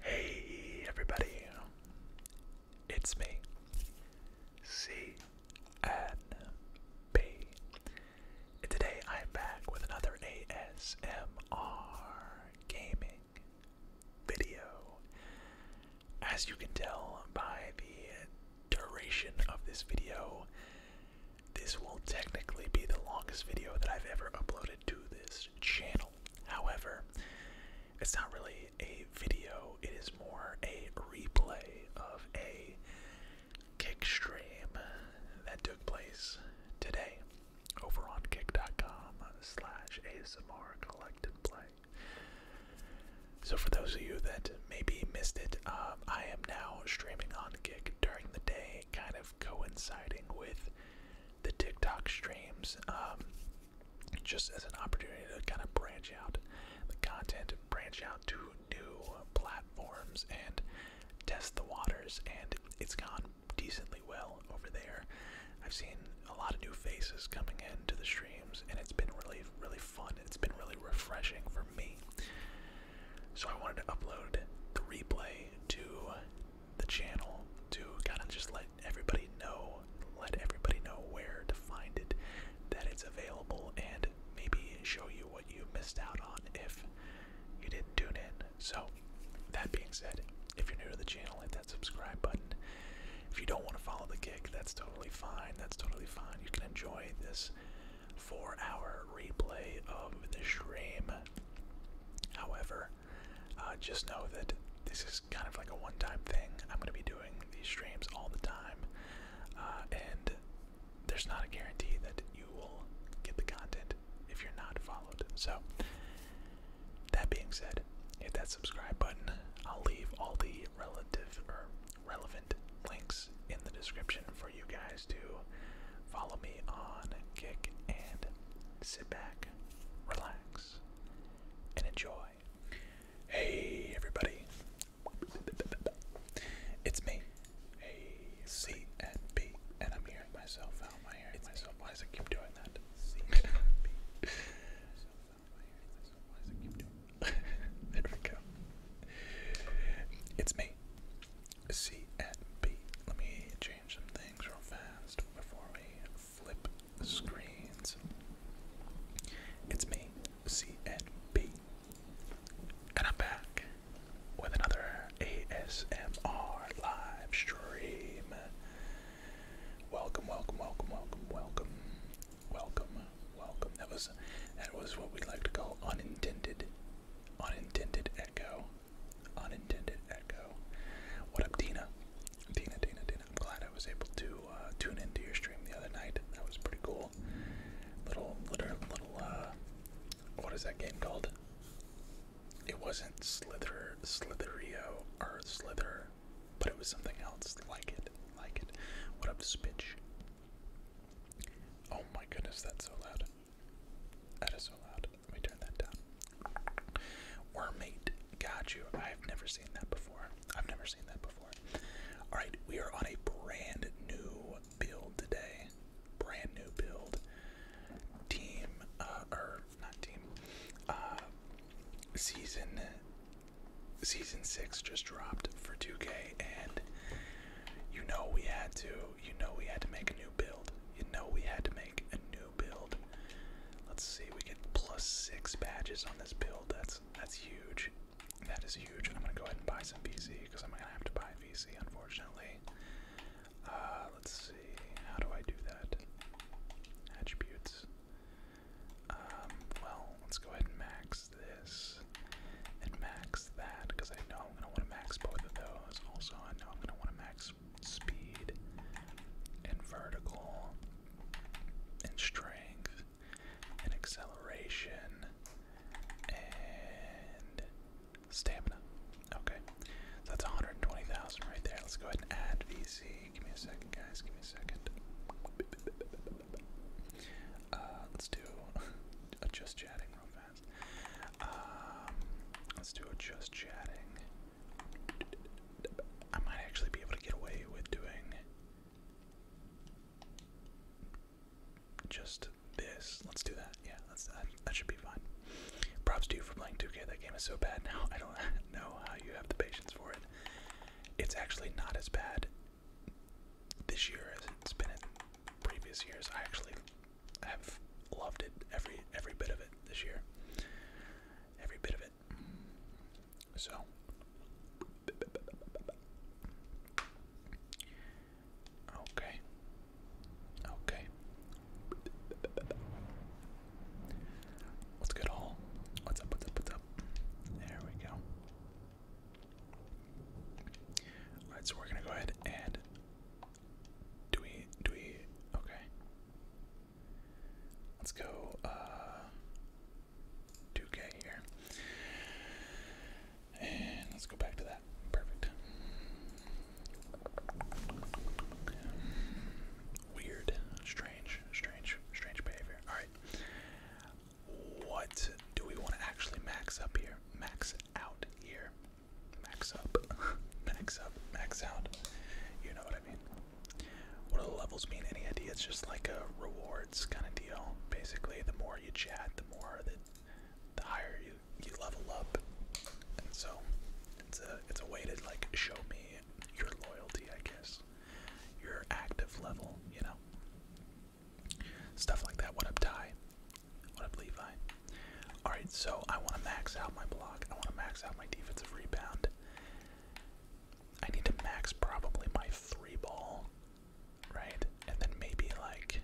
Hey everybody, it's me, CNB, and today I'm back with another ASMR gaming video. As you can tell by the duration of this video, this will technically be the longest video that I've ever uploaded to this channel. However, it's not really a video, it is more a replay of a kick stream that took place today over on kick.com slash ASMR collective play. So for those of you that maybe missed it, um, I am now streaming on Kick during the day, kind of coinciding with the TikTok streams um, just as an opportunity to kind of branch out the content, branch out to new platforms, and test the waters. And it's gone decently well over there. I've seen a lot of new faces coming into the streams, and it's been really, really fun. It's been really refreshing for me. So I wanted to upload the replay to the channel to kind of just let everybody know, let everybody know where to find it, that it's available, and maybe show you what you missed out on if you didn't tune in. So, that being said, if you're new to the channel, hit that subscribe button. If you don't want to follow the kick, that's totally fine. That's totally fine. You can enjoy this four hour replay of the stream. However, uh, just know that this is kind of like a one-time thing. I'm going to be doing these streams all the time, uh, and there's not a guarantee that you will get the content if you're not followed. So, that being said, hit that subscribe button. I'll leave all the relative or relevant links in the description for you guys to follow me on Kick and sit back relax, and enjoy. Hey, everybody. It's me, C and B, and I'm hearing myself. How am hearing myself? Why does it keep doing that? there we go. It's me, C Let me change change some things real fast before we flip the screens. It's me, CNB, and I'm back with another ASMR live stream. Welcome, welcome, welcome, welcome, welcome, welcome, welcome. That was that was what we like to call unintended, unintended echo. Unintended echo. What up, Dina? Dina, Dina, Dina. I'm glad I was able to uh, tune into your stream the other night. That was pretty cool. Little, little, little. Uh, what is that game called? It wasn't Slither, Slitherio, or Slither, but it was something else like it, like it. What up, Spitch? Oh my goodness, that's so loud. That is so loud. Let me turn that down. Wormmate. Got you. I've never seen that before. I've never seen that before. Alright, we are on a brand new build today. Brand new build. Team, uh, or not team, uh, season, season six just dropped for 2K, and you know we had to, you know we had to make a new build. You know we had to make a new build. Let's see, we get plus six badges on this build. That's that's huge. That is huge. I'm gonna go ahead and buy some VC because I'm gonna have to buy VC, unfortunately. Uh, let's see. How do I do that? Attributes. Um, well, let's go ahead and max this and max that because I know I'm gonna want to max both of those. Also, I know I'm gonna want to max speed and vertical and strength and acceleration and stamina. Okay, so that's 120,000 right there. Let's go ahead and add VC. Give me a second, guys. Give me a second. Uh, let's do a just chatting real fast. Um, let's do a just chatting. I might actually be able to get away with doing just this. Let's do that. Yeah, that. That should be fine. Props to you for playing 2K. That game is so bad now. I don't know how you have the patience for it. It's actually not as bad this year as it's been in previous years. I actually have loved it every every bit of it this year every bit of it. So, okay, okay. Let's good, all? What's up? What's up? What's up? There we go. All right, so we're gonna go ahead and do we do we okay? Let's go uh 2K here. And let's go back to that. Perfect. Weird, strange, strange, strange behavior. Alright. What do we want to actually max up here? Max out here. Max up. max up. Max out. You know what I mean. What do the levels mean? Any idea? It's just like a rewards kind of deal. Basically, the more you chat, the more that the higher you you level up. And so it's a it's a way to like show me your loyalty, I guess. Your active level, you know. Stuff like that. What up, Ty? What up, Levi? Alright, so I want to max out my block. I want to max out my defensive rebound. I need to max probably my three ball, right? And then maybe like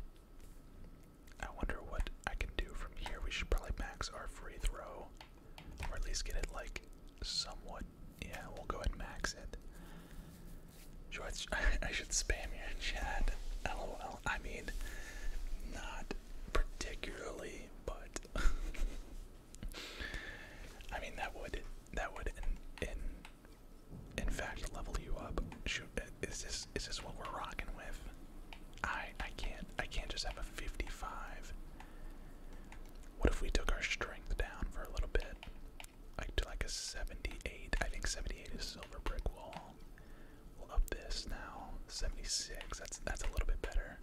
I wonder what I can do from here. We should probably max our free throw. Or at least get it like somewhat yeah, we'll go ahead and max it. George, I should spam your chat. LOL. I mean, not particularly, but I mean that would that would in in fact level you up. is this is this what we're rocking with? I I can't I can't just have a 55. What if we took our strength down for a little bit? Like to like a 78. I think 78 is silver brick wall. We'll up this now. 76. That's that's a little bit better.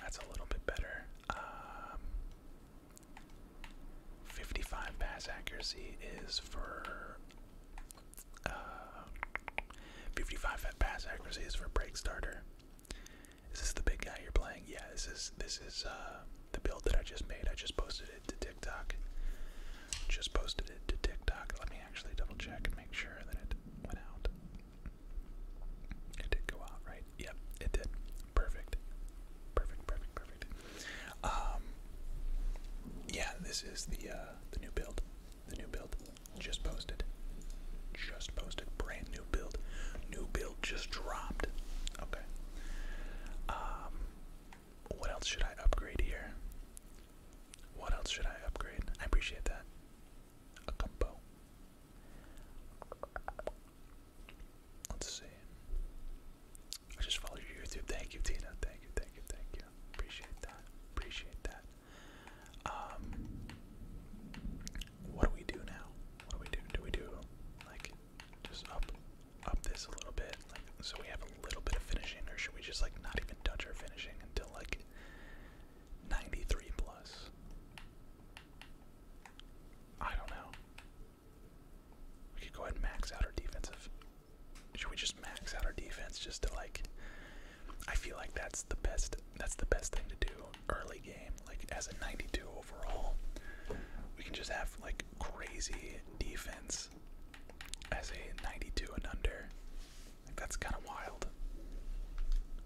That's a little bit better. Um, 55 pass accuracy is for. Uh, 55 pass accuracy is for break starter. Is this the big guy you're playing? Yeah, this is this is uh, the build that I just made. I just posted it to TikTok. Just posted it to TikTok. Let me actually double check and make sure that it went out. It did go out, right? Yep, it did. Perfect. Perfect, perfect, perfect. Um Yeah, this is the uh, the new build. The new build. Just posted. Just posted. Brand new build. New build just dropped. Okay. Um what else should I upgrade here? What else should I upgrade? I appreciate that. Acampo. Let's see. I just followed your YouTube. Thank you, Tina. Thank you, thank you, thank you. Appreciate that. Appreciate that. Um, what do we do now? What do we do? Do we do like just up, up this a little bit, like so we have a little bit of finishing, or should we just like not even touch our finishing until like 93 plus. I don't know. We could go ahead and max out our defensive. Should we just max out our defense just to like I feel like that's the best that's the best thing to do early game. Like as a 92 overall, we can just have like crazy defense as a 92 and under that's kind of wild.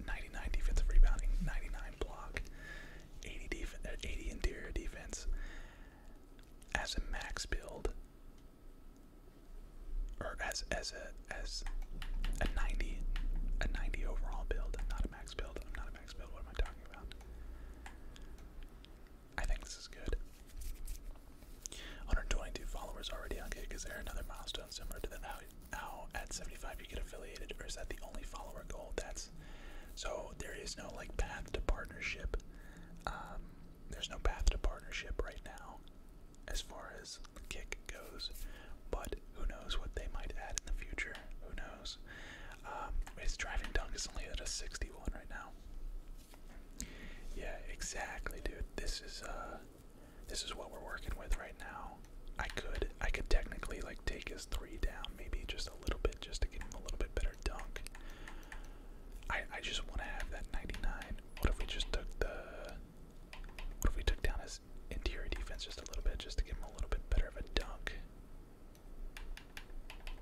99 defensive rebounding, 99 block, 80 def uh, 80 interior defense as a max build, or as as a as a 90 a 90 overall build, not a max build. I'm not a max build. What am I talking about? I think this is good. 122 followers already on okay, Kick. Is there another milestone similar to that? How Oh, at 75 you get affiliated, or is that the only follower goal? That's so there is no like path to partnership. Um, there's no path to partnership right now, as far as kick goes. But who knows what they might add in the future? Who knows? Um, his driving dunk is only at a 61 right now. Yeah, exactly, dude. This is uh, this is what we're working with right now. I could I could technically like take his three down, maybe just a little bit just to get him a little bit better dunk. I I just wanna have that 99. What if we just took the what if we took down his interior defense just a little bit just to give him a little bit better of a dunk?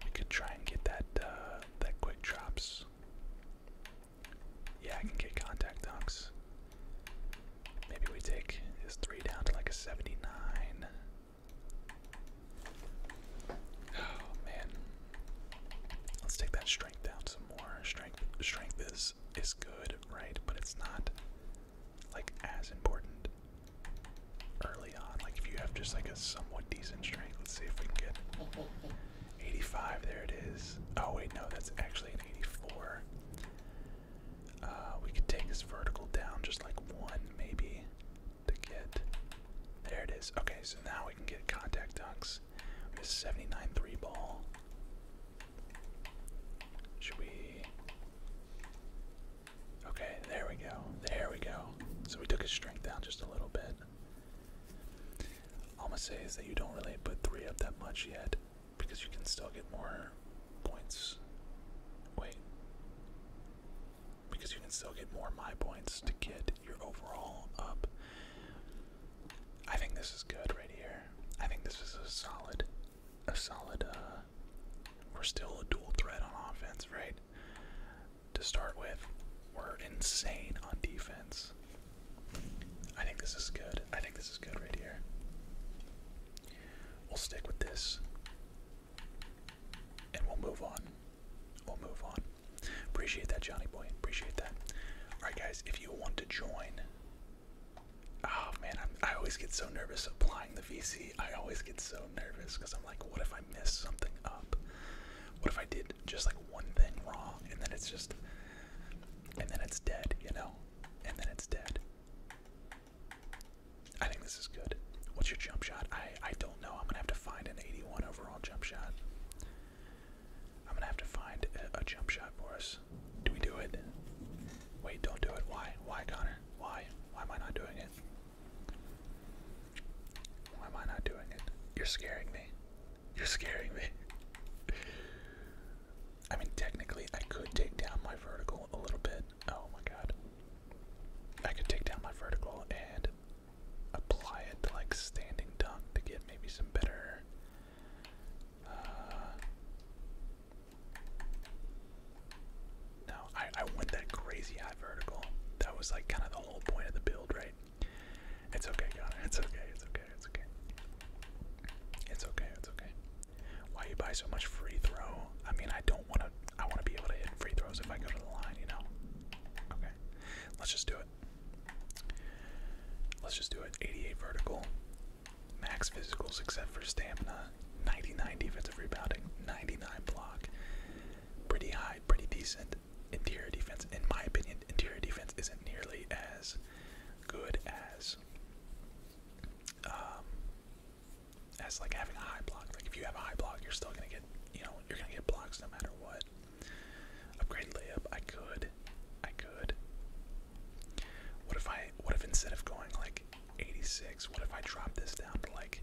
We could try and get that uh that quick drops. Yeah, I can get contact dunks. Maybe we take this three down to like a 79. Oh man. Let's take that strength down some more. Strength strength is is good, right? But it's not like as important early on. Like if you have just like a somewhat decent strength, let's see if we can get 85, there it is. Oh wait, no, that's actually an 84. Uh, we could take this vertical down just like one, maybe, to get. There it is. Okay, so now we can get contact dunks. We have 79 three ball. Should we. Okay, there we go. There we go. So we took his strength down just a little bit. All I'm gonna say is that you don't really put three up that much yet because you can still get more points. Wait. Because you can still get more my points to get your overall up. I think this is good right here. I think this is a solid, a solid, uh, we're still a dual threat on offense, right? To start with, we're insane on defense. I think this is good. I think this is good right here. We'll stick with this. And we'll move on. We'll move on. Appreciate that, Johnny Boy. Appreciate that. Alright, guys, if you want to join. Oh, man, i always get so nervous applying the VC. I always get so nervous because I'm like, what if I miss something up? What if I did just like one thing wrong and then it's just. And then it's dead, you know? and then it's dead. I think this is good. What's your jump shot? I I don't know. I'm gonna have to find an 81 overall jump shot. I'm gonna have to find a, jump shot for us. Do we do it? Wait, don't do it. Why? Why, Connor? Why? Why am I not doing it? Why am I not doing it? You're scaring me. You're scaring me. I mean, technically, I could take down my vertical a little bit. Oh my god. I could take down my vertical and apply it to like standing dunk to get maybe some better. Uh, no, I, I went that crazy high vertical. That was like kind of the whole point of the build, right? It's okay, Connor. It's okay. It's okay. It's okay. It's okay. It's okay. Why you buy so much free throw? I mean, I don't want to. I want to be able to hit free throws if I go to the line, you know. Okay, let's just do it. Let's just do it. 88 vertical, max physicals except for stamina. 99 defensive rebounding, 99 block. Pretty high, pretty decent. Interior defense, in my opinion, interior defense isn't nearly as good as um, as like having a high block. Like if you have a high block, you're still gonna get, you know, you're gonna get blocks no matter what. Upgrade layup, I could, I could. What if I, what if instead of going like 86, what if I drop this down to like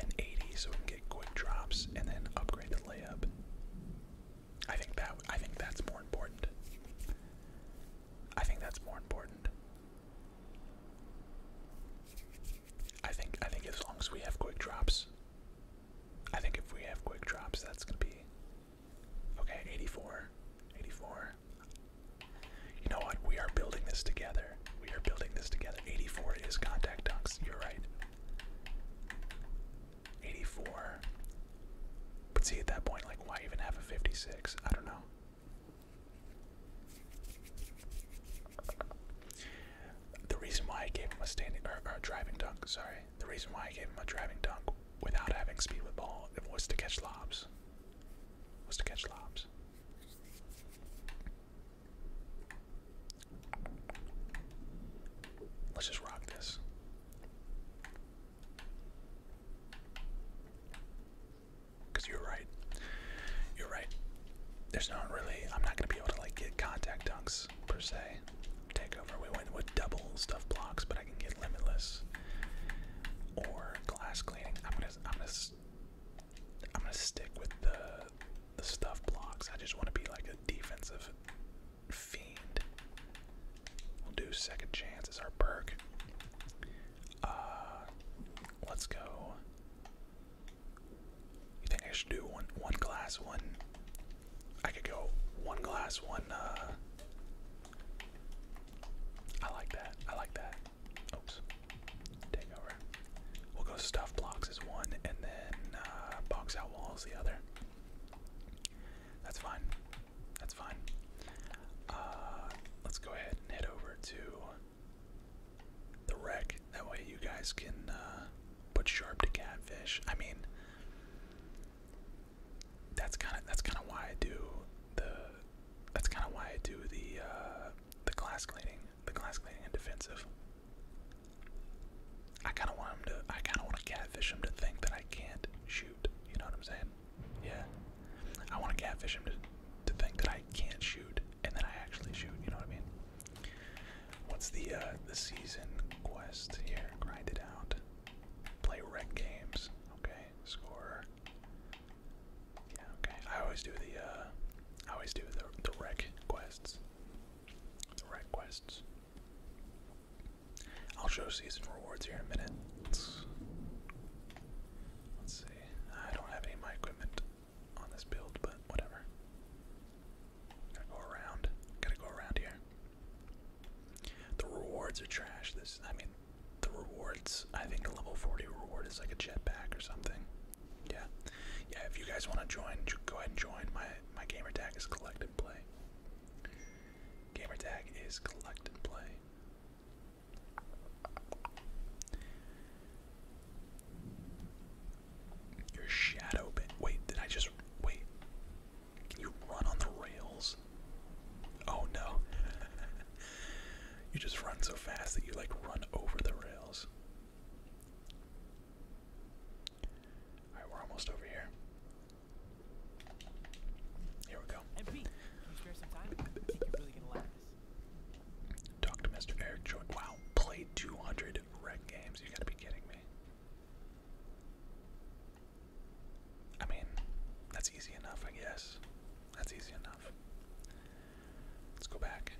an 80 so we can get quick drops and then upgrade the layup? I think that, I think that's more important. I think that's more important. I think I think as long as we have quick drops. I think if we have quick drops that's gonna be okay, 84. 84. You know what? We are building this together. We are building this together. 84 is contact dunks. You're right. 84. But see, at that point, like, why even have a 56? I don't know. The reason why I gave him a standing or, a driving dunk, sorry, the reason why I gave him a driving dunk without having speed with ball was to catch lobs. Was to catch lobs. Let's just rock this. Because you're right. You're right. There's not really, I'm not going to be able to like get contact dunks per se. Takeover, we went with double stuff blocks, but I can get limitless. Or glass cleaning. I'm gonna, I'm gonna, I'm gonna stick with the, the stuff blocks. I just want to be like a defensive fiend. We'll do second chance as our perk. Uh, let's go. You think I should do one one glass one? I could go one glass one. Uh, I like that. I like that. Oops. Take We'll go stuff blocks as one, and then uh, box out walls the other. That's fine. That's fine. Uh, let's go ahead and head over to the wreck. That way, you guys can uh, put sharp to catfish. I mean, that's kind of that's kind of why I do the that's kind of why I do the uh, the glass cleaning, the glass cleaning and defensive. I kind of want him to. I kind of want to catfish him to think that I can't shoot. You know what I'm saying? Yeah. I want to catfish him to, to think that I can't shoot and then I actually shoot, you know what I mean? What's the uh, the season quest here? Grind it out. Play rec games. Okay, score. Yeah, okay. I always do the uh, I always do the the quests. The rec quests. I'll show season rewards here in a minute. Let's see. I don't have any my equipment on this build, but whatever. Gotta go around. Gotta go around here. The rewards are trash. This, I mean, the rewards. I think the level 40 reward is like a jetpack or something. Yeah, yeah. If you guys want to join, go ahead and join. My my gamer tag is collect and play. Gamer tag is collect and play. Your shadow bit. Wait, did I just. Wait. Can you run on the rails? Oh no. you just run so fast that you like run over the rails. Alright, we're almost over here. Here we go. And Pete, you spare some time? I think you're really gonna like Talk to Mr. Eric Joy. Wow, played 200 rec games. You gotta be kidding me. I mean, that's easy enough, I guess. That's easy enough. Let's go back.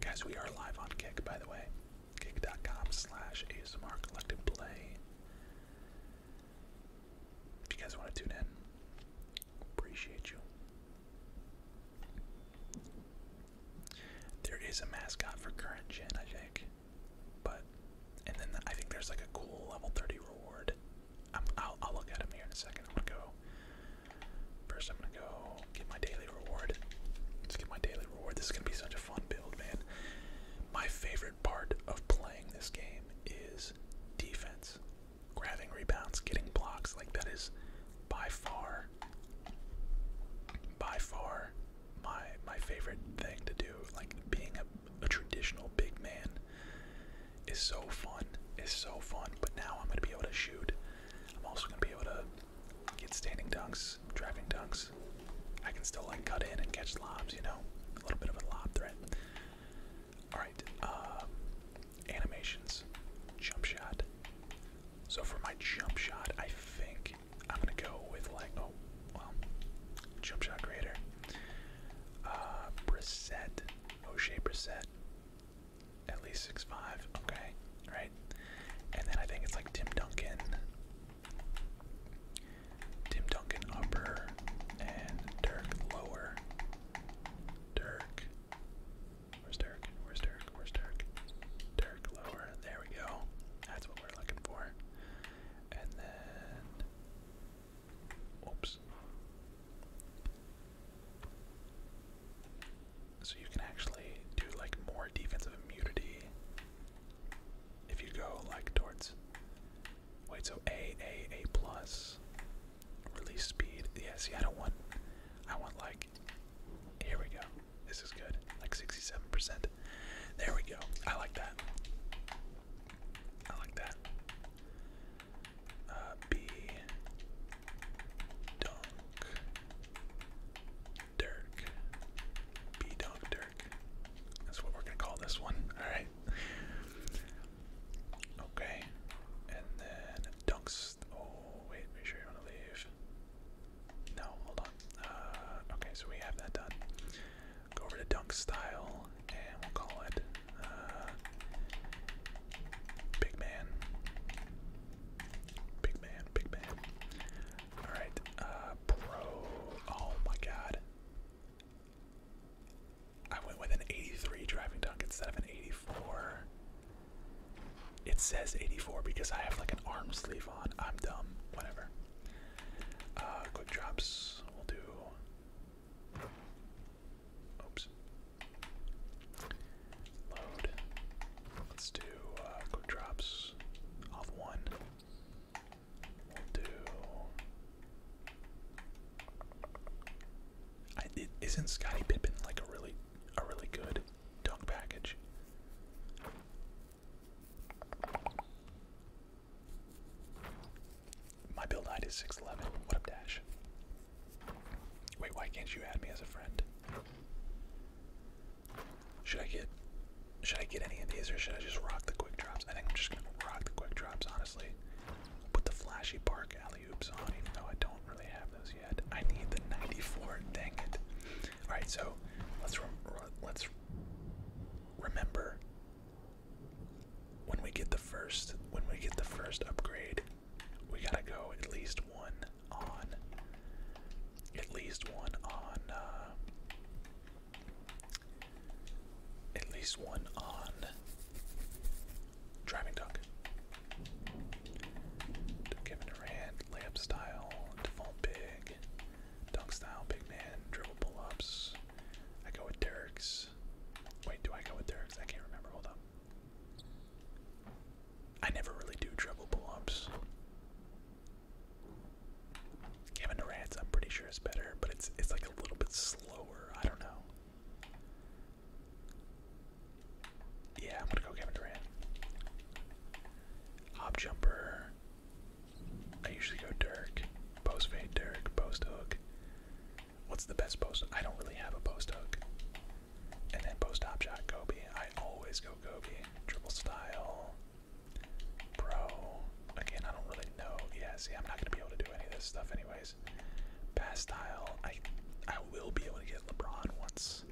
Guys, we are live on Kick, by the way. Kick.com slash ASMR Collective Play. If you guys want to tune in, appreciate you. There is a mascot for current gen, I think, but and then I think there's like a cool level 30 reward. i will I'll look at him here in a second. I'm gonna go. First, I'm gonna go get my daily reward. Let's get my daily reward. This is gonna be such a fun build, man. My favorite part of playing this game is defense. Grabbing rebounds, getting blocks, like that is by far by far my my favorite thing to do. Like being a, a traditional big man is so fun. Is so fun. But now I'm gonna be able to shoot. I'm also gonna be able to get standing dunks, driving dunks, I can still like cut in and catch lobs, you know, a little bit of a lob threat. All right, uh, animations, jump shot. So for my jump shot, I think I'm gonna go with like oh, well, jump shot creator. Uh, Brissette, O'Shea Brissette, at least six five. Okay, right. And then I think it's like Tim Duncan. Tim Duncan upper, and Dirk lower. Dirk. Where's Dirk? Where's Dirk? Where's Dirk? Dirk lower. There we go. That's what we're looking for. And then. Oops. So you can actually do like more defensive immunity if you go like towards wait so a a a plus release speed yeah see i don't want i want like here we go this is good like 67 percent there we go i like that i like that uh, b dunk dirk b dunk dirk that's what we're gonna call this one. Alright. Okay. And then dunks. Oh, wait, make sure you want to leave. No, hold on. Uh, okay, so we have that done. Go over to dunk style, and we'll call it uh, Big Man. Big Man, Big Man. Alright, uh, Pro. Oh my god. I went with an 83 driving dunk instead of an 84. It says 84 because I have like an arm sleeve on. I'm dumb. Whatever. Uh, quick drops. We'll do. Oops. Load. Let's do uh, quick drops. Off one we it, isn't Scotty Pippen like a really, a really good dunk package? My build height is six eleven. What up, Dash? Wait, why can't you add me as a friend? Should I get should I get any of these or should I just rock the quick drops? I think I'm just gonna rock the quick drops, honestly. Put the flashy park alley oops on, even though I don't really have those yet. I need the 94. Dang it! All right, so let's let's remember when we get the first when we get the first upgrade, we gotta go at least one on. At least one on. Uh, at least one on driving dunk. Kevin Durant, layup style, default big, dunk style, big man, dribble pull ups. I go with Derek's. Wait, do I go with Derek's? I can't remember. Hold up. I never really do dribble pull ups. Kevin Durant's I'm pretty sure it's better, but it's it's like a little bit slower. I don't know. Yeah, I'm gonna go Kevin Durant. Hop jumper. I usually go Dirk. Post fade Dirk. Post hook. What's the best post? I don't really have a post hook. And then post hop shot Kobe. I always go Kobe. Triple style. Bro. Again, I don't really know. Yeah, see, I'm not gonna be able to do any of this stuff anyways. Pass style, I I will be able to get LeBron once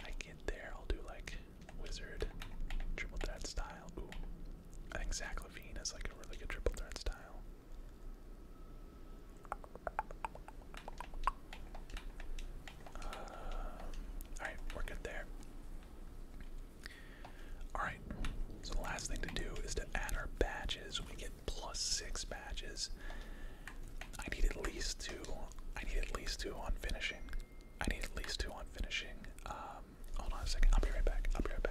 I get there. I'll do like wizard, triple threat style. Ooh. I think Zach Levine is like a really good triple threat style. Um, Alright, we're good there. Alright, so the last thing to do is to add our badges. We get plus six badges. I need at least two. I need at least two on finishing. I need at least two on finishing. Um, hold on a second. I'll be right back. I'll be right back.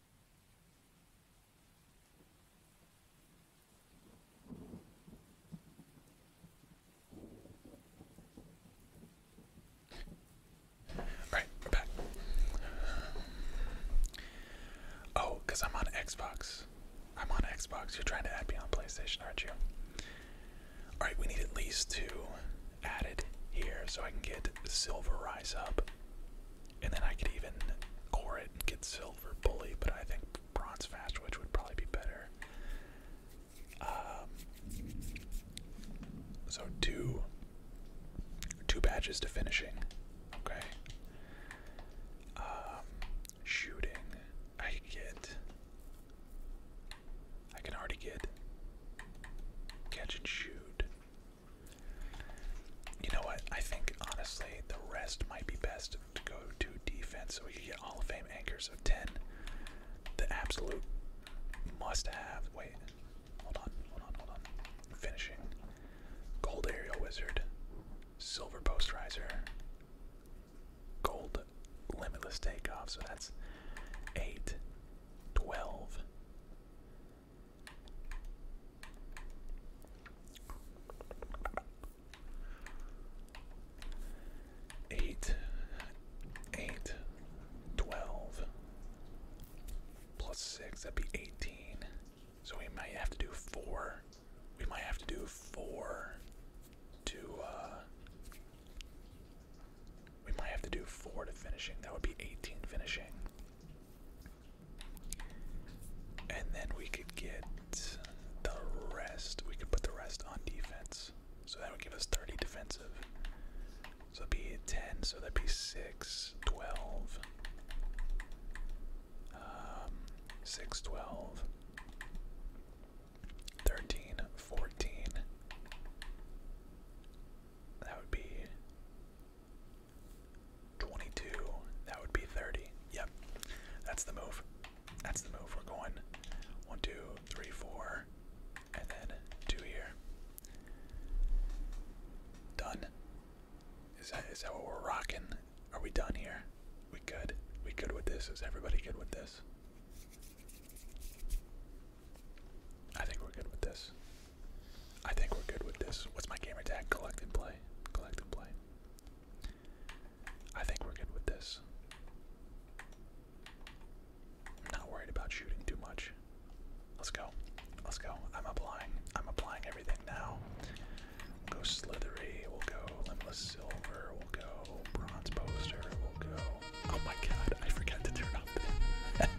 Right, back. Oh, because I'm on Xbox. I'm on Xbox. You're trying to add me on PlayStation, aren't you? Alright, we need at least two added here so I can get Silver Rise up. And then I could even core it and get silver bully, but I think bronze fast witch would probably be better. Um, so two two badges to finishing. Okay. Um, shooting. I get. I can already get catch and shoot. You know what? I think honestly the rest might be best to go to defense so we can get Hall of Fame anchors of 10. The absolute must have. Wait, hold on, hold on, hold on. I'm finishing. Gold Aerial Wizard, Silver Post Riser, Gold Limitless Takeoff. So that's 8, 12, Eight, eight, twelve, plus six, that'd be eighteen. So we might have to do four. We might have to do four to, uh, we might have to do four to finishing. That would be 18 finishing. And then we could get the rest. We could put the rest on defense. So that would give us 30 defensive. So that'd be 10, so that'd be 6, 12. Um, 13, 14. That would be 22. That would be 30. Yep. That's the move. That's the move. We're going one, two, three, four, and then two here. Done. Is that is that what we're rocking? Are we done here? We good. We good with this. Is everybody good with this? I think we're good with this. I think we're good with this. What's my gamer tag? Collect and play. Collect and play. I think we're good with this. I'm not worried about shooting too much. Let's go. Let's go. I'm applying. I'm applying everything now. We'll go Slithery. We'll go Limitless Silver. We'll go Bronze Poster. We'll go. Oh my god, I forgot to turn up.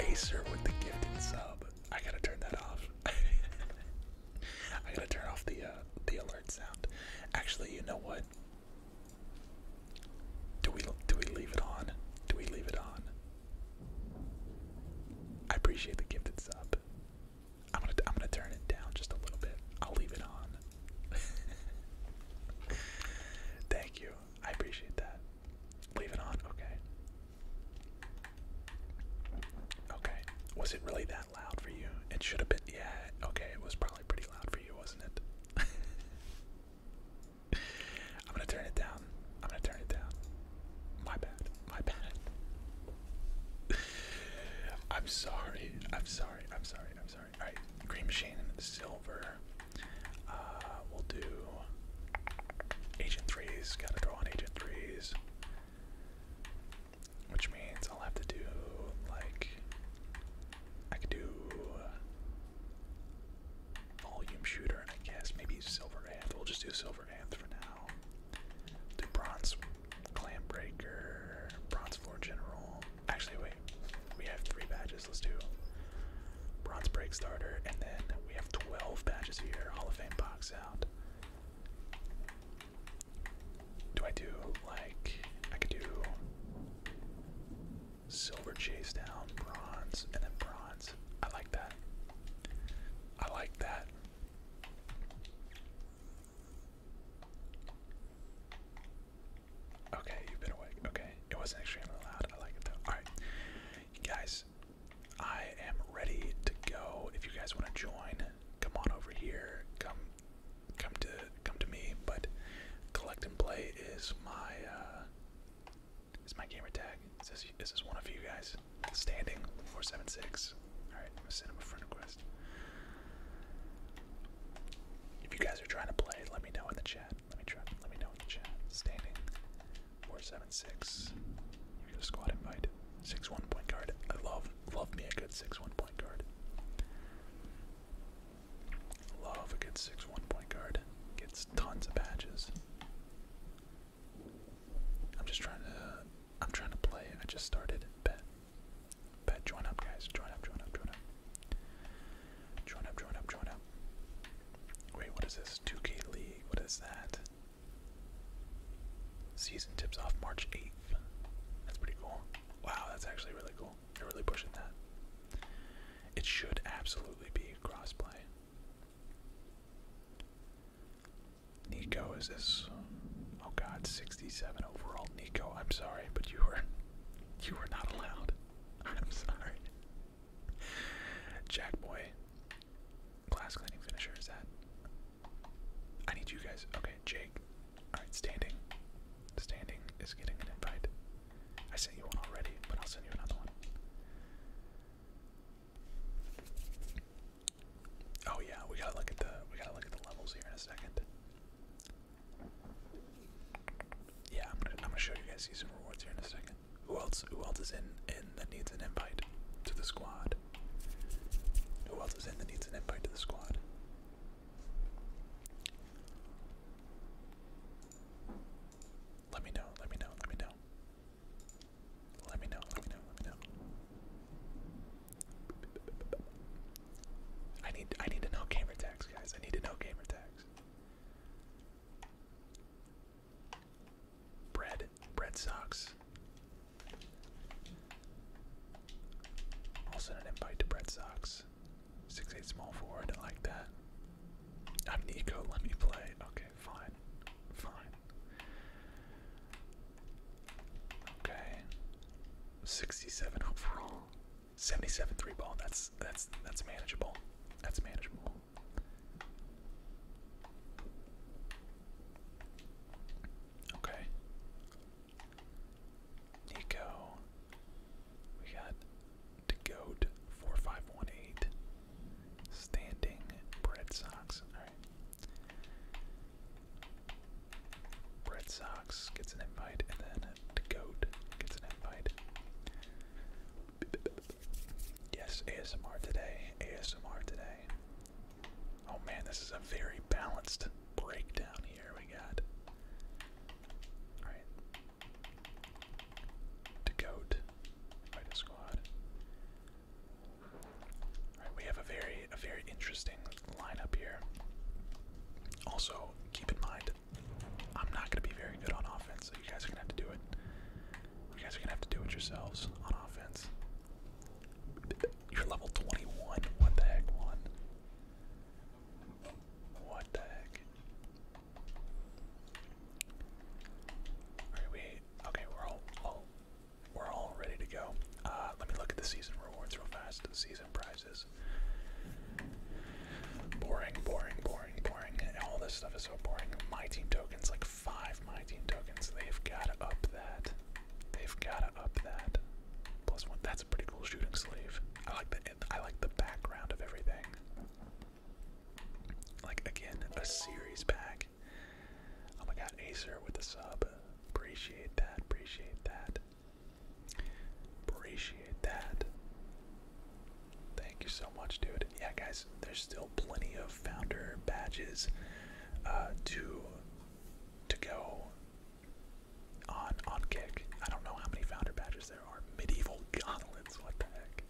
Acer with the gifted sub. I gotta turn that off. I gotta turn off the uh, the alert sound. Actually, you know what? Do we do we leave it on? Do we leave it on? I appreciate the gifted sub. I'm gonna I'm gonna turn it down just a little bit. I'll leave it on. Thank you. I appreciate that. Leave it on, okay. Okay. Was it really that loud for you? It should have been, yeah, okay, it was probably pretty loud for you, wasn't it? I'm gonna turn it down. I'm gonna turn it down. My bad. My bad. I'm sorry. I'm sorry. I'm sorry. I'm sorry. Alright, green machine and silver. Uh, we'll do agent threes, gotta draw on agent threes. Which means I'll have to do like I could do volume shooter and I guess maybe silver anth. We'll just do silver anth for now. Do bronze clam breaker, bronze floor general. Actually wait, we have three badges, let's do bronze break starter, and then we have twelve badges here, Hall of Fame box do I do like I could do silver chase down, bronze, and then bronze? I like that. I like that. Okay, you've been awake. Okay, it wasn't extremely loud. I like it though. All right, you guys, I am ready to go. If you guys want to join, come on over here. Come, come to come to me. But collect and play is my uh, is my gamer tag. Is this is one of you guys standing four seven six? All right, I'm gonna send him a friend request. If you guys are trying to play, let me know in the chat. Let me try. Let me know in the chat. Standing Four seven six. Here's a squad invite. Six one point guard. I love love me a good six one point guard. Love a good six one point guard. Gets tons of badges. I'm just trying to I'm trying to play. I just started. Bet. Bet join up guys. Join up, join up, join up. Join up, join up, join up. Wait, what is this? 2K League, what is that? Season tips off March 8th. That's pretty cool. Wow, that's actually really cool. You're really pushing that. It should absolutely be crossplay. Nico is this oh god, 67 overall Nico. I'm sorry, but you were you were not allowed. I'm sorry. Jack boy, Glass cleaning finisher is that? I need you guys. Okay, Jake. Alright, standing. Standing is getting an invite. I sent you one already, but I'll send you another one. Oh yeah, we gotta look at the we gotta look at the levels here in a second. Yeah, I'm gonna I'm gonna show you guys some rewards here in a second. Who else? Who else is in in that needs an invite to the squad? Who else is in that needs an invite to the squad? Let me know. Let me know. Let me know. Let me know. Let me know. Let me know. I need. I need to know gamer tags, guys. I need to know gamer tags. Bread Red socks. i an invite to Red Sox. Six eight small four, I like that. I'm Nico, let me play. Okay, fine. Fine. Okay. 67 overall. 77 three ball. That's that's that's manageable. That's manageable. Okay. Nico. We got the goat four five one eight. Standing Bread Sox. Alright. Bread Sox gets an invite and then the goat gets an invite. Yes, ASMR today. ASMR today. Oh man, this is a very balanced breakdown here. We got. Alright. To goat. Fight we have a very a very interesting lineup here. Also, keep in mind, I'm not gonna be very good on offense, so you guys are gonna have to do it. You guys are gonna have to do it yourselves on offense. You're level 21. What the heck, one? What the heck? Alright, we okay, we're all, we're all ready to go. Uh let me look at the season rewards real fast. Season prizes. Boring, boring, boring, boring. All this stuff is so boring. My team tokens like five tokens. They've gotta up that. They've gotta up that. Plus one. That's a pretty cool shooting sleeve. I like the I like the background of everything. Like again, a series pack. Oh my god, Acer with the sub. Appreciate that. Appreciate that. Appreciate that. Thank you so much, dude. Yeah, guys, there's still plenty of founder badges uh, to to go on on kick. I don't know how many founder badges there are. Medieval gauntlets, what the heck?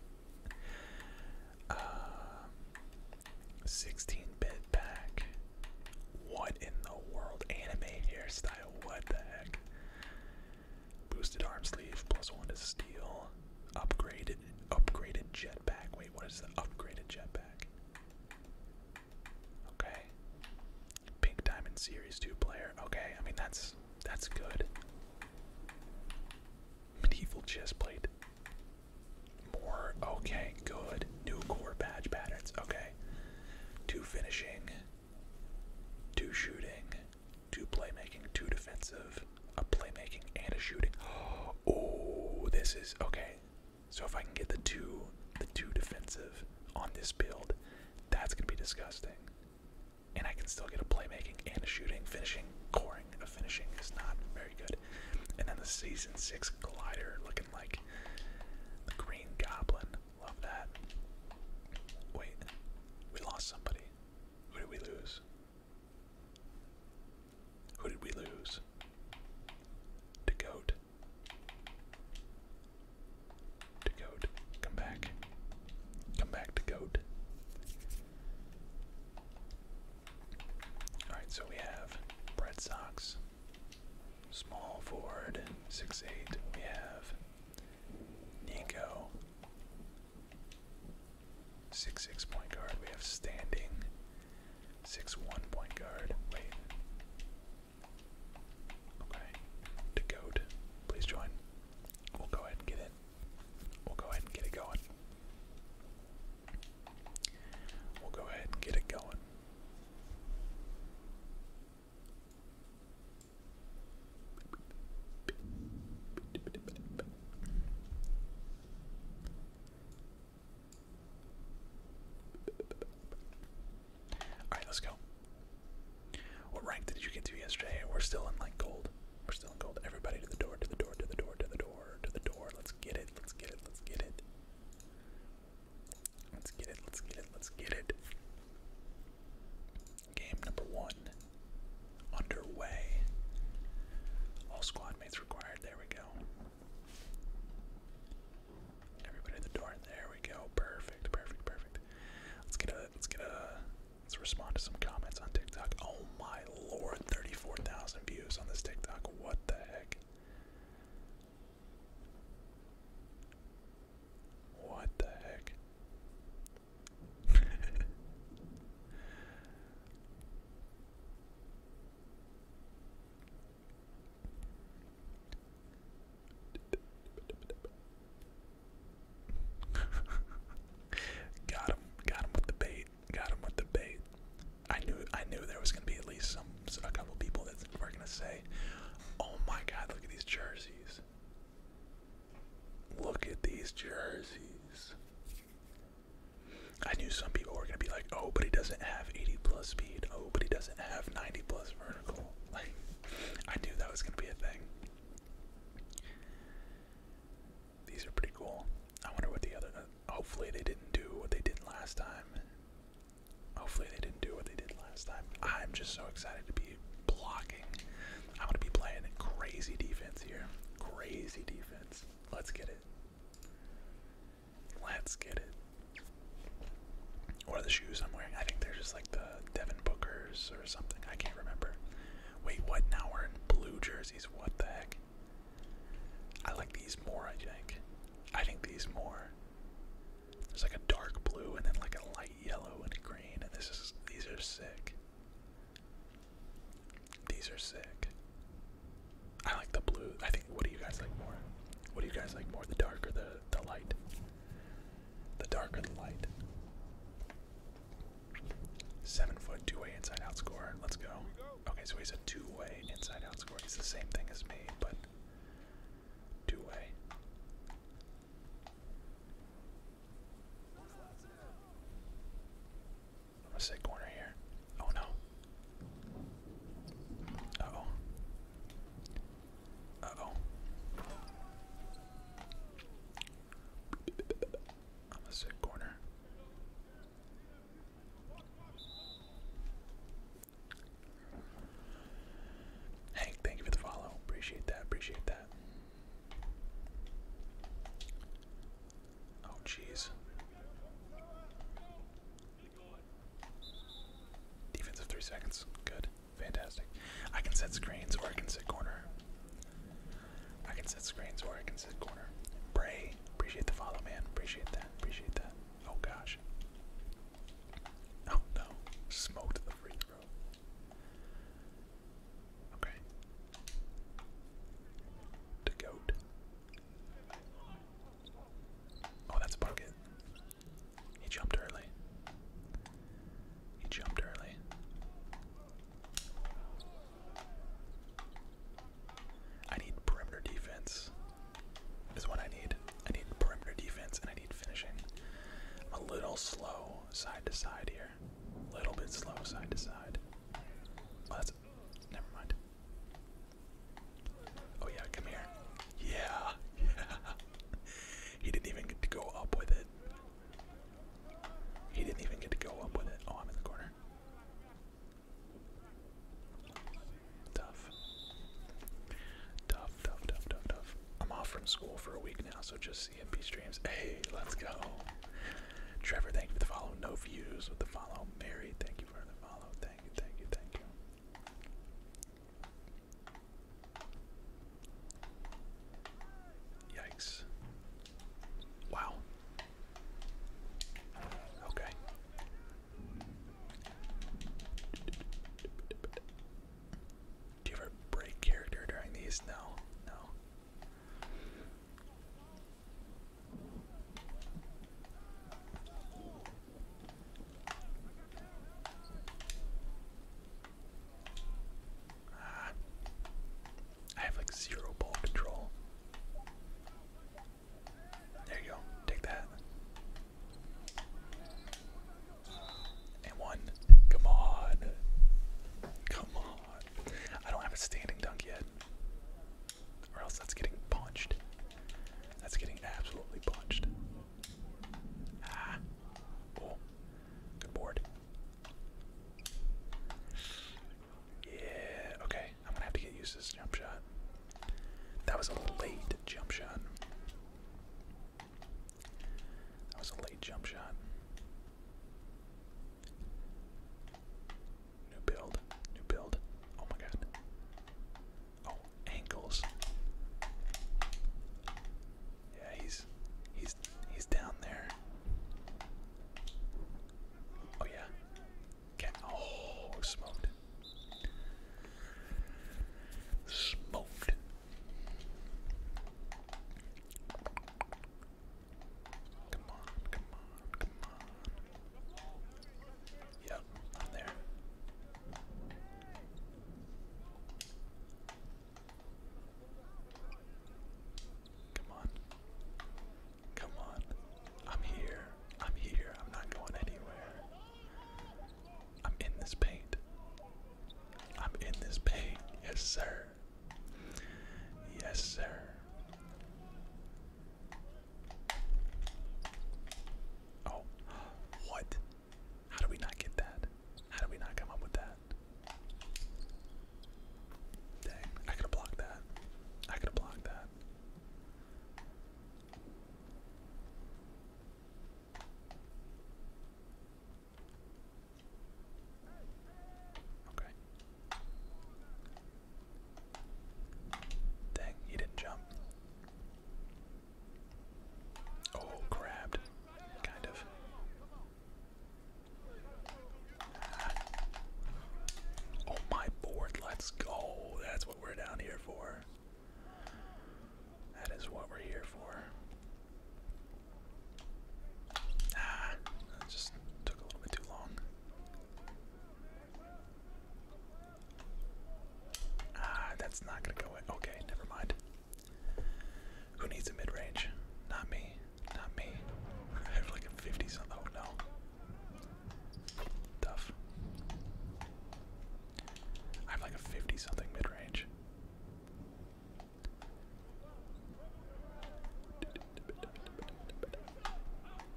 16-bit uh, pack. What in the world? Anime hairstyle, what the heck? Boosted arm sleeve, plus one to steal. Upgraded, upgraded pack. Wait, what is the upgraded jet pack? Okay. Pink Diamond Series 2 player. Okay, I mean that's that's good. Medieval chess plate. More okay, good. New core badge patterns. Okay. Two finishing. Two shooting. Two playmaking. Two defensive. A playmaking and a shooting. Oh, this is okay. So if I can get the two the two defensive on this build, that's gonna be disgusting. And I can still get a playmaking and a shooting, finishing, coring. A finishing is not very good. And then the season six glider looking like the green goblin. Love that. Wait, we lost somebody. Who did we lose? Who did we lose? To goat. To goat. Come back. Come back to goat. Alright, so we have Red Sox. Small forward, six eight. We have Nico. Six six point guard. We have standing. Six one point guard. Wait. Okay. To goat. Please join. We'll go ahead and get it. We'll go ahead and get it going. We'll go ahead and get it going. Alright, let's go. What rank did you get to yesterday? We're still in like gold. We're still in gold. Everybody to the door, to the door, to the door, to the door, to the door. Let's get it, let's get it, let's get it. Let's get it, let's get it, let's get it. Game number one underway. All squad mates required. There we go. Everybody at the door. There we go. Perfect, perfect, perfect. Let's get a let's get a let's respond to some comments on TikTok. Oh my lord, 34,000 views on this TikTok. What the heck? What the heck? got him, got him with the bait, got him with the bait. I knew, I knew there was gonna be at least some, a couple people that were gonna say, "Oh my God, look at these jerseys! Look at these jerseys! I knew some people were gonna be like, oh, but he doesn't have 80 plus speed. Oh, but he doesn't have 90 plus vertical. Like, I knew that was gonna be a thing. These are pretty cool. I wonder what the other. Uh, hopefully, they didn't do what they did last time. Hopefully, they didn't do what they did last time. I'm just so excited to be blocking. I'm gonna be playing crazy defense here. Crazy defense. Let's get it. Let's get it. What are the shoes I'm wearing? I think they're just like the Devin Bookers or something. I can't remember. Wait, what? Now we're in blue jerseys. What the heck? I like these more, I think. I think these more. It's like a dark blue and then like a light yellow and green, and this is these are sick. These are sick. I like the blue. I think. What do you guys like more? What do you guys like more, the dark or the the light? The dark or the light? Seven foot two-way inside-out score. Let's go. Okay, so he's a two-way inside-out score. He's the same thing as me, but two-way. I'm gonna say corner here. Oh no. oh. oh. I'm gonna say corner. Hank, thank you for the follow. Appreciate that. Appreciate that. Oh, jeez. Defense of three seconds. Good. Fantastic. I can set screens or I can set corner. I can set screens or I can set corner. Bray, appreciate the follow, man. Appreciate that. Appreciate that. Oh gosh. Oh no. Smoked the free throw. Okay. The goat. Oh, that's Bucket. He jumped early. He jumped early. I need perimeter defense. Is what I need. I need perimeter defense and I need finishing. I'm a little slow side to side here. A little bit slow side to side. Oh, Never mind. Oh yeah, come here. Yeah, He didn't even get to go up with it. He didn't even get to go up with it. Oh, I'm in the corner. Tough. Tough, tough, tough, tough, tough. I'm off from school for a week now, so just CMP streams. Hey, let's go. Trevor, thank you for the follow. No views with the follow. Mary, thank you for the follow. Thank you, thank you, thank you. Yikes. Wow. Okay. Do you ever break character during these? No, no. I have like zero ball control. There you go. Take that. And one. Come on. Come on. I don't have a standing dunk yet. Or else that's getting punched. That's getting absolutely punched. Ah. Cool. Good board. Yeah, okay. I'm gonna have to get used to this jump shot. That was a late jump shot. That was a late jump shot. New build. New build. Oh my god. Oh, ankles. Yeah, he's he's he's down there. Oh yeah. oh smoked. Smoked. Come on, come on, come on. Yep, there. Come on. Come on. I'm here. I'm here. I'm not going anywhere. I'm in this paint. I'm in this paint. Yes, sir. Yes, sir. Oh, what? How do we not get that? How do we not come up with that? Dang, I could have blocked that. I could have blocked that. Okay. Dang, he didn't jump. Oh, grabbed. Kind of. Ah. Oh, my board, let's go. That's what we're down here for. That is what we're here for. Ah, just took a little bit too long. Ah, that's not gonna go in. Okay, never mind. Who needs a mid range? Not me. Not me. I have like a 50 something. Oh no. Tough. I have like a 50 something mid range.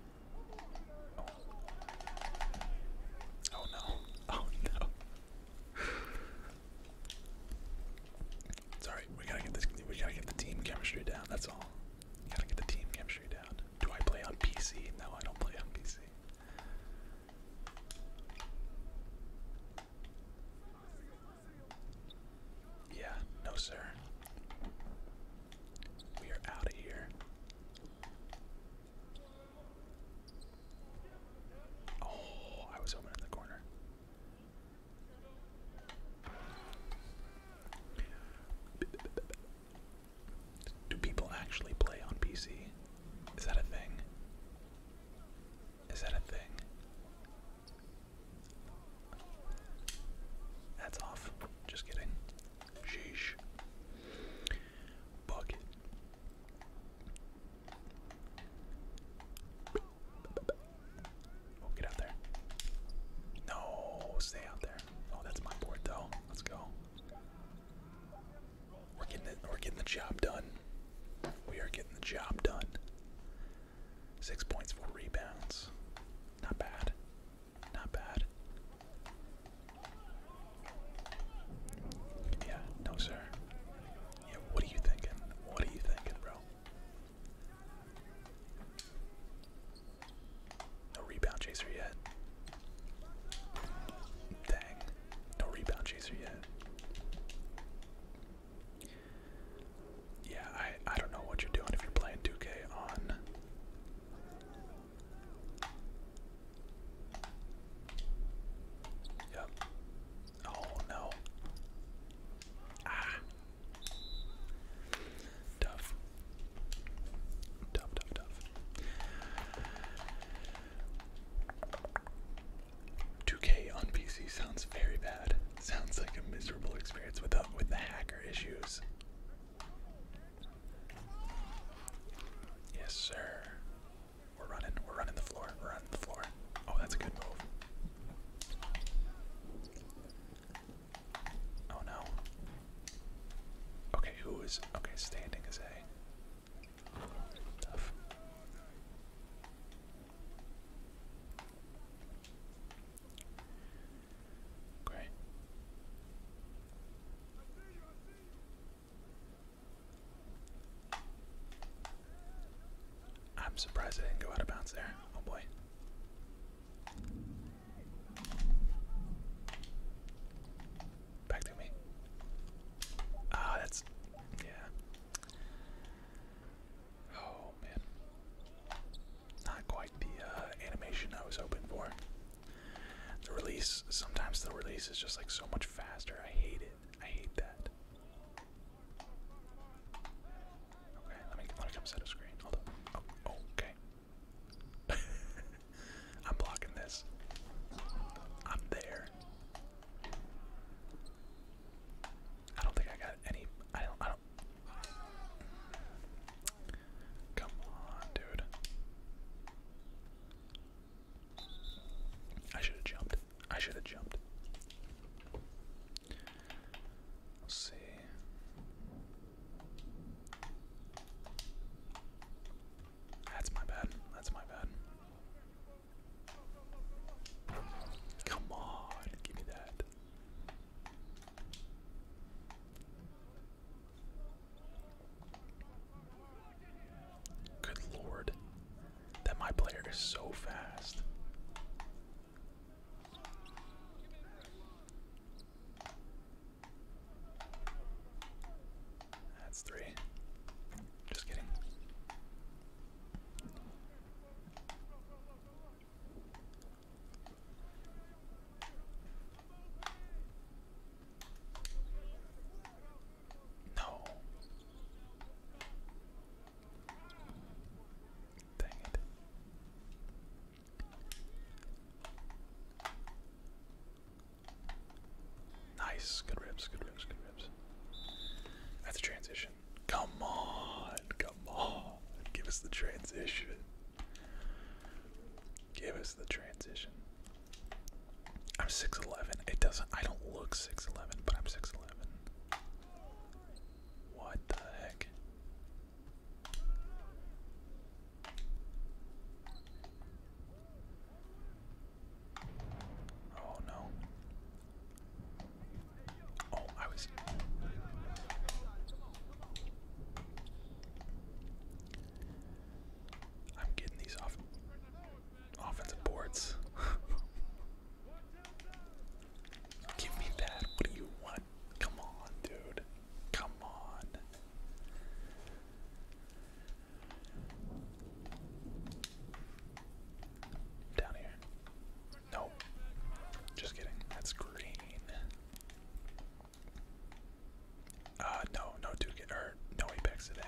Oh, no. Oh no. Sorry, we gotta get this we gotta get the team chemistry down, that's all. gotta get the team chemistry down. Do I play on PC? No, I don't play on PC. Yeah, no sir. We are out of here. Oh, I was open in the corner. Do people actually play on PC? Is that a thing? Is that a thing? That's off. Just kidding. Sheesh. Bucket. Oh, get out there. No, stay out there. Oh, that's my board though. Let's go. We're getting it we're getting the job done. We are getting the job done. Six points, four rebounds. Not bad. Not bad. Yeah, no sir. Yeah, what are you thinking? What are you thinking, bro? No rebound chaser yet. Dang. No rebound chaser yet. Yeah, I I don't know what you're doing if you're playing 2K on Yep. Oh no. Ah. Tough. Tough, 2K on PC sounds very bad. Sounds like a miserable experience with with the hacker issues. Yes, sir. We're running. We're running the floor. We're running the floor. Oh, that's a good move. Oh no. Okay, who is okay? Standing is A. Great. I'm surprised I didn't go out of bounds there. Oh boy. Back to me. Ah, that's. Yeah. Oh man. Not quite the uh, animation I was hoping for. The release, sometimes the release is just like so much faster. I hate it. I hate that. Okay, let me let me come set a screen. Hold up. Oh, okay. I'm blocking this. I'm there. I don't think I got any. I don't. I don't. Come on, dude. I should have jumped. I should have jumped. see. That's my bad. That's my bad. Come on, give me that. Good lord. That my player is so fast. That's three. Just kidding. No. Dang it. Nice. Good rips, good rips, good rips. That's a transition. Come on, come on. Give us the transition. Give us the transition. I'm 6'11. It doesn't, I don't look 6'11, but I'm 6'11. What the heck? Oh no. Oh, I was. I'm getting these off offensive boards. Give me that. What do you want? Come on, dude. Come on. Down here. Nope. Just kidding. That's green. Uh, no, no dude or no apex today.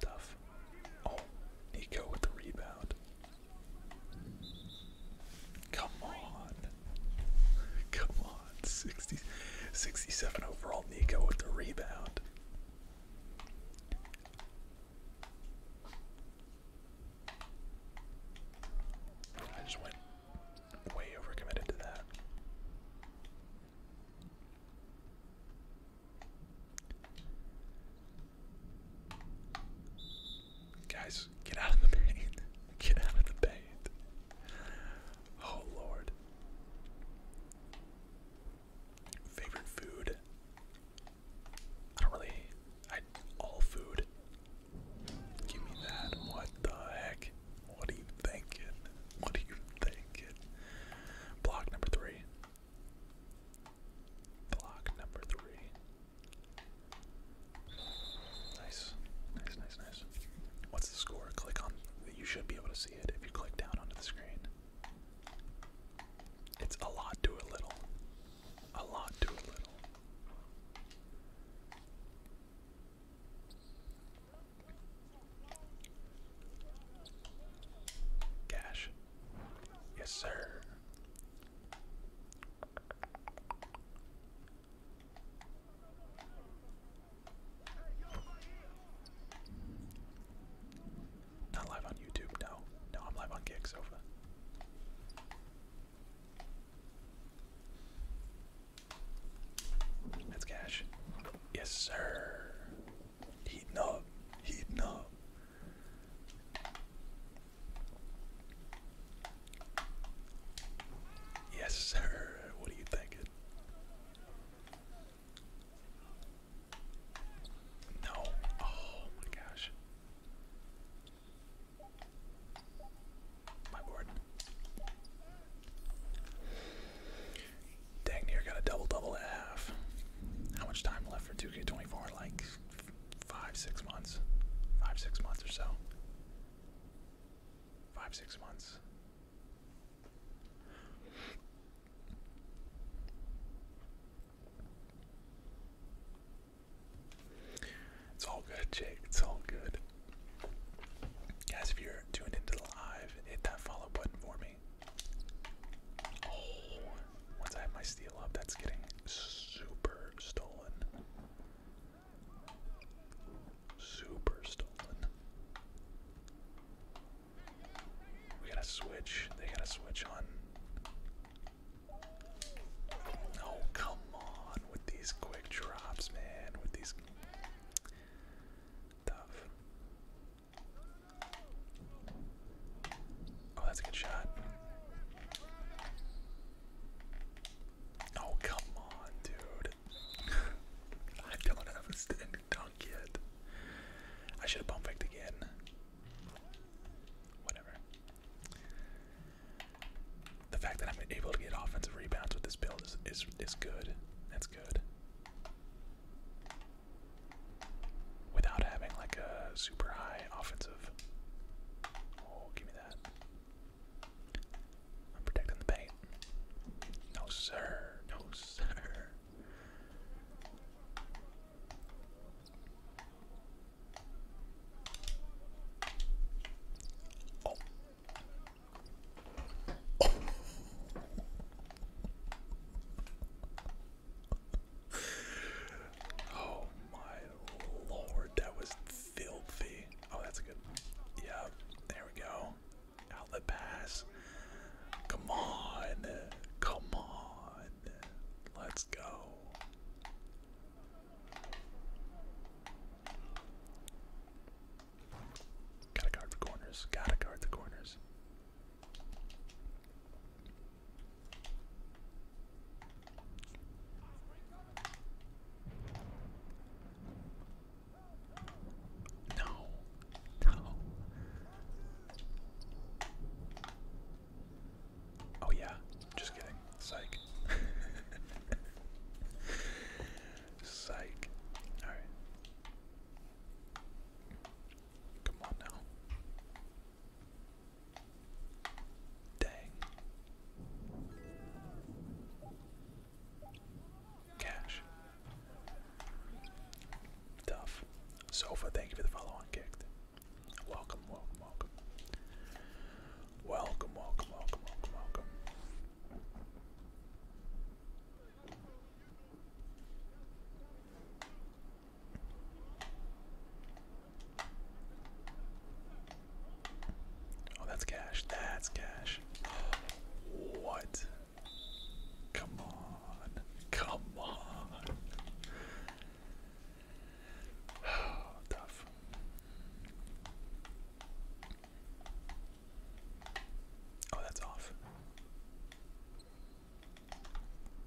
Tough. Oh, Nico with the rebound. Come on. Come on on. 67 overall Nico with the rebound. I just went way overcommitted to that. Guys, get out of the paint. Get out of the paint. Oh, Lord. Favorite food? I don't really. I all food. Give me that. What the heck? What are you thinking? What are you thinking? Block number three. Block number three. Nice, nice, nice, nice. What's the score? Click on. that. You should be able to see if you click down onto the screen. It's a lot to a little. A lot to a little. Cash. Yes, sir. Not live on YouTube, no. No, I'm live on Gig Sofa. That's cash. Yes, sir. Heating up. Heating up. Yes, sir. What are you thinking? No. Oh my gosh. My board. Dang near got a double double at half. How much time left for 2K24? Like five, six months. Five, six months or so. Five, six months. It's all good, Jake. It's all good. Guys, if you're tuned into the live, hit that follow button for me. Oh, once I have my steel up, that's getting super stolen. Super stolen. We gotta switch. They gotta switch on. Oh, come on with these quick drops, man. With these. Tough. Oh, that's a good shot. Oh, come on, dude. I don't have a standing dunk I should have pump faked again. Whatever. The fact that I'm able to get offensive rebounds with this build is, is good. That's good. Without having like a super high offensive. Oh, give me that. I'm protecting the paint. No sir. No sir. Oh. oh. my lord, that was filthy. Oh, that's a good. Yeah, there we go. Outlet pass. Come on. Come on. Let's go. Gotta guard the corners. Gotta guard the corners. No. Oh yeah, just kidding. Psych. Psych. Alright. Come on now. Dang. Cash. Tough. Sofa, thank you for the follow on kicked. welcome, welcome. Welcome, welcome, welcome, welcome, welcome. Oh, that's cash. That's cash. What? Come on. Come on. Oh, that's off.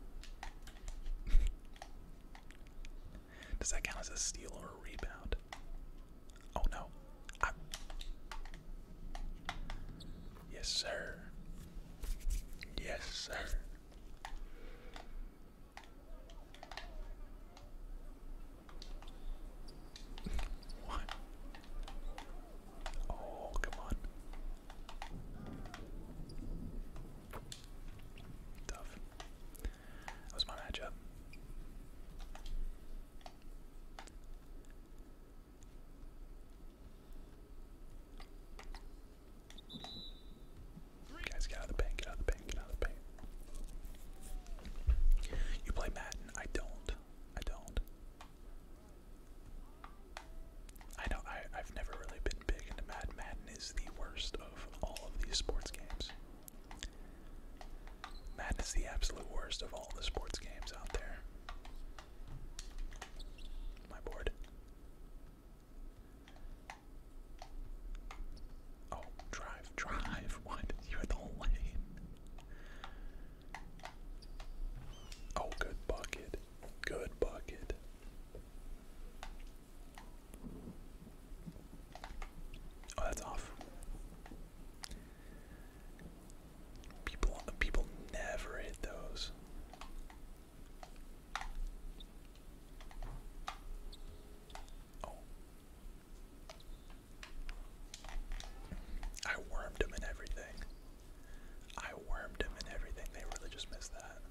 Does that count as a steal or a rebound? Oh no. Yes, sir. Yes, sir. What? Oh, come on. Tough. That was my matchup. Guys, get out of the paint, get out of the paint, get out of the paint. You play Madden, I don't. I don't. I know I, I've never really been big into Madden. Madden is the worst of all of these sports games. Madden is the absolute worst of all the sports games out there. My board. Oh, drive, drive. What? You had the whole Oh, good bucket. Good bucket. Oh, that's off. People people never hit those. Oh. I wormed him in everything. I wormed him in everything. They really just missed that.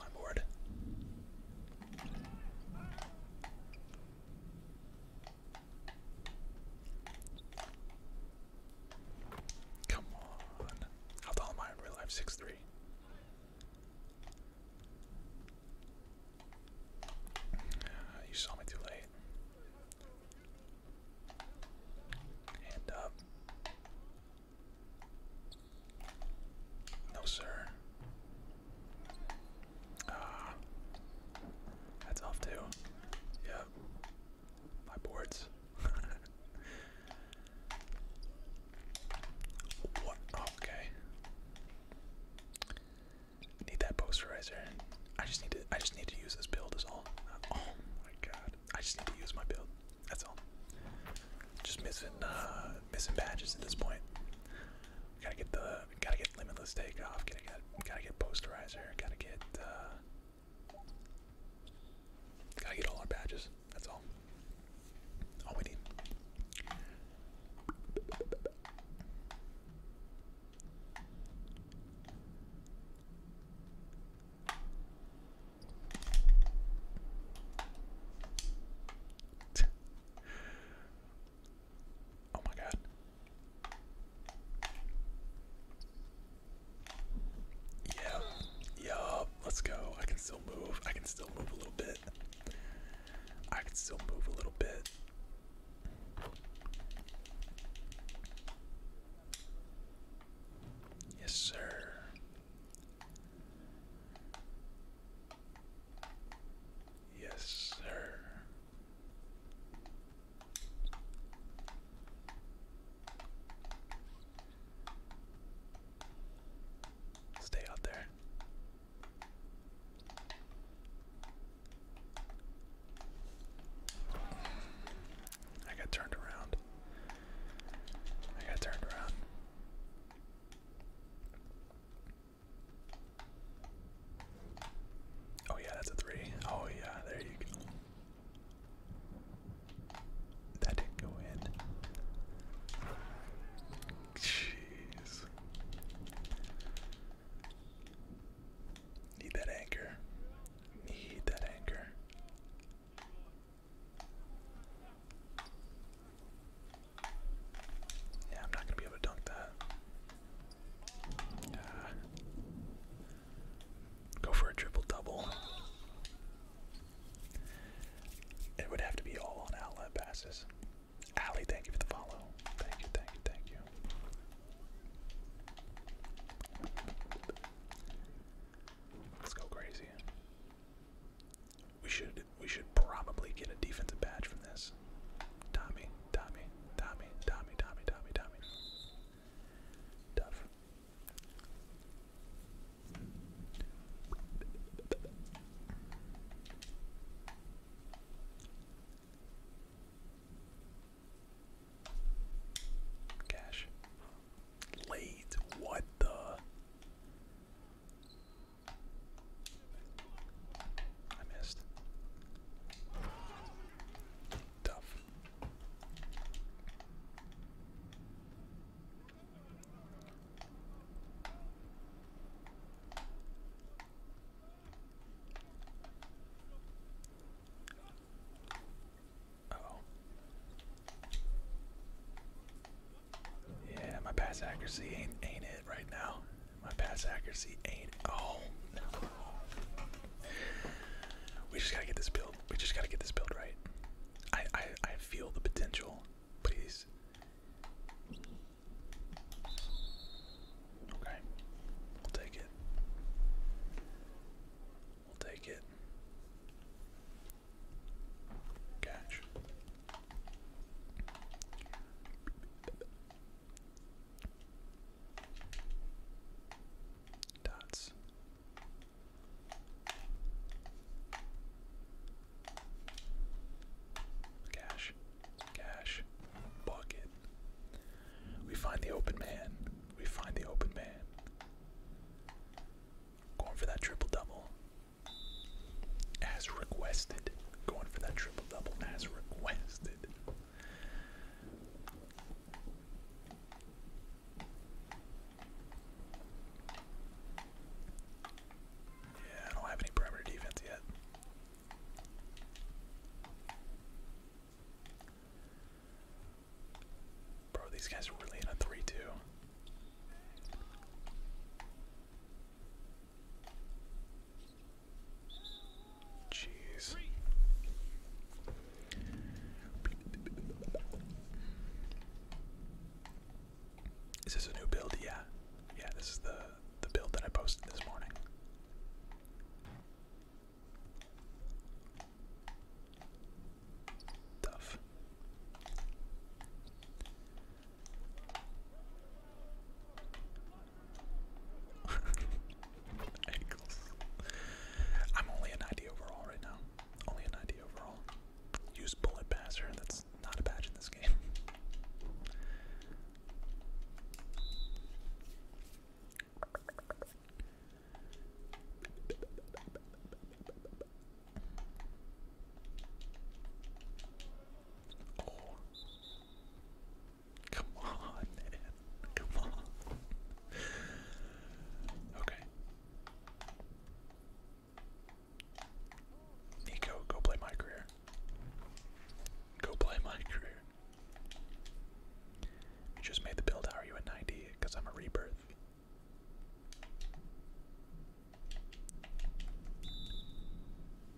My board. Come on. How am I in real life? 6'3. Uh, ah, you saw me too late. Hand up. No, sir that's ah. off too. Yep, my boards. okay. Need that posterizer. I just need to. I just need to use this build. as all. oh my god. I just need to use my build. That's all. Just missing, uh, missing badges at this point. Gotta get the gotta get limitless takeoff. Gotta get gotta get posterizer. Gotta get uh, gotta get all our badges. That's all. All we need. Oh my god. Yeah, yeah, let's go. I can still move. I can still move a little bit. I can still move a little bit. Yes, sir. Yes, sir. Stay out there. I got turned around. I got turned around. Oh yeah, that's a three. Oh yeah, there you go. That didn't go in. Jeez. Need that anchor. Need that anchor. Yeah, I'm not gonna be able to dunk that. Uh, go for a triple double. It would have to be all on outlet passes. Allie, thank you for the follow. Thank you, thank you, thank you. Let's go crazy. We should we should probably get a defensive badge from this. Tommy, Tommy, Tommy, Tommy, Tommy, Tommy, Tommy. Tough. Cash. Late. What the? I missed. Tough. oh. Yeah, my pass accuracy ain't ain't it right now. My pass accuracy ain't. Oh We just gotta get this build. We just gotta get this build right. I I, I feel the potential. Please. Okay. We'll take it. We'll take it. Catch. Dots. Cash. Cash. Bucket. We find the open man. We find the open man. Going for that triple double. As requested. Going for that triple double as requested. Yeah, I don't have any perimeter defense yet. Bro, these guys are really in a 3 2. Jeez. Is this a new build? Yeah. Yeah, this is the the build that I posted this morning. Tough. Ankles. I'm only a 90 overall right now. Only a 90 overall. Use bullet passer. That's not a badge in this game. Come on, man. Come on. Okay. Nico, go play my career. Go play my career. You just made the build. How are you at 90? Because I'm a rebirth.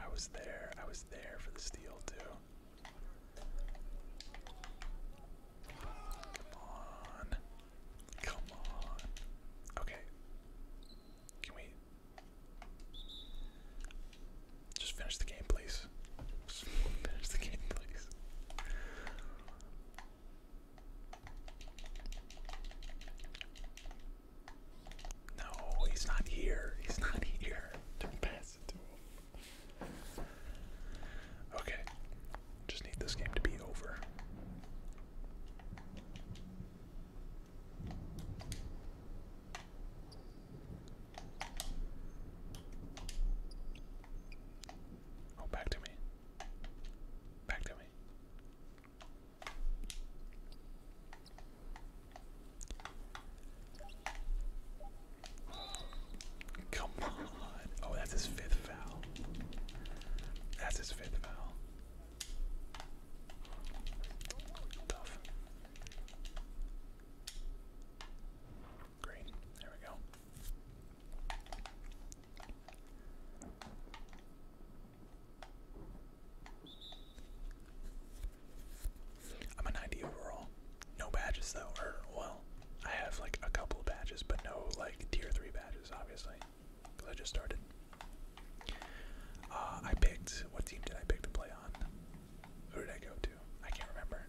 I was there. I was there for the steal too. Come on. Come on. Okay. Can we just finish the game, please? finish the game, please. No, he's not here. He's not here. Don't pass it Okay. Just need this game to be over. Oh, back to me. Back to me. Come on. Oh, that's his fifth foul. That's his fifth foul. Tough. There we go. I'm a 90 overall. No badges though, well, I have like a couple of badges, but no like tier 3 badges, obviously, because I just started. Uh, I picked, what team did I pick to play on? Who did I go to? I can't remember.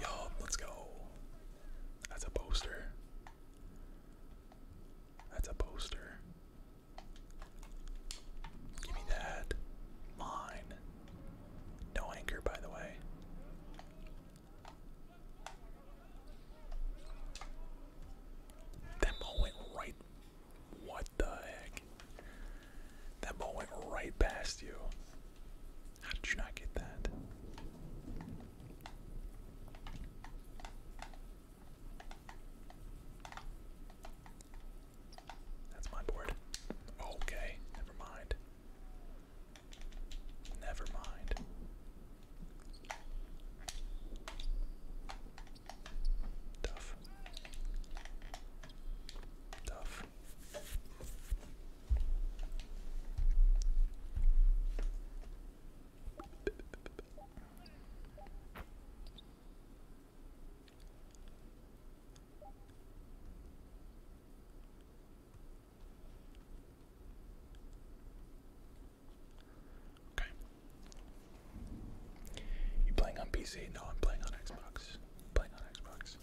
Yup, let's go. That's a poster. That's a poster. Give me that. Mine. No anchor, by the way. That ball went right. What the heck? That ball went right past you. How did you not get that? That's my board. Okay, never mind. Never mind. Tough. Tough. Okay. You playing on PC? No, I'm playing on Xbox. I'm playing on Xbox.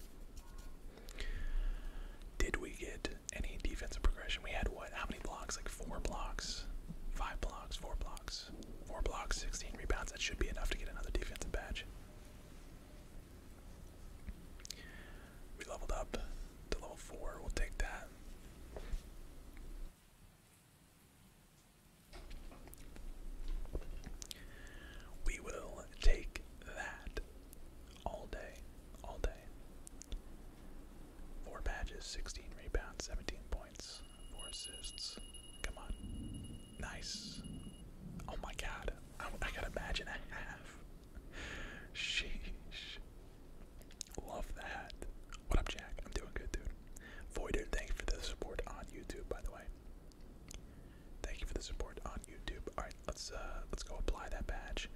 Did we get any defensive progression? We had what? How many blocks? Like four blocks, five blocks, four blocks, four blocks, 16 rebounds. That should be enough to get another defensive badge. We leveled up to level four. We'll take that. We will take that all day, all day. Four badges, 16 rebounds, 17 points, four assists. Come on. Nice. Oh my god. I, I got a badge and a half. Sheesh. Love that. What up, Jack? I'm doing good, dude. Voider, thank you for the support on YouTube, by the way. Thank you for the support on YouTube. All right, let's uh, let's go apply that badge.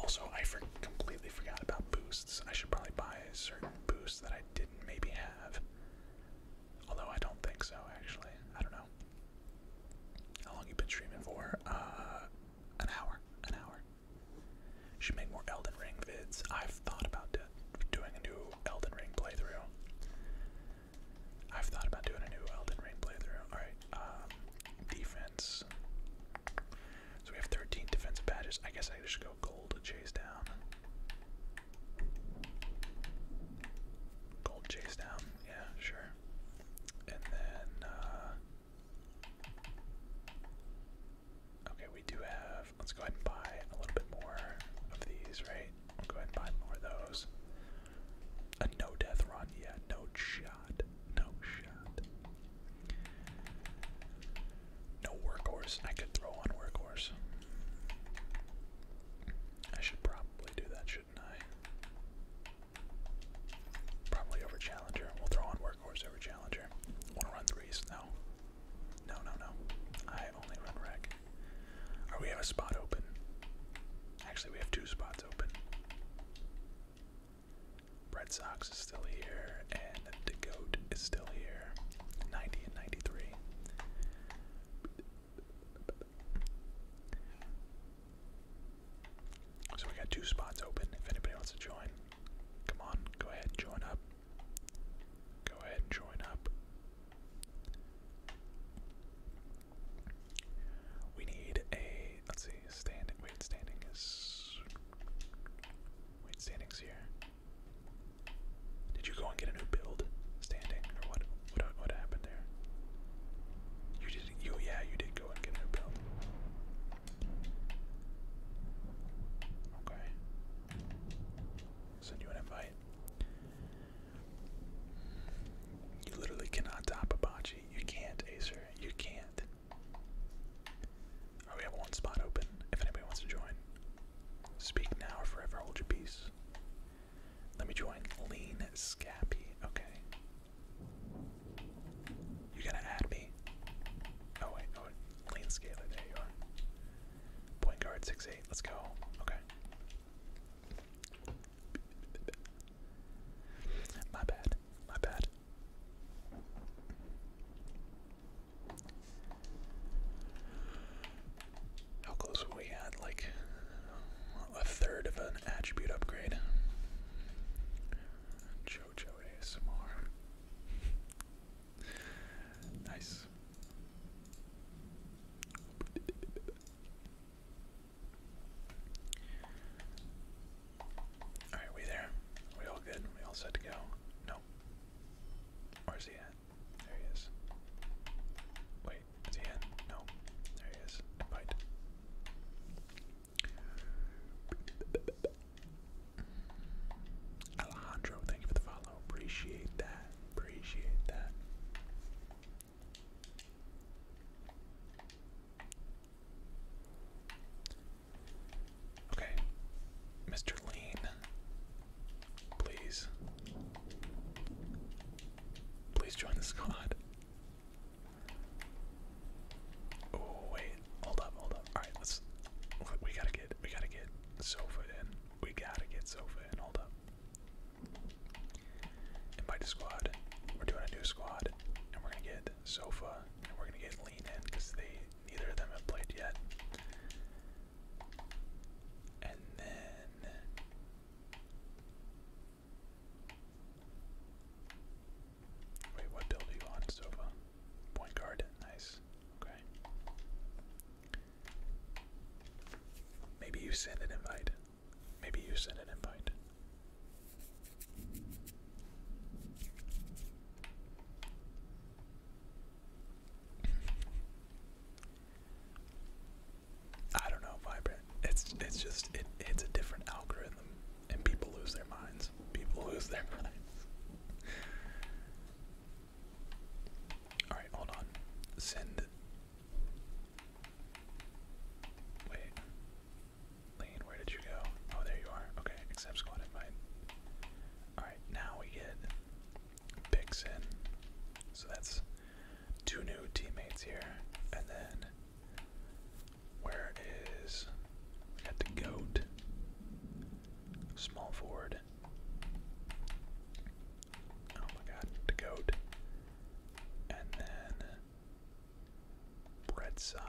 Also, I completely forgot about boosts. I should probably buy a certain boost that I didn't maybe have. Although I don't think so, actually. I don't know. How long you have been streaming for? Uh, an hour. An hour. Should make more Elden Ring vids. I've thought about doing a new Elden Ring playthrough. I've thought about doing a new Elden Ring playthrough. Alright, um, defense. So we have 13 defensive badges. I guess I just go gold chase down. Gold chase down, yeah, sure. And then, uh,. Okay, we do have. Let's go ahead and buy a little bit more of these, right? go ahead and buy more of those. A no death run, yet. no shot, no shot. No workhorse. I could throw on workhorse. I should probably do that, shouldn't I? Probably over challenger. We'll throw on workhorse over challenger. Wanna run threes? No. No, no, no. I only run rack. Or oh, we have a spot open. Actually, we have two spots Red Sox is still here, and the goat is still here. 90 and 93. So we got two spots open. If anybody wants to join, come on, go ahead, join up. Go ahead and join up. We need a let's see, standing wait standing is wait standing's here. Did you go and get a new build? Standing or what what what happened there? You did you yeah, you did go and get a new build. Okay. Send you an invite. You literally cannot top a Abachi. You can't, Acer. You can't. Oh, we have one spot open if anybody wants to join. Speak now or forever hold your peace. Let me join Lean Scappy. Okay. You gotta add me. Oh, wait. Oh, Lean Scaler. There you are. Point guard, six eight. Let's go. Okay. My bad. My bad. How close were we at? Like a third of an attribute upgrade. Jojo ASMR. nice. Alright, we there? We all good? We all set to go? No. Where's he There he is. Wait, is he in? No. There he is. Bite. Alejandro, thank you for the follow. Appreciate that. Appreciate that. Okay, Mr. Lean, please, please join the squad. Oh wait, hold up, hold up. All right, let's. We gotta get, we gotta get Sofa in. We gotta get Sofa in. Hold up. Invite a squad. We're doing a new squad, and we're gonna get Sofa, and we're gonna get Lean in because they neither of them have played yet. And then wait, what build are you on, Sofa? Point guard, nice. Okay. Maybe you send an invite. Maybe you send an invite. I don't know, vibrant. It's it's just it it's a different algorithm, and people lose their minds. People lose their minds. All right, hold on. Send. Wait. Lane, where did you go? Oh, there you are. Okay, accept squad invite. Alright, now we get picks So that's two new teammates here. And then, where is. We got the goat. Small forward. Oh my god, goat. And then Bread Sox.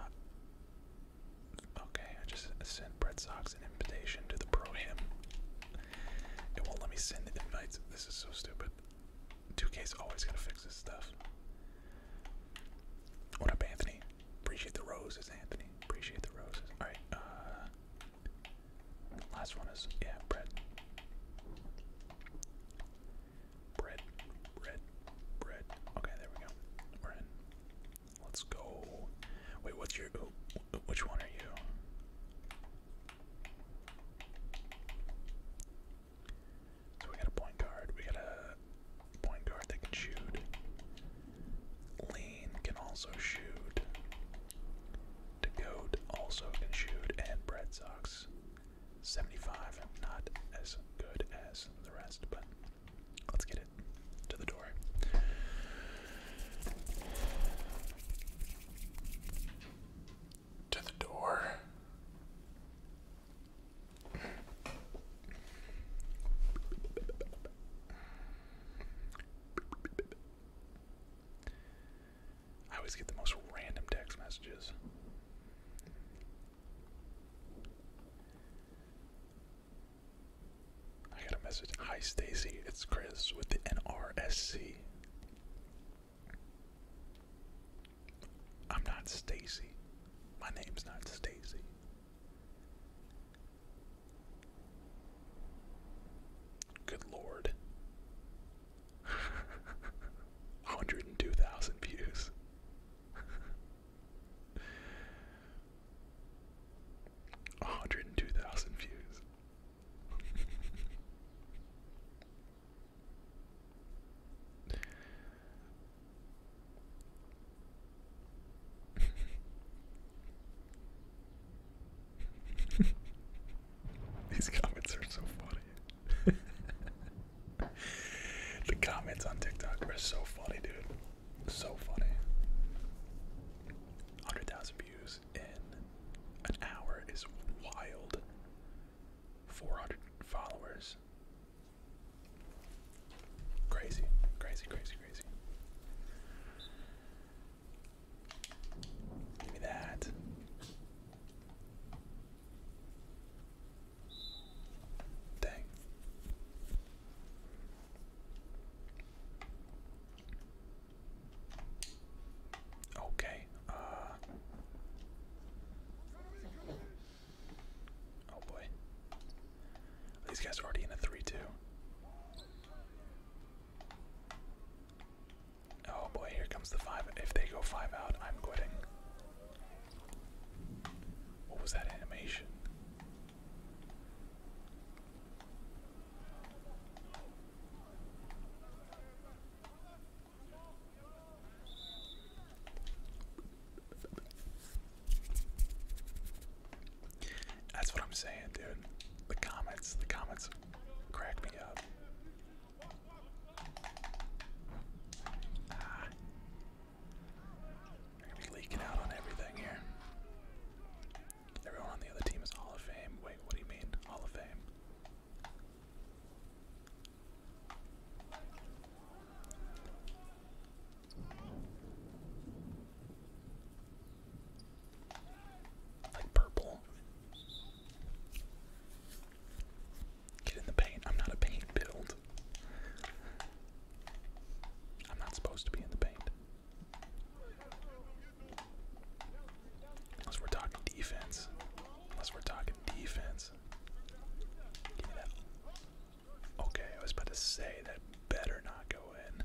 Okay, I just sent Bread Sox an invitation to the pro him. It won't let me send the invites. This is so stupid. 2 is always gonna fix this stuff. What up, Anthony? Appreciate the roses, Anthony. Appreciate the roses. Alright, uh. Last one is, yeah, bread. Bread, bread, bread. Okay, there we go. We're in. Let's go. Wait, what's your? which one are you? So we got a point guard. We got a point guard that can shoot. Lean can also shoot. Decode also can shoot, and Bread Sox 75, not as good as the rest, but let's get it to the door. To the door. I always get the most random text messages. I got a message. Hi, Stacy. It's Chris with the NRSC. I'm not Stacy. My name's not Stacy. Good lord. 102,000 views hundred and two thousand views. These comments are so funny. the comments on TikTok are so funny, dude. So funny. 100,000 views in an hour is wild. 400 followers. Crazy, crazy, crazy, crazy. Give me that. Dang. Okay. Uh Oh boy. These guys are already in a 3-2. Oh boy, here comes the 5. If they go 5 out, I'm quitting. What was that animation? That's what I'm saying, dude. The comments, the comments crack me up. Ah. They're gonna be leaking out on everything here. Everyone on the other team is Hall of Fame. Wait, what do you mean, Hall of Fame? Like purple. Get in the paint. I'm not a paint build. I'm not supposed to be in the paint. Unless we're talking defense. Unless we're talking defense. Okay, I was about to say that better not go in.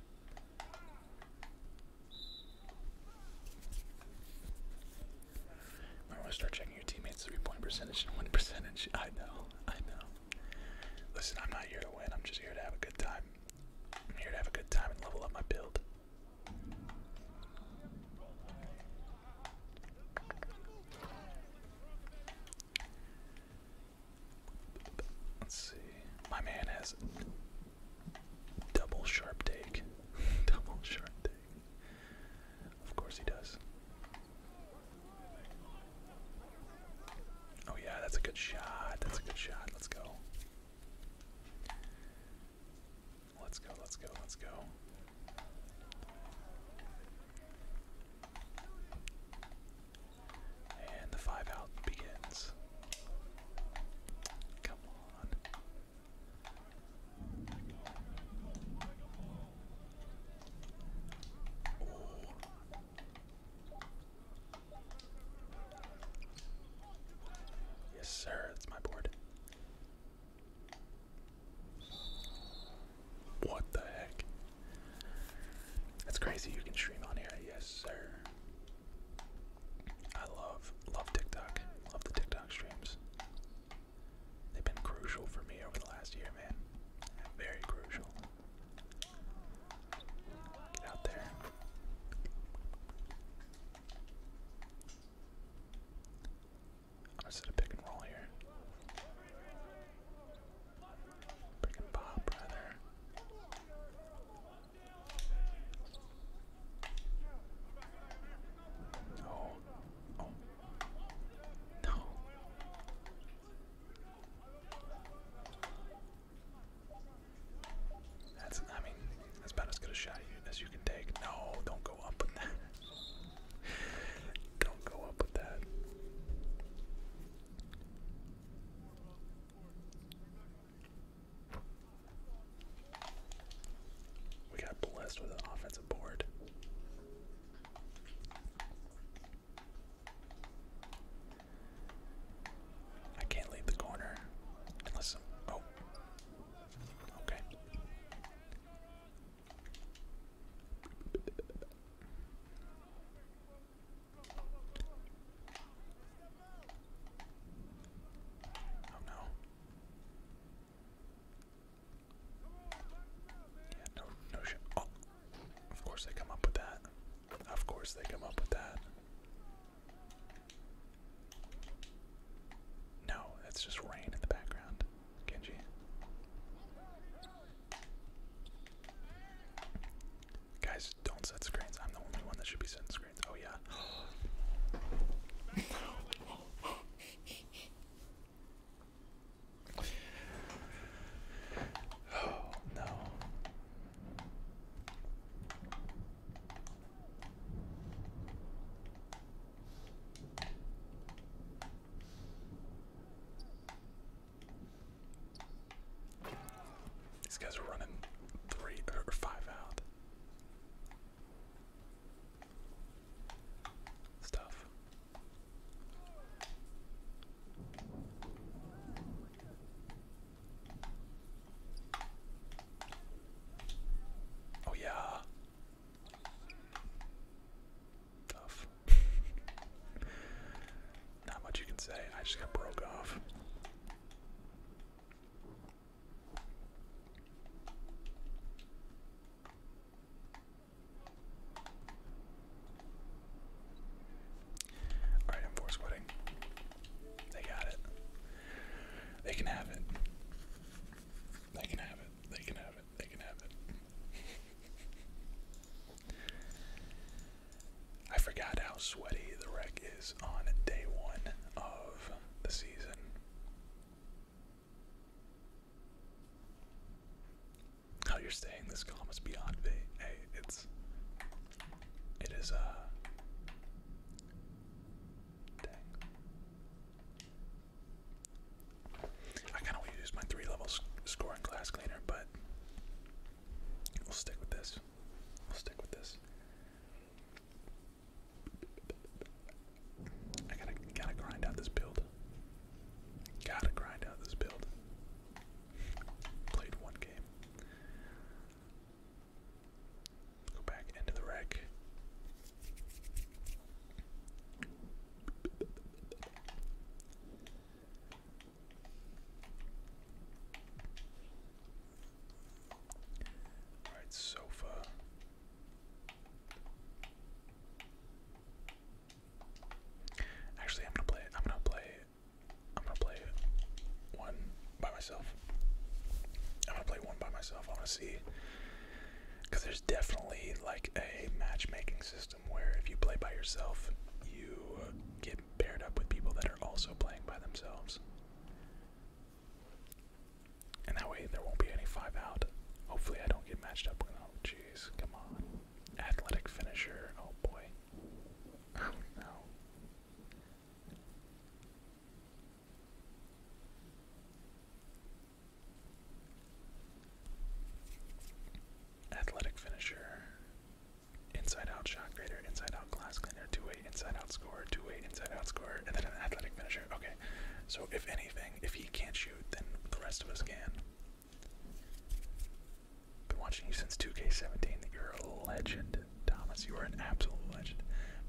Might want to start checking your teammates' three-point percentage win percentage. I know, I know. Listen, I'm not here to win. I'm just here to have a good time. I'm here to have a good time and level up my build. Let's see. My man has double sharp take. double sharp take. Of course he does. Oh yeah, that's a good shot. That's a good shot. Let's go. Let's go, let's go, let's go. And the five out begins. Come on. Yes, sir, that's my board. What the heck? That's crazy you can stream on here. Yes, sir. I love love TikTok. Love the TikTok streams. They've been crucial for me over the last year, man. Very crucial. Get out there. I'm set a pick and roll here. Pick and pop, rather. oh, oh no. That's, I mean, that's about as good a shot as you can take. No, don't go up with that. don't go up with that. We got blessed with an offensive board. I can't leave the corner unless I'm, oh, okay. Oh no. Yeah, no, no shit. Oh, of course they come up with that. Of course they come up with that. No, that's just rain in the background, Genji. Guys, don't set screens. I'm the only one that should be setting screens. Oh, yeah. Oh no. These guys are running three or five out stuff. Oh, yeah. Tough. Not much you can say. I just got broke off. Alright, I'm force quitting. They got it. They can have it. They can have it. They can have it. They can have it. I forgot how sweaty the wreck is on day one of the season. How you're staying this calm is beyond me. it's it is uh kinda wanna use my three level scoring glass cleaner, but we'll stick with this. We'll stick with this. I gotta gotta grind out this build. Gotta grind out this build. Played one game. Go back into the wreck. Alright, sofa. Actually, I'm gonna play. I'm gonna play. I'm gonna play one by myself. I'm gonna play one by myself. I wanna see. Because there's definitely like a matchmaking system where if you play by yourself, you get paired up with people that are also playing by themselves. And that way there won't be any five out. Hopefully I don't get matched up with oh jeez, come on athletic finisher. Oh boy. Oh no. Athletic finisher. Inside out shot grader, inside out glass cleaner, two eight inside out scorer, two eight inside out scorer, and then an athletic finisher. Okay. So if anything, if he can't shoot, then the rest of us can. Been watching you since 2K17. You're a legend, Thomas. You are an absolute legend.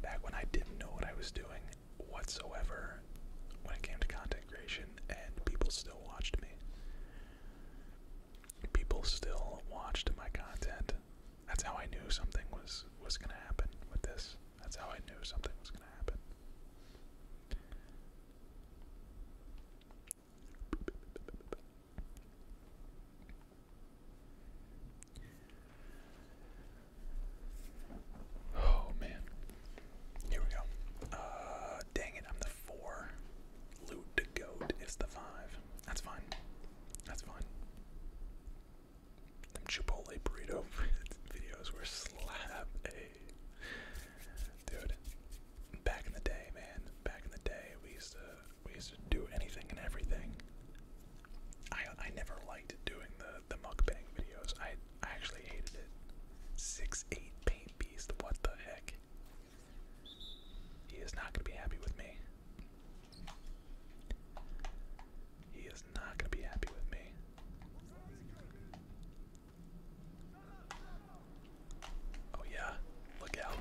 Back when I didn't know what I was doing whatsoever when it came to content creation, and people still watched me. People still watched my content. That's how I knew something was was gonna happen with this. That's how I knew something was gonna happen. Oh man. Here we go. Uh, dang it, I'm the four. Loot goat is the five. That's fine. That's fine. Them Chipotle burrito videos were slap a dude back in the day, man, back in the day, we used to we used to do anything and everything. I I never liked doing the the mukbang videos. I I actually hated it. Six eight paint beast. What the heck? He is not gonna be happy with me. He is not gonna be happy with me. Oh yeah, look out.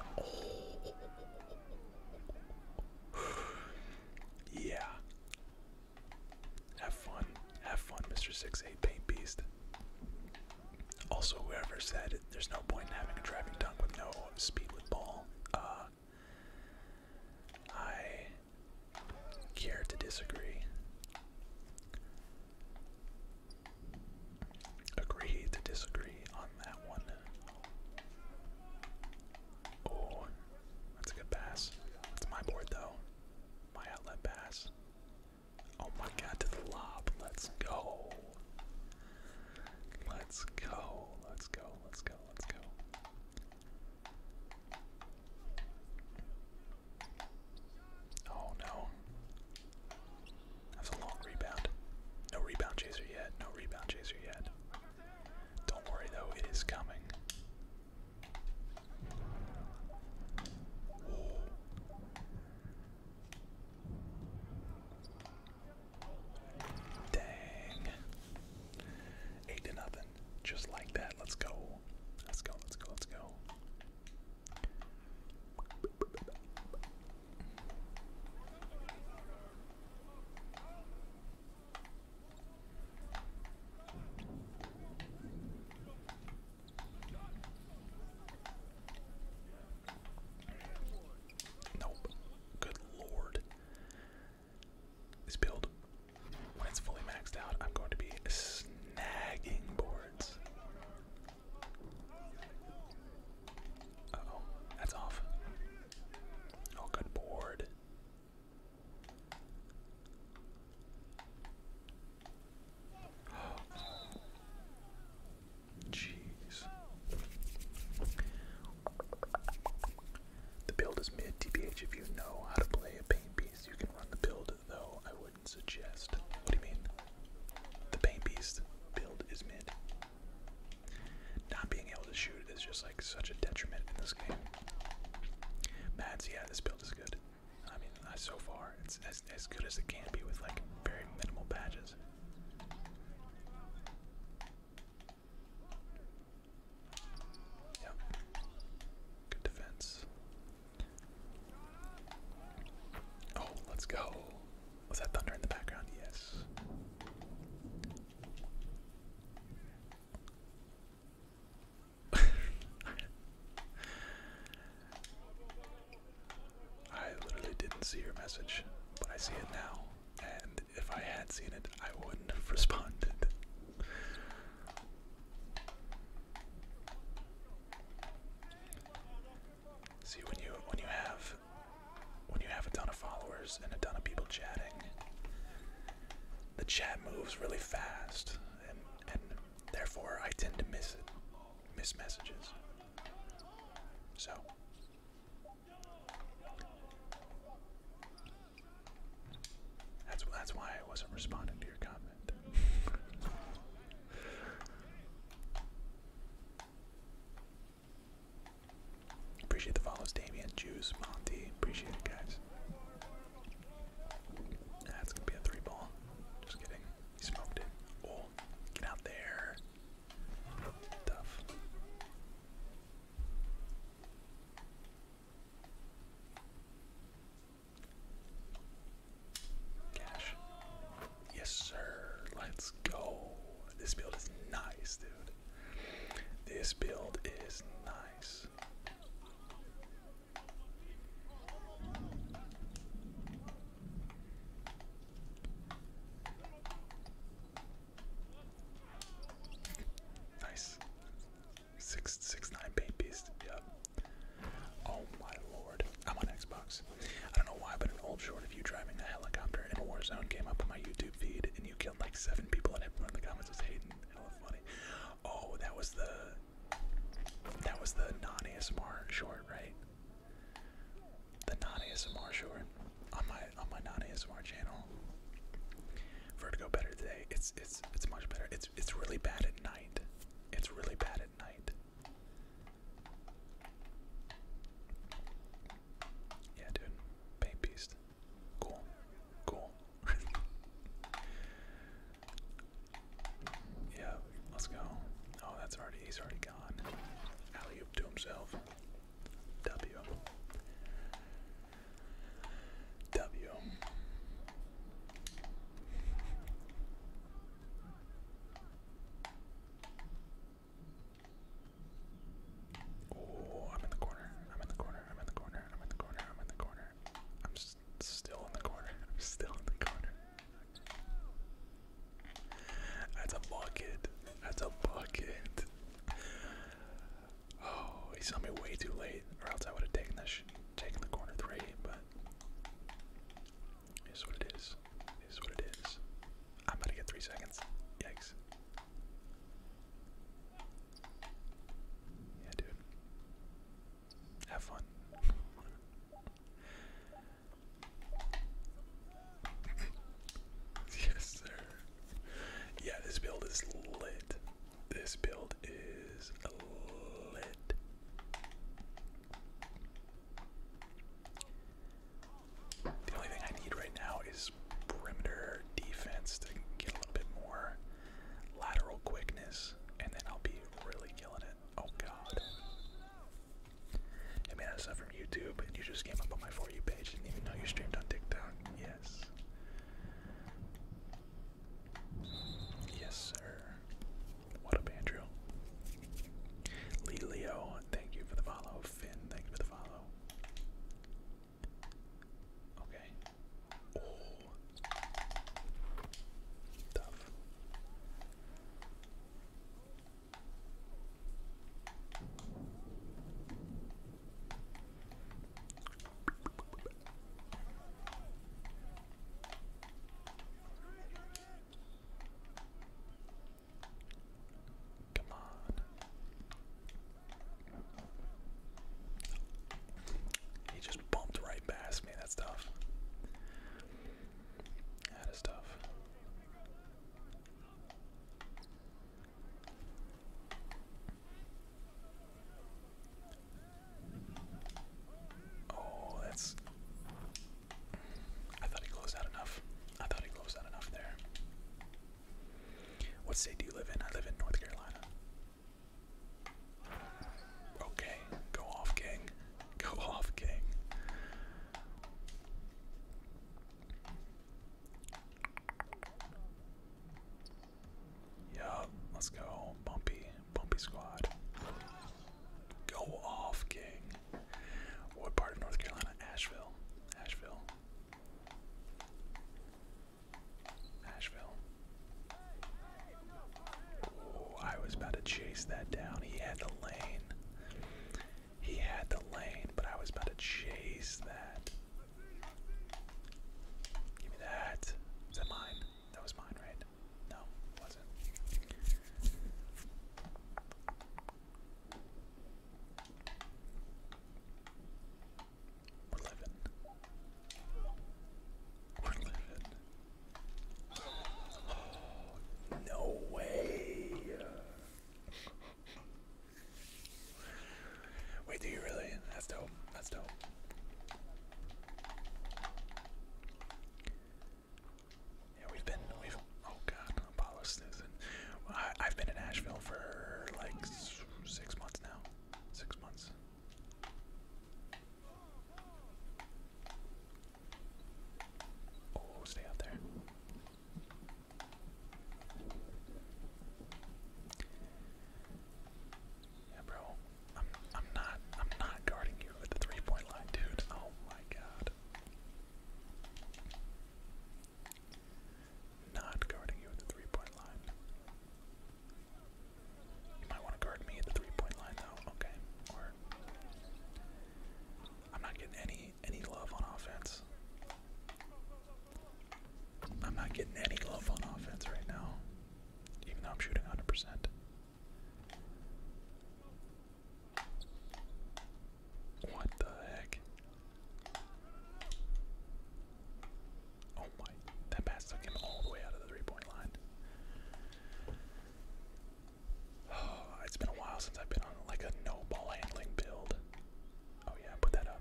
Oh. yeah. Have fun. Have fun, Mr. 68 Paint Beast. Also, whoever said there's no point in having a driving dunk with no speed with ball, uh, I care to disagree. Agree to disagree on that one. Oh, that's a good pass. That's my board though. My outlet pass. Oh my god, to the lob. Let's go. Let's go. Let's go. Let's go. Let's go. Oh no. That's a long rebound. No rebound chaser yet. No rebound chaser yet. Don't worry though, it is coming. Dang. Eight to nothing. Just like that. Let's go. Let's go, let's go, let's go. Nope. Good lord. This build, when it's fully maxed out, I'm going to be snagging boards oh, that's off. Oh, good board. Jeez. The build is mid TBH. If you know how to play a paint piece, you can run the build, though I wouldn't suggest. What do you mean? The Pain Beast build is mid. Not being able to shoot is just like such a detriment in this game. Mads, yeah, this build is good. I mean, so far, it's as, as good as it can be with like very minimal badges. Yep. Good defense. Oh, let's go. Was that thunder in the background? Yes. I literally didn't see your message, but I see it now. And if I had seen it, I wouldn't have responded. See when you when you have when you have a ton of followers and a ton of people chatting, the chat moves really fast, and therefore I tend to miss it, miss messages. So. That's that's why I wasn't responding to your comment. Appreciate the follows, Damien, Juice, Monty. Appreciate it, guys. That's gonna be a three ball. Just kidding. He smoked it. Oh, get out there. Tough. Cash. Yes, sir. Let's go. This build is nice, dude. This build is nice. Nice. Six six nine paint Yep. Oh my lord. I'm on Xbox. I don't know why, but an old short of you driving a helicopter in Warzone came up on my YouTube feed and you killed like seven people and everyone in the comments was hating. Hella funny. Oh, that was the that was the non-ASMR short, right? The non-ASMR short on my on my non-ASMR channel. Vertigo better today. It's it's it's much better. It's it's really bad at night. It's really bad at night. Yeah, dude. Paint beast. Cool. Cool. yeah, let's go. Oh, that's already he's already gone. Alley to himself. W. W. Oh, I'm in the corner. I'm in the corner. I'm in the corner. I'm in the corner. I'm in the corner. I'm st still in the corner. I'm still in the corner. That's a bucket. That's a bucket. Oh, he saw me way too late, or else I would have taken that taken the corner three. But is what it is. Is what it is. I'm about to get three seconds. Yikes. Yeah, dude. Have fun. yes, sir. Yeah, this build is lit. This build is lit. The only thing I need right now is perimeter defense to get a little bit more lateral quickness, and then I'll be really killing it. Oh god. man, I saw from YouTube, and you just came up on my For You page. Didn't even know you streamed on TikTok. Yes. Yes, sir. What up, Andrew? Lee Leo, thank you for the follow. Finn, thank you for the follow. Okay. Oh. Come on. He just bumped right past me. That's tough. That is tough. Oh, that's I thought he closed out enough. I thought he closed out enough there. What state do you live in? I live in North Carolina. Okay, go off, gang. Go off, gang. Yup, let's go. Bumpy, bumpy squad. Go off, King. What part of North Carolina? Asheville. Asheville. Asheville. Oh, I was about to chase that down. He had the lane. He had the lane, but I was about to chase that. Give me that. Is that mine? That was mine, right? No, wasn't. We're living. We're living. no way. Wait, do you really? That's dope. That's dope. Yeah, we've been oh god, Apollo Stinson. I, have been in Asheville for like six months now. Six months. Oh, stay out there. Yeah, bro. I'm I'm not I'm not guarding you at the three point line, dude. Oh my god. Not guarding you at the three point line. You might want to guard me at the three point line though, okay? I'm not getting any any love on offense. I'm not getting any love on offense right now, even though I'm shooting 100%. What the heck? Oh my, that pass took him all the way out of the three point line. Oh, it's been a while since I've been on like a no ball handling build. Oh yeah, put that up.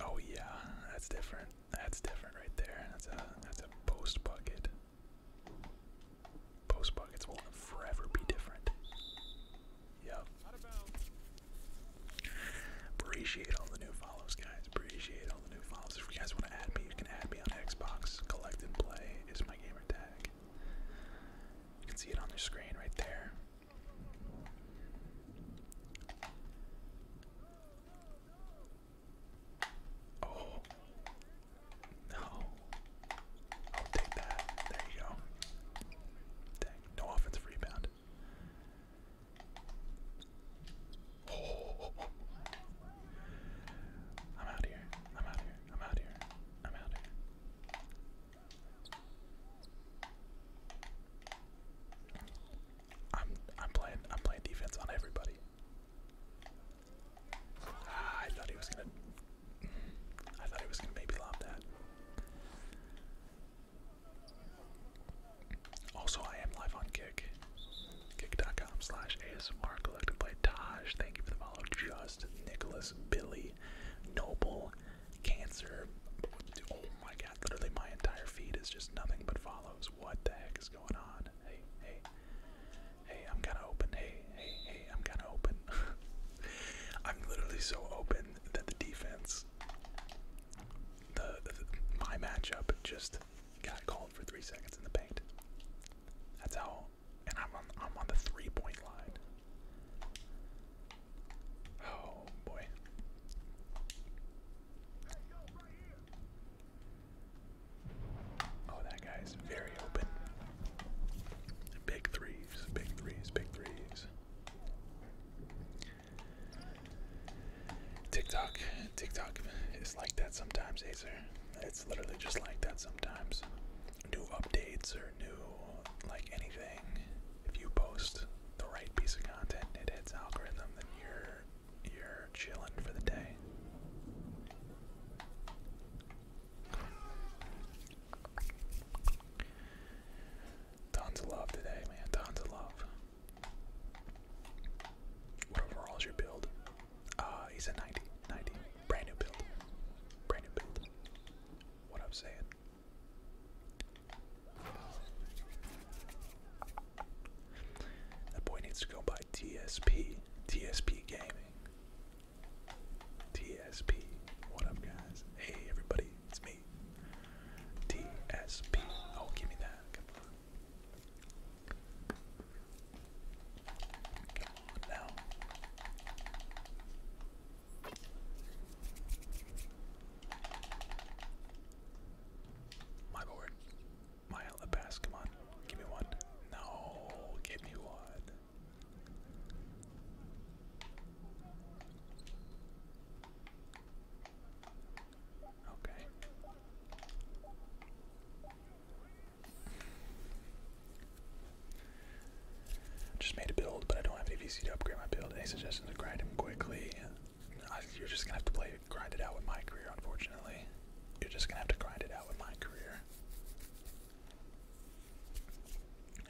Oh yeah, that's different. That's different right there. That's a that's a post bucket. Post buckets will forever be different. Yep. Appreciate all the new follows, guys. Appreciate all the new follows. If you guys want to add me, you can add me on Xbox. Collect and play is my gamer You can see it on the screen right there. Oh, no. I'll take that. There you go. Dang, no offensive rebound. I'm out here. I'm out here. I'm out here. I'm out here. I'm I'm playing I'm playing defense on everybody. Ah, I thought he was gonna. I thought he was gonna maybe lob that. Also, I am live on Kick. Kick.com slash ASMR collected by Taj. Thank you for the follow. Just Nicholas, Billy, Noble, Cancer. Oh my god, literally my entire feed is just nothing but follows. What the heck is going on? hey. Hey, I'm kind of open. Hey, hey, hey, I'm kind of open. I'm literally so open that the defense, the, my matchup just got called for three seconds in the paint. That's how, and I'm on the three point line. Oh boy. Oh, that guy's very open. Big threes, big threes, big threes. TikTok, TikTok is like that sometimes, Acer. It's literally just like that sometimes. New updates or new, like anything. If you post the right piece of content, it hits algorithm, then you're you're chilling for the day. Tons of love today, man. Tons of love. What overall is your build? Uh, he's a 90. 90. Brand new build. Brand new build. What I'm saying. That boy needs to go buy TSP. TSP Gaming. TSP. What up, guys? Hey, everybody, it's me. TSP. Oh, give me that. Come on. now. My board. My Alabask, come on. Give me one. No, give me one. Okay. Just made a build, but I don't have any PC to upgrade my build. Any suggestions to grind him quickly? you're just gonna have to play grind it out with my career, unfortunately. You're just gonna have to grind it out with my career.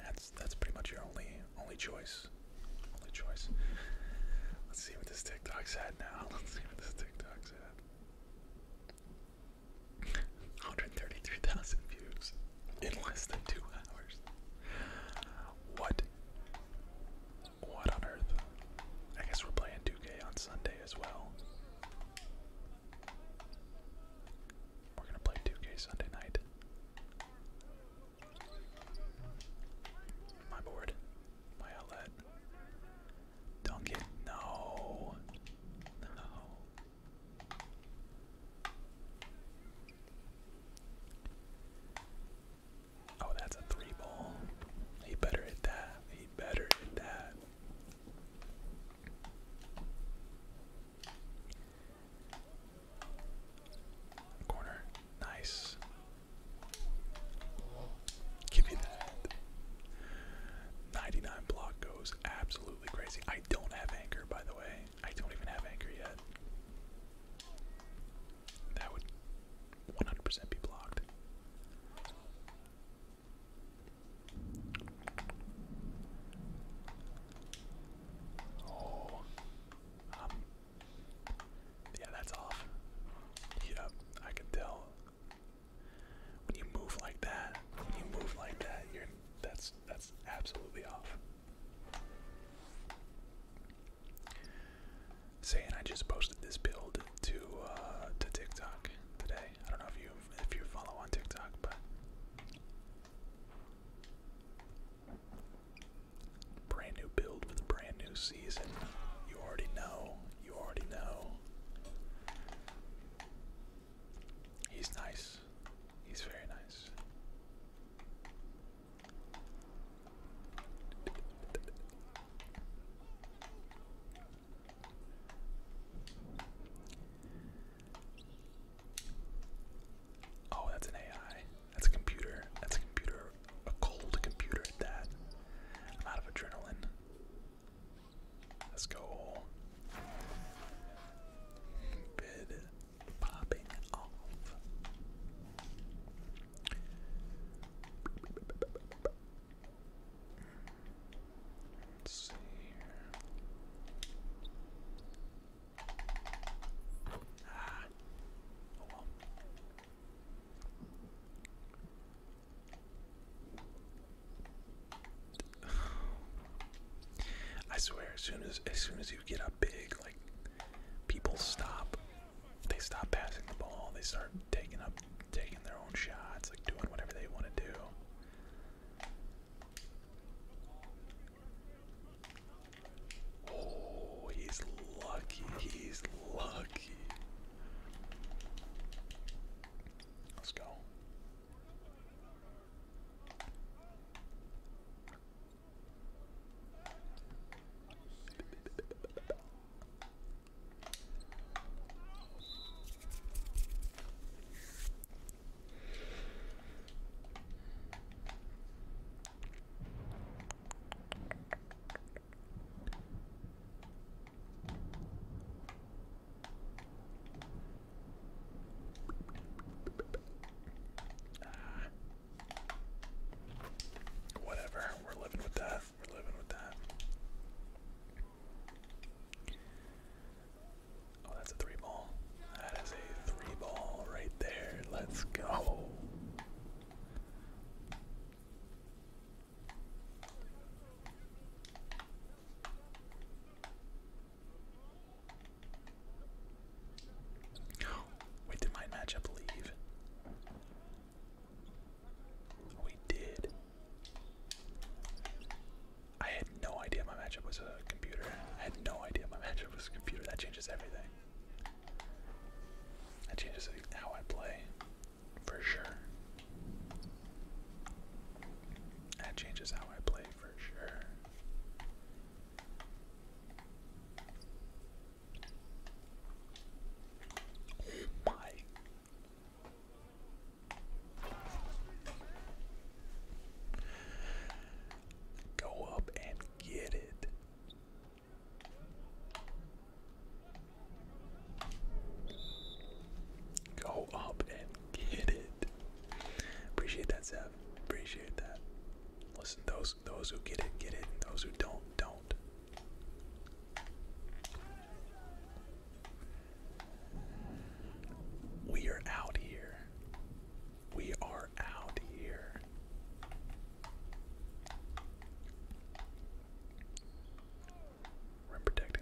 That's that's pretty much your only only choice. Only choice. Let's see what this TikTok's at now. Let's see what this TikTok's at. 133,000 views in less than two hours. What? What on earth? I guess we're playing 2K on Sunday as well. We're gonna play 2K Sunday night. My board. My outlet. Dunk it. No. No. Oh, that's a three ball. He better hit that. He better hit that. Corner. Nice. Give me that. 99 block goes absolutely crazy. I don't have anchor, by the way. I don't even have anchor yet. That would 100% be blocked. Oh. Um, yeah, that's off. Yep, I can tell. When you move like that, when you move like that, you're that's that's absolutely off. Saying I just posted this build to uh, to TikTok today. I don't know if you if you follow on TikTok, but Brand new build for the brand new season. You already know. You already know. He's nice. He's very nice. Oh, that's an AI. That's a computer. That's a computer. A cold computer at that. I'm out of adrenaline. Let's go. Bid popping off. I swear, as soon as as soon as you get up big, like people stop, they stop passing the ball. They start taking up, taking their own shots, like doing whatever they want to do. Oh, he's lucky. He's lucky. Let's go whatever, we're living with that. We're living with that. Oh, that's a three ball. That is a three ball right there. Let's go. Wait, did my matchup leave? We did. I had no idea my matchup was a computer. I had no idea my matchup was a computer. That changes everything. That changes how I play, for sure. That changes how I play, for sure. Oh my. Go up and get it. Go up and get it. Appreciate that, Zev. Appreciate that. Listen, those those who get it, get it. And those who don't, don't. We are out here. We are out here. Rim protect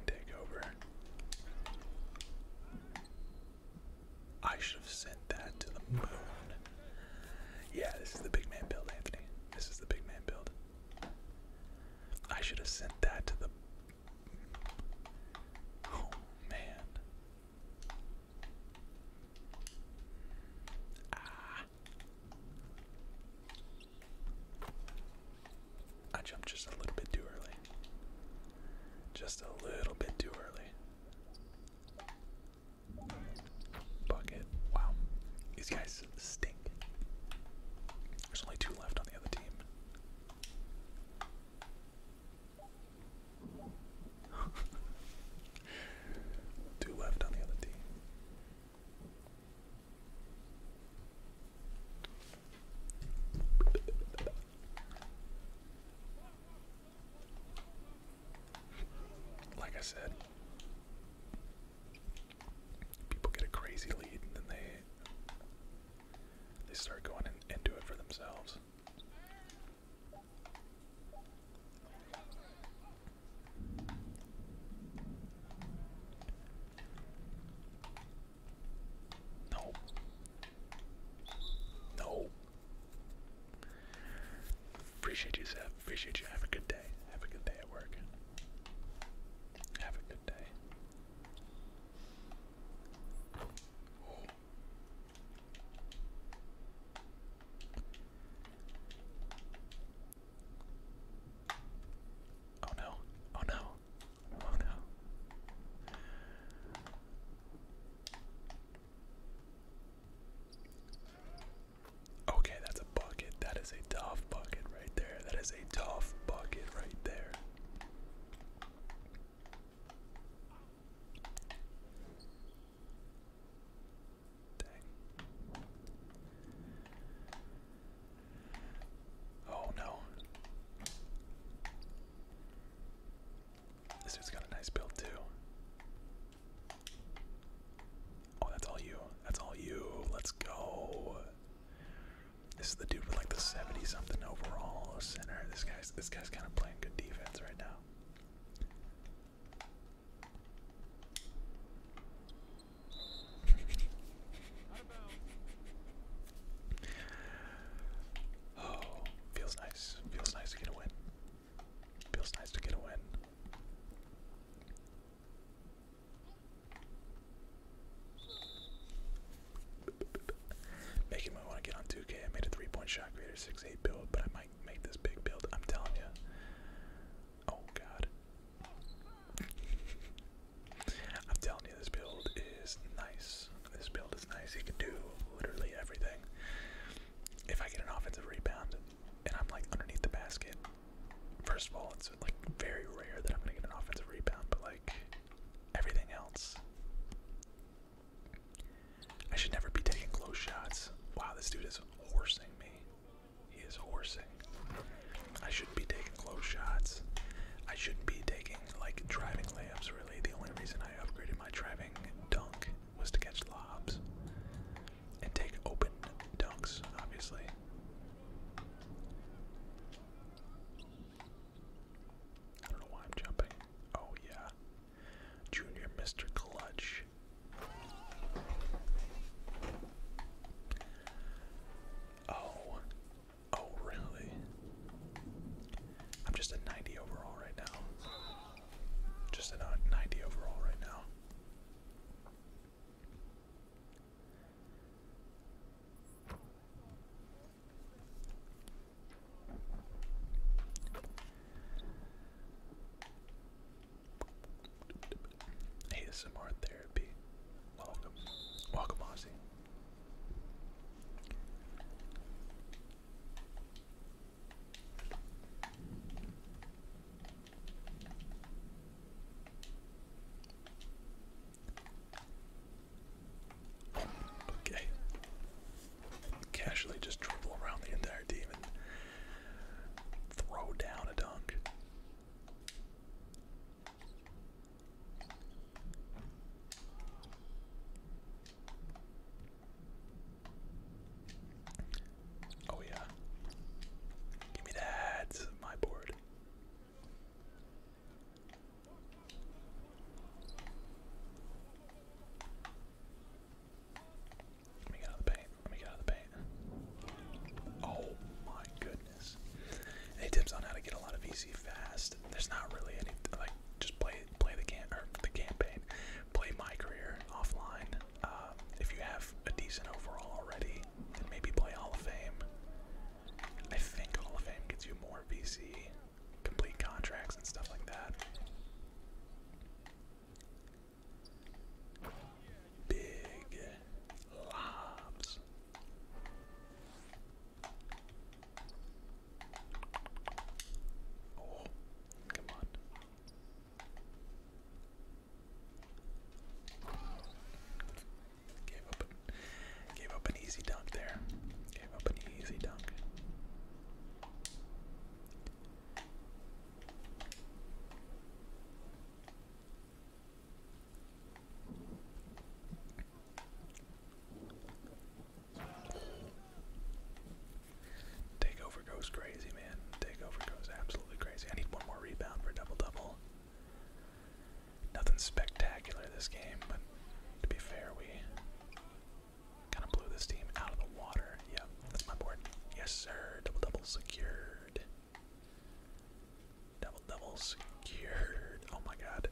I should have sent that to the moon. Yeah, this is the big man build, Anthony. This is the big man build. I should have sent that to the. Oh man. Ah. I jumped just a little bit too early. Just a little bit too early. Bucket. Wow. These guys stink. There's only two left on the other team. Two left on the other team. Like I said, people get a crazy lead and then they they start going in, into it for themselves. No. No. Appreciate you, Seb. Appreciate you. Have a good day. Have a good day at work. Have a good day. Oh no, oh no, oh no. Okay, that's a bucket. That is a tough bucket right there. That is a tough bucket right there. Oh no. This dude's got a nice build too. Oh, that's all you. That's all you. Let's go. This is the dude with like the 70 something overall center. This guy this guy's kind of playing good defense right now. oh, feels nice. Feels nice to get a win. Feels nice to get a win. Making me want to get on 2K. I made a three-point shot creator 6-8 build, but I might make this big build. I'm telling you. Oh God. I'm telling you, this build is nice. This build is nice. You can do literally everything. If I get an offensive rebound and I'm like underneath the basket, first of all, it's like very rare that I'm gonna get an offensive rebound, but like everything else, I should never be taking close shots. Wow, this dude is horsing me. He is horsing. I shouldn't be taking close shots. I shouldn't be taking, like, driving layups, really. The only reason I upgraded my driving dunk was to catch lobs and take open dunks, obviously. I don't know why I'm jumping. Oh, yeah. Junior Mr. Clutch. Oh. Oh, really? I'm just at 90 overall right now. Just at 90 overall right now. ASMR therapy. Welcome. Welcome, Aussie. Okay. Casually just dribble around the entire team and throw down a dunk. Oh, yeah. Give me that. My board. Let me get out of the paint. Let me get out of the paint. Oh my goodness. Any tips on how to get a lot of VC fast? There's not really any like just play play the cam or the campaign. Play my career offline. Uh, if you have a decent overall already, then maybe play Hall of Fame. I think Hall of Fame gets you more VC complete contracts and stuff like that. Big lobs. Oh, come on. Gave up, gave up an easy dunk there. Gave up an easy dunk. Takeover goes crazy, man. Takeover goes absolutely crazy. I need one more rebound for a double double. Nothing spectacular this game, but to be fair, we Kind of blew this team out of the water. Yep, that's my board. Yes, sir. Double double secured. Double double secured. Oh my god.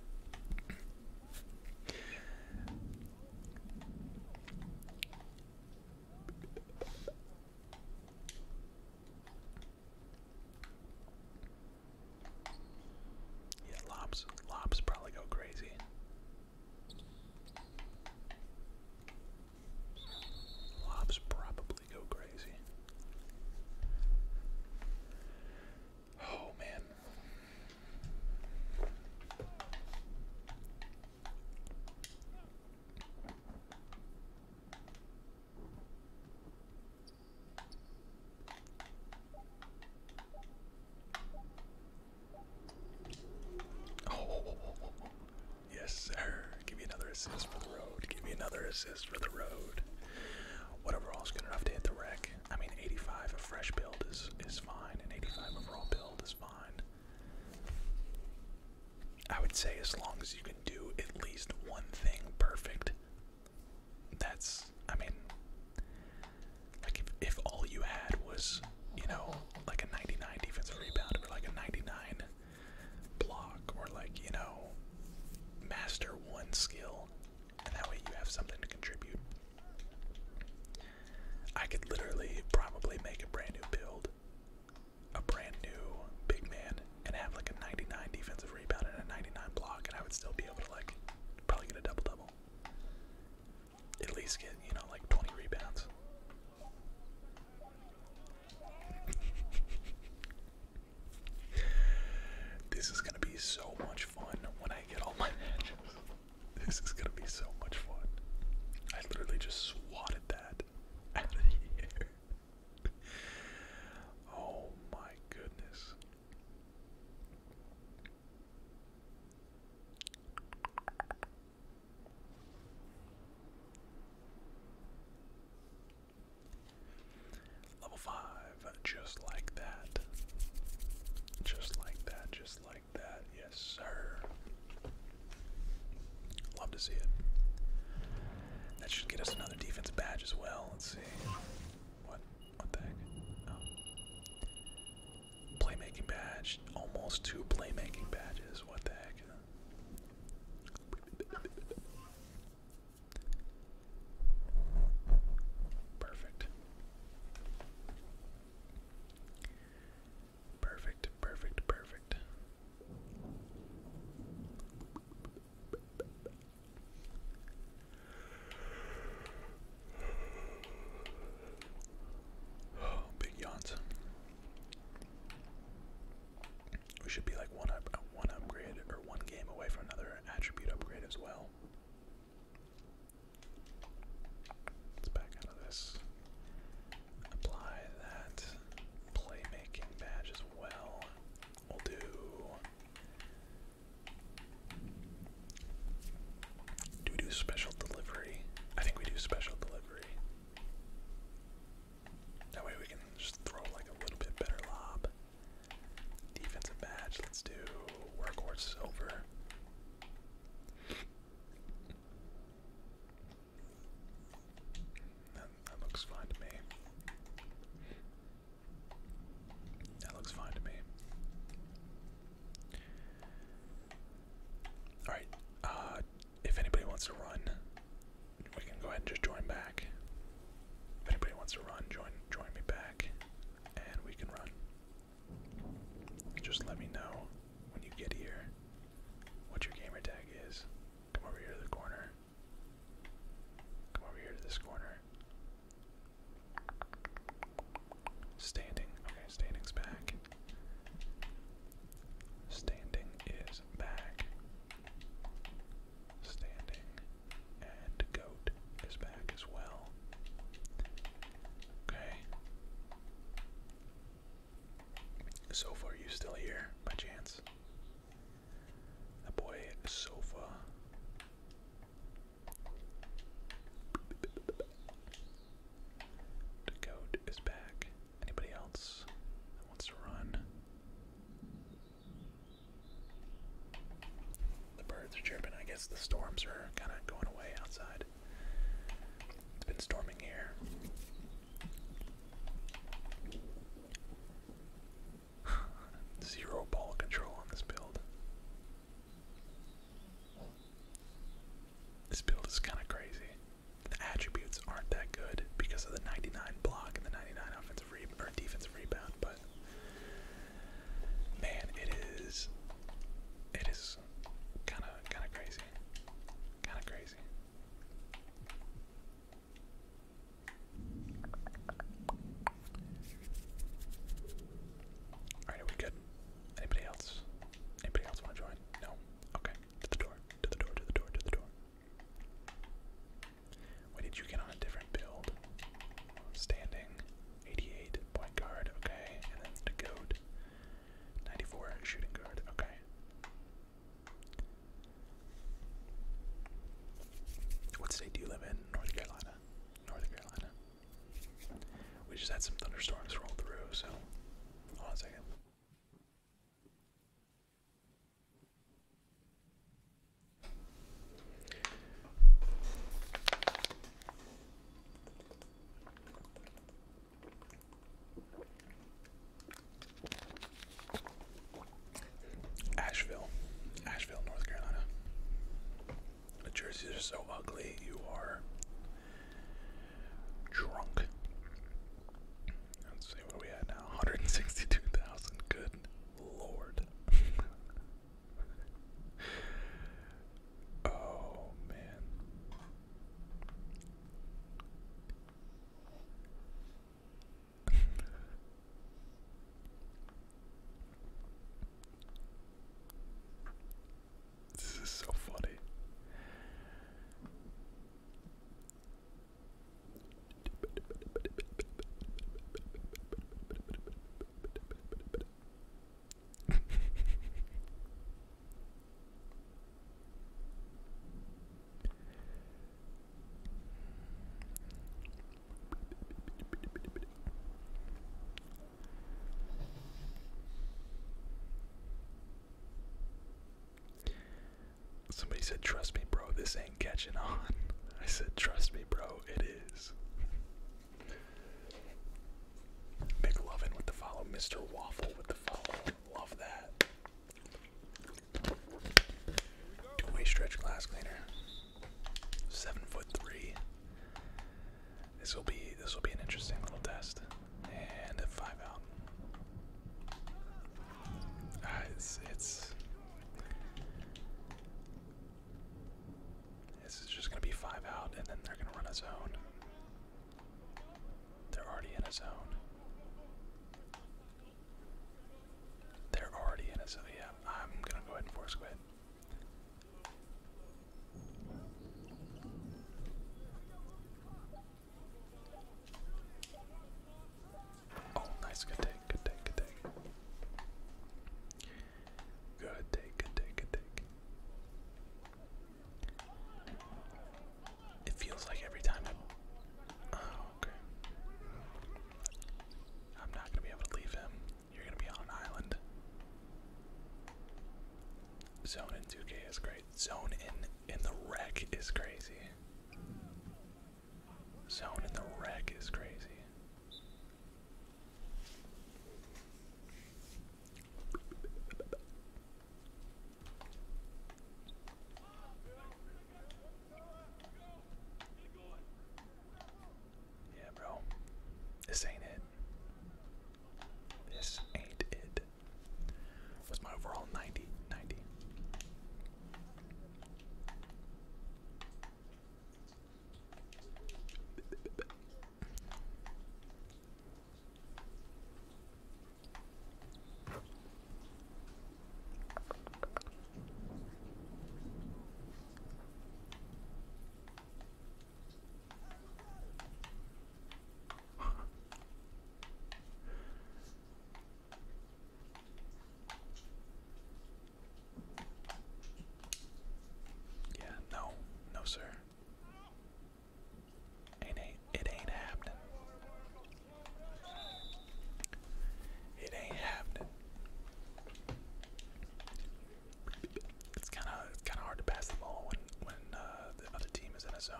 Yeah, lobs. Lobs probably go crazy. Lobs probably go crazy. Oh man. Oh, yes, sir. Give me another assist for the road. Give me another assist for the road. Whatever, overall is good enough to hit the wreck? I mean, 85 a fresh build is is fine, and 85 overall build is fine. I would say as long as you can do at least one thing perfect. That's, I mean, like if if all you had was, you know, like a 99 defensive rebound or like a 99 block or like, you know, master one skill, and that way you have something to contribute. I could literally probably make a brand new build, a brand new big man, and have like a 99 defensive rebound and a 99 block, and I would still be able to like probably get a double double at least get, you know, like 20 rebounds. this is going to be so much fun when I get all my matches. This is going to be so much fun. I literally just swatted that out of here. oh my goodness. Level 5, just like that. Just like that, just like that. Yes, sir. Love to see it. That should get us another defense badge as well. Let's see. What? What the Playmaking badge. Almost two playmaking badges. What the heck? Perfect. Perfect, perfect, perfect. big yawns. We should be like one up, uh, one upgrade or one game away from another attribute upgrade as well. Let's back out of this. Apply that playmaking badge as well. We'll do do we do special delivery? I think we do special delivery. That way we can just throw like a little bit better lob. Defensive badge, let's do workhorse silver. That, looks fine to me. That looks fine to me. Alright, uh, if anybody wants to run, we can go ahead and just join back. If anybody wants to run, join join me back, and we can run. Just let me know when you get here what your gamer tag is. Come over here to the corner. Come over here to this corner. Standing. Okay, standing's back. Standing is back. Standing and goat is back as well. Okay. Sofa, are you still here by chance? The boy Sofa. The goat is back. Anybody else wants to run? The birds are chirping. I guess the storms are kind of going away outside. It's been storming here. Zero ball control on this build. This build is kind of crazy. The attributes aren't that good because of the 99 block and the 99 offensive re or defensive rebound, but man, it is it is kind of kind of crazy. Kind of crazy. Alright, are good? Anybody else? Anybody else want to join? No. Okay, to the door, to the door, to the door, to the door. Why did you get on a different build? Standing, 88, point guard, okay, and then the goat, 94, shooting guard, okay. What state do you live in? North Carolina. North Carolina. We just had some thunderstorms roll through, so Hold on a second. Asheville, Asheville, North Carolina. The jerseys are so ugly. You are drunk. Let's see what we had now. 162,000. Good lord. oh man. This is so funny. Somebody said, Trust me, bro, this ain't catching on. I said, Trust me, bro, it is. McLovin with the follow, Mr. Waffle with the follow. Love that. Two way stretch glass cleaner. Seven foot three. This will be this will be an interesting little test and a five out. Uh, it's it's this is just gonna be five out, and then they're gonna run a zone. They're already in a zone. They're already in a zone. Yeah, I'm gonna go ahead and force quit. Oh, nice. Good take. Good take. Good take. Good take. Good take. Good take. It feels like every time oh, okay. I'm not gonna be able to leave him. You're gonna be on an island. Zone in 2K is great. Zone in in the wreck is crazy. Zone in the wreck is crazy. Yeah, bro. This ain't it. This ain't it. Was my overall 90? 90. yeah, no, no, sir. Ain't ain't it ain't happening. It ain't happening. It's kind of it's kind of hard to pass the ball when when uh, the other team is in a zone.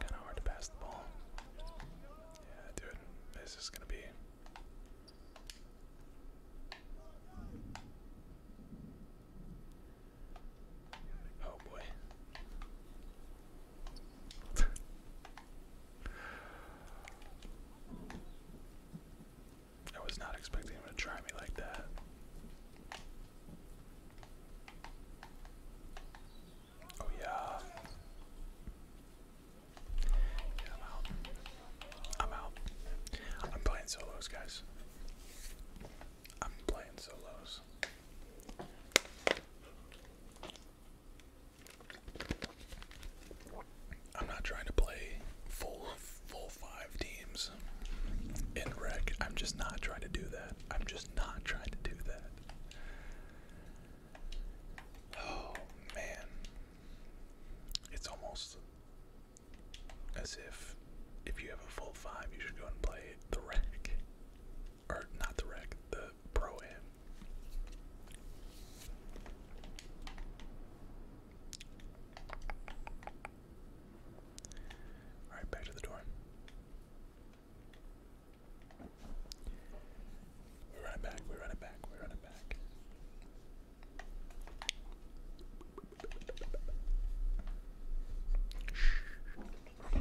Kind of hard to pass the ball. Yeah, dude, this is gonna be. Oh boy. I was not expecting him to try me like that. Oh yeah. I'm out. I'm out. I'm playing solos, guys. I'm playing solos. I'm not trying to play full full five teams in rec. I'm just not trying to do that. I'm just not trying to do that. Oh man. It's almost as if if you have a full five you should go and play the rec. Or not the rec, the pro am. Alright, back to the door. We run it back, we run it back, we run it back.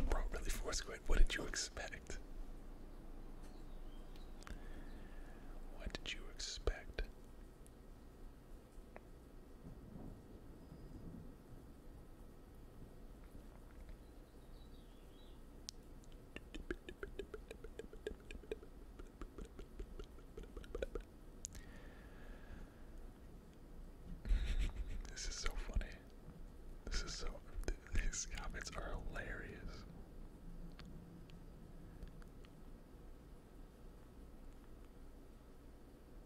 Bro, really force quit. What did you expect? What did you expect? this is so funny. This is so. Th these comments are hilarious.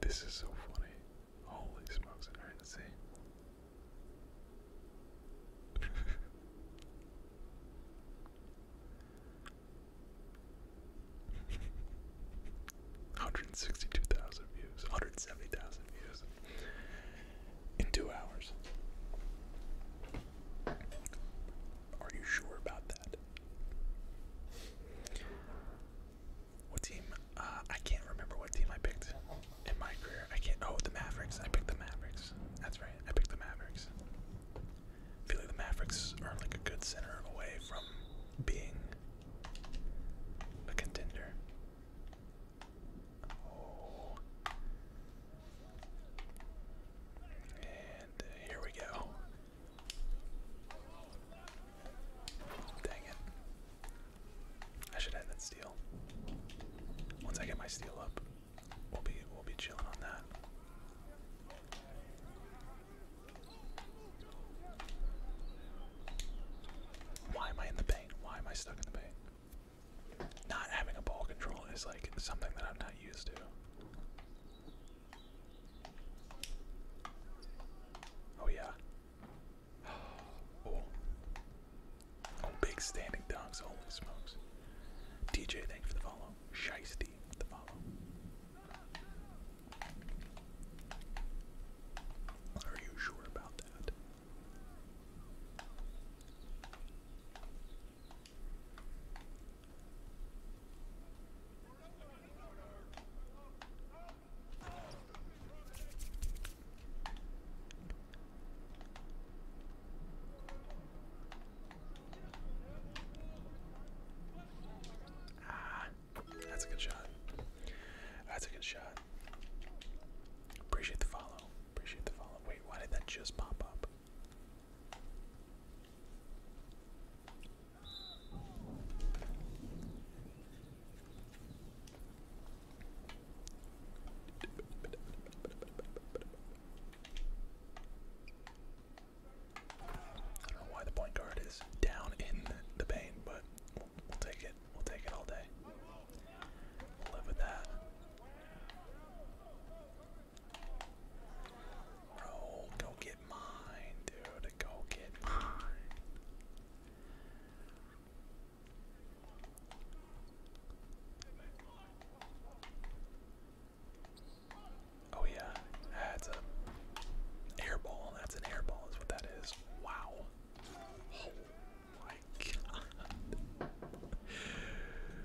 This is so funny. Holy smokes, alright, Hundred and sixty-two thousand views, hundred and seventy thousand views in two hours. Are you sure about that? What team? Uh, I can't remember what team I picked in my career. I can't. Oh, the Mavericks. I picked the Mavericks. That's right. I picked the Mavericks. I feel like the Mavericks are like a good center away from being a contender. Oh. And uh, here we go. Dang it. I should have that steel. Once I get my steel up, we'll be we'll be chilling on that. Why am I in the paint? Why am I stuck in the paint? Not having a ball control is like something that I'm not used to. Oh yeah, Oh. Oh, big standing dogs. Holy smokes. DJ, thanks for the follow. Shiesty, the follow. Are you sure about that? Ah, that's a good shot. That's a good shot. Appreciate the follow. Appreciate the follow. Wait, why did that just pop up? I don't know why the point guard is down in the paint, but we'll, take it. We'll take it all day. live with that. Bro, go get mine, dude. Go get mine. Oh yeah, that's an air ball. That's an air ball is what that is. Wow. Oh my god.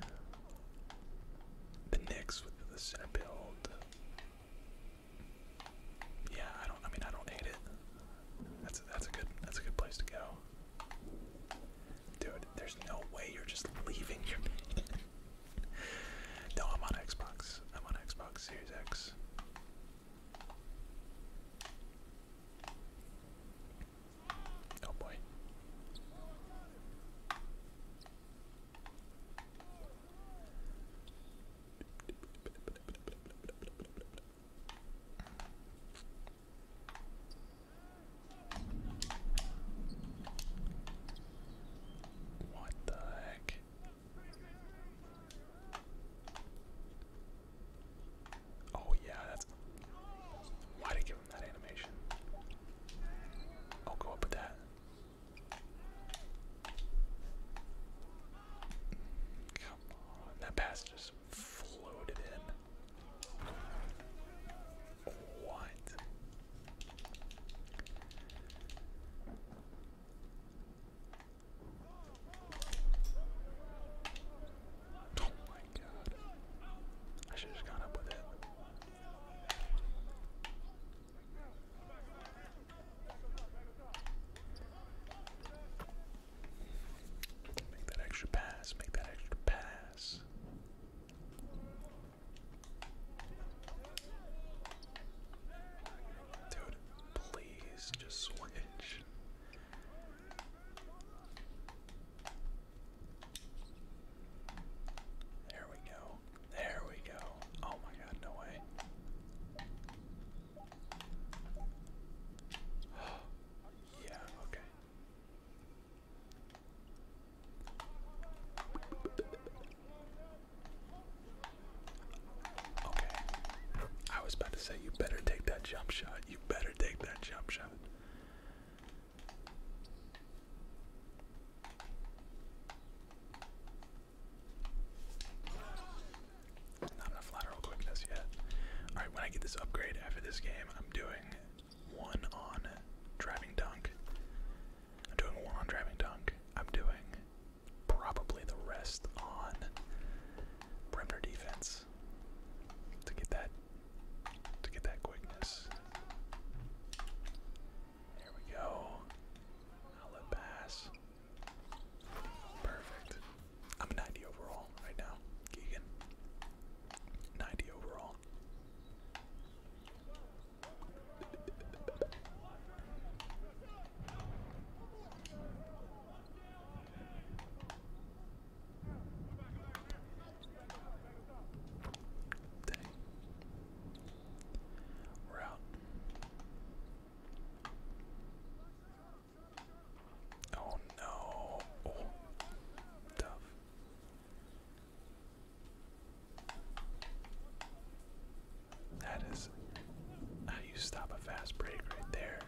the Knicks with the center build. Yeah, I don't. I mean, I don't hate it. That's a, that's a good that's a good place to go. Dude, there's no way you're just leaving your no, I'm on Xbox. I'm on Xbox Series X. Oh boy. What the heck? Oh yeah, that's why did I give him that animation? I'll go up with that. Come on, that pass just floated in. What? Oh my god. I should have just up with it. Make that extra pass, make that extra pass. Dude, please just switch. There we go. There we go. Oh my god, no way. yeah, okay. Okay. I was about to say, you better take that jump shot. You better take that jump shot. Not enough lateral quickness yet. Alright, when I get this upgrade after this game, I'm doing one on driving dunk. I'm doing one on driving dunk. I'm doing probably the rest on perimeter defense to get that to get that quickness. There we go. Outlet pass. Perfect. I'm a 90 overall right now, Keegan. 90 overall. We're out. Oh no. Oh. Tough. That is how you stop a fast break right there.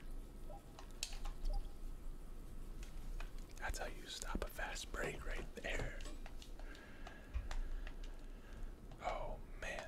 That's how you stop a fast break right there. Oh man.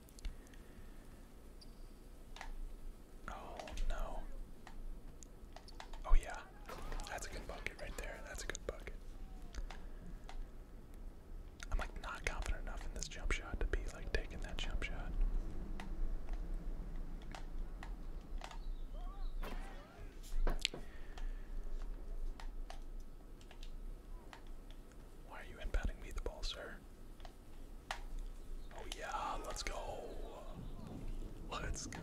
Oh no. Oh yeah. That's a good bucket right there. That's a good bucket. I'm like not confident enough in this jump shot to be like taking that jump shot. Why are you inbounding me the ball, sir? Oh yeah, let's go. Let's go.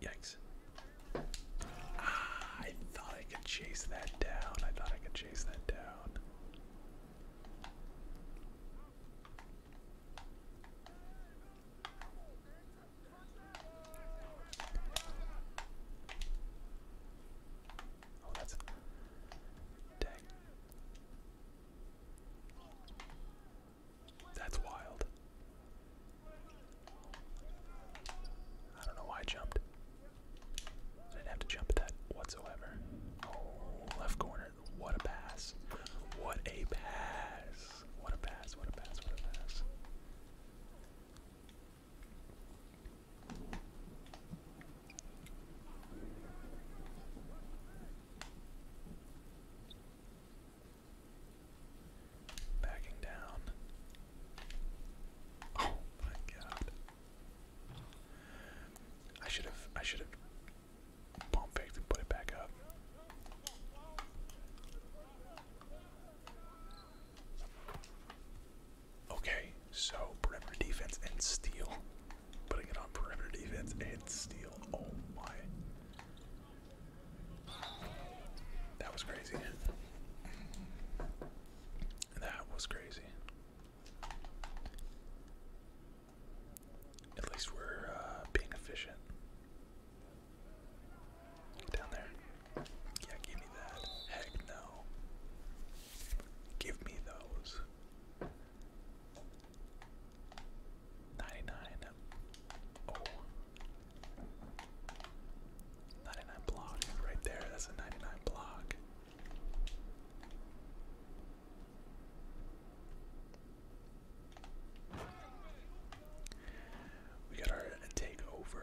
Yikes. Ah, I thought I could chase that down. I thought I could chase that down. Oh, that's dang. That's wild. I don't know why I jumped. I didn't have to jump at that whatsoever. Oh, left corner. What a pass. What a pass. What a pass. What a pass. What a pass. Backing down. Oh my god. I should have I should have pump faked and put it back up. Okay, so perimeter defense and steal. Putting it on perimeter defense and steal. Oh my. That was crazy. That was crazy. At least we're uh, being efficient. down there. Yeah, give me that. Heck no. Give me those. 99. Oh. 99 block right there. That's a 99 block. We got our takeover.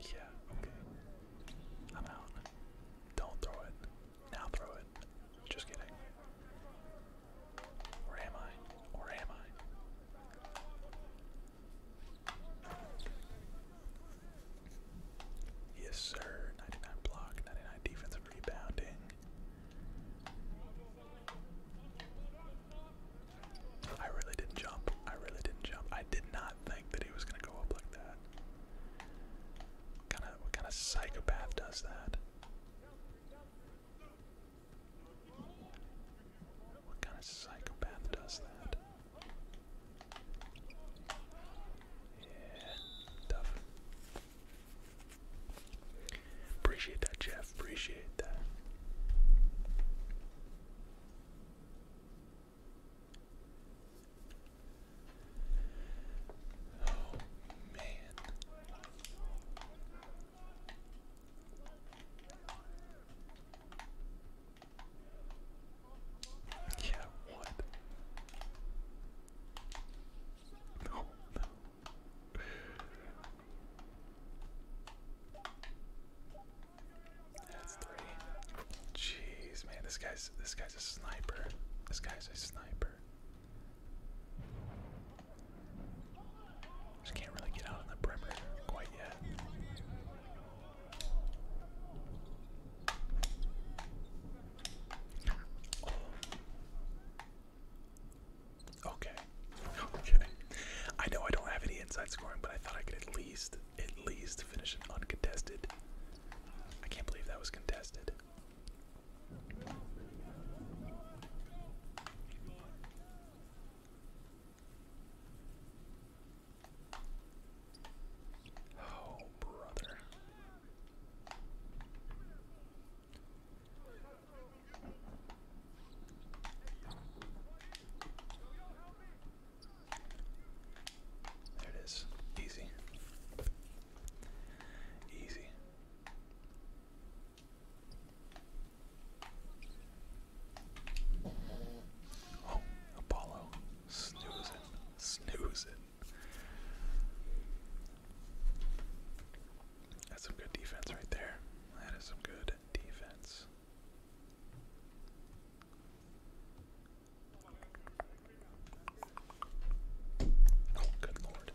Yeah, okay. I'm out. Don't throw it. Now throw it. Just kidding. Or am I? Or am I? Yes, sir. 99 block, 99 defensive rebounding. I really didn't jump. I really didn't jump. I did not think that he was gonna go up like that. kind of what kind of psychopath does that? What kind of psychopath does that? Yeah, Appreciate that, Jeff. Appreciate that. Oh, man. Yeah, what? No, no. That's three. Jeez, man, this guy's this guy's a sniper. This guy's a sniper. Just can't really get out on the perimeter Okay. Okay. I know I don't have any inside scoring, but I thought I could at least, at least finish it uncontested. I can't believe that was contested. Oh, brother. There it is. Easy. Easy. Oh, Apollo. Snooze it. That's some good defense right there. That is some good defense. good lord.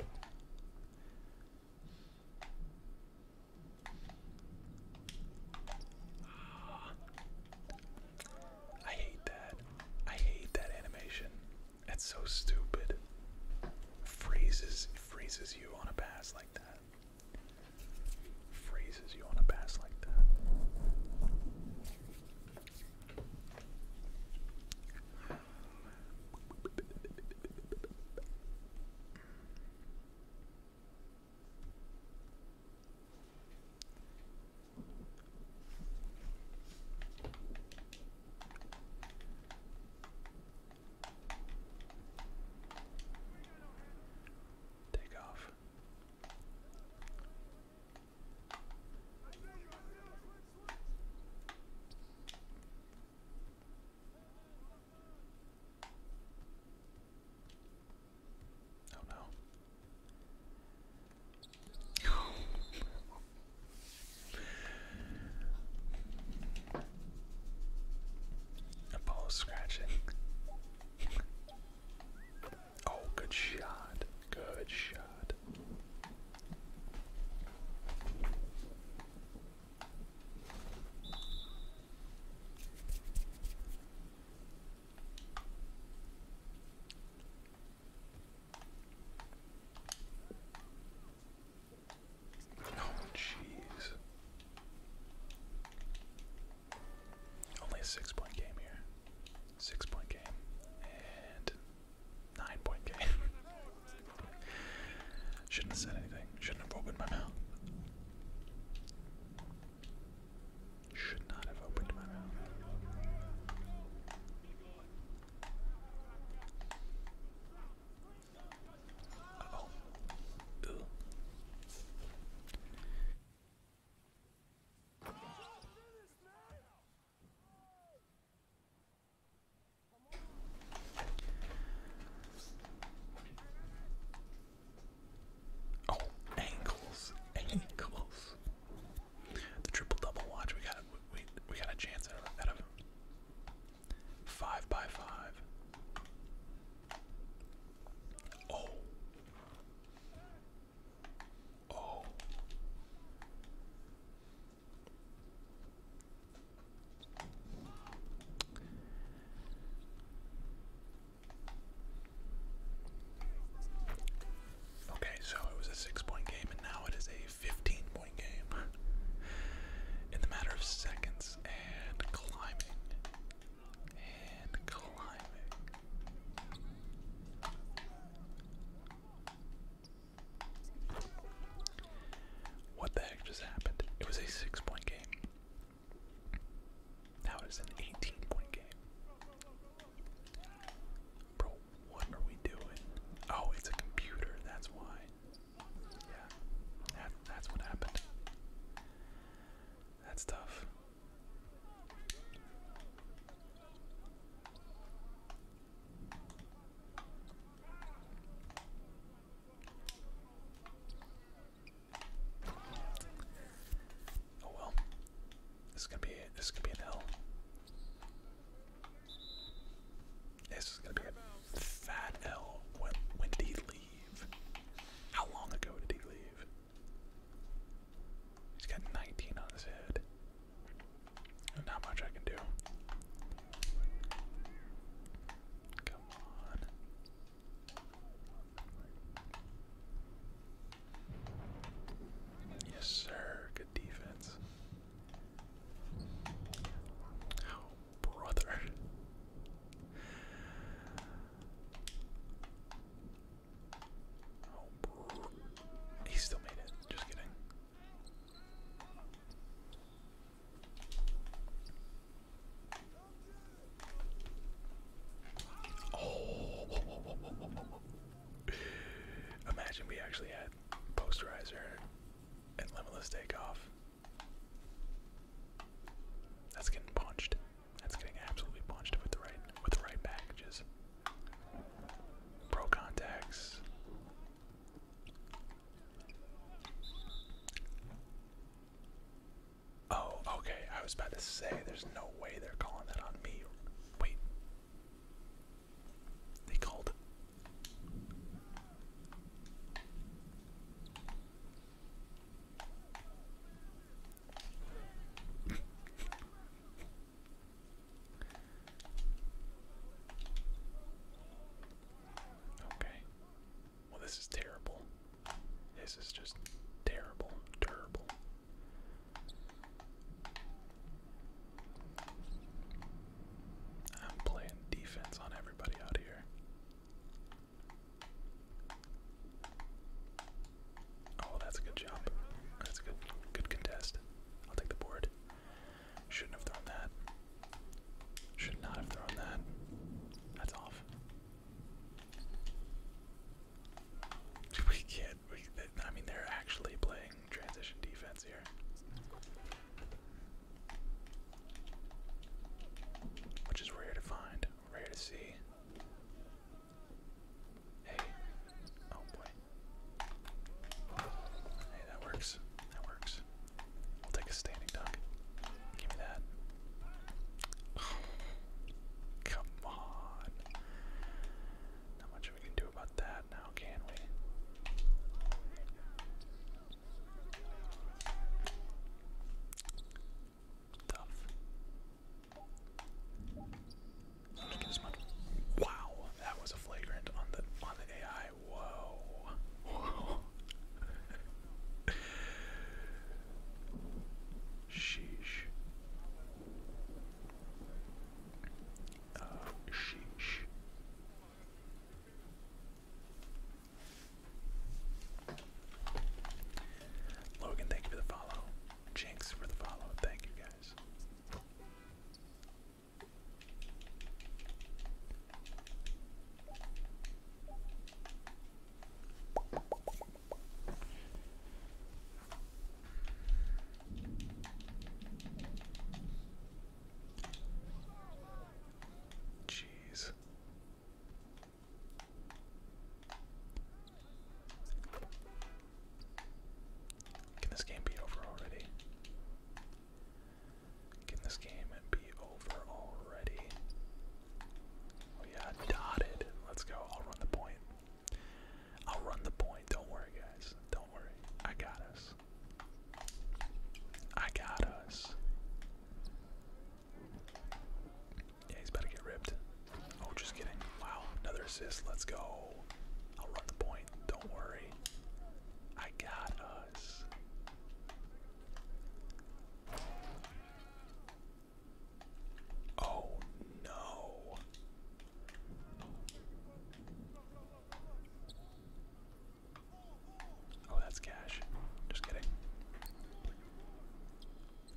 I hate that. I hate that animation. That's so stupid. Freezes freezes you on a pass like that. Freezes you on a pass like that. Take off. Oh no. Apollo's scratching. Oh, good shot. Good shot. Oh, jeez. Only a six point game here. Six point game. And nine point game. Shouldn't have said anything. Shouldn't have opened my mouth. Should not have opened my mouth. Oh, ankles, ankles. The triple double watch. We got we we got a chance out of five by five. Oh. Oh. Okay, so it was a six point game, and now it is a 15 point game. In the matter of seconds, and climbing. And climbing. What the heck just happened? It was a six point game. Now it is an 18 point game. Bro, what are we doing? Oh, it's a computer, that's why. Yeah, that, that's what happened. That's tough. Oh well. This is gonna be this is gonna be an L. This is gonna be a fat L. When, when did he leave? How long ago did he leave? He's got 19 on his head. Not much I can do. Come on. Yes, sir. Good defense. Oh, brother. Oh, He still made it. Just kidding. Oh. Imagine we actually had posterizer and limitless takeoff. That's getting punched. That's getting absolutely punched with the right with the right packages. Pro contacts. Oh, okay. I was about to say there's no way they're calling that on me. Wait, they called. okay. Well, this is terrible. This is just terrible, terrible. I'm playing defense on everybody out here. Oh, that's a good job. That's a good good contest. I'll take the board. Shouldn't have thrown that. Should not have thrown that. That's off. We can't I mean, they're actually playing transition defense here. Which is rare to find, rare to see. Hey. Oh boy. Hey, that works. That works. We'll take a standing dunk. Give me that. come on. Not much Wow, that was a flagrant on the on the AI. Whoa. Whoa. Sheesh. Oh, Logan, thank you for the follow. Jinx for the follow. Thank you guys. Jeez. Can this game be over already? Can this game be over already? Oh yeah, dotted. Let's go. I'll run the point. I'll run the point. Don't worry, guys. Don't worry. I got us. I got us. Yeah, he's about to get ripped. Oh, just kidding. Wow, another assist. Let's go. I'll run the point. Don't worry. I got us. Oh no. Oh, that's cash. Just kidding.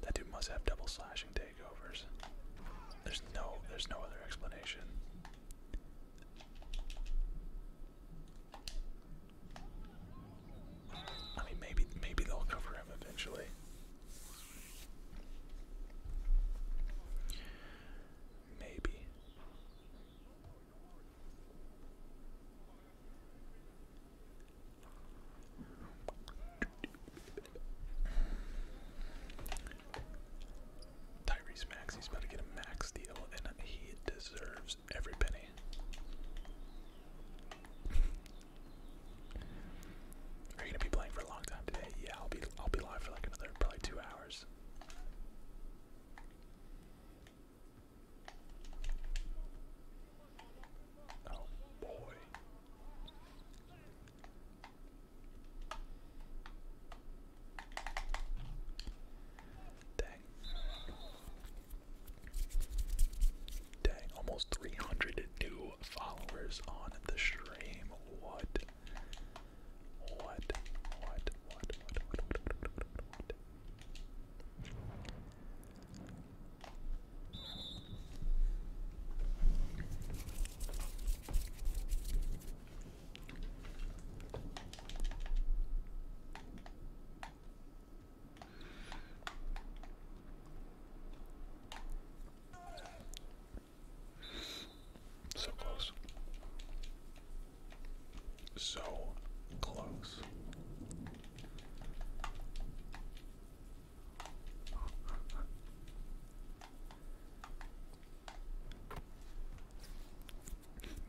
That dude must have double slashing takeovers. There's no there's no other explanation. I mean maybe maybe they'll cover him eventually. Maybe. Tyrese Max, he's about to get a max deal, and he deserves every penny. Are you gonna be playing for a long time today? Yeah, I'll be I'll be live for like another probably two hours. Oh boy. Dang. Dang, almost 300 new followers on the stream. What? What? What? What? So close. So close.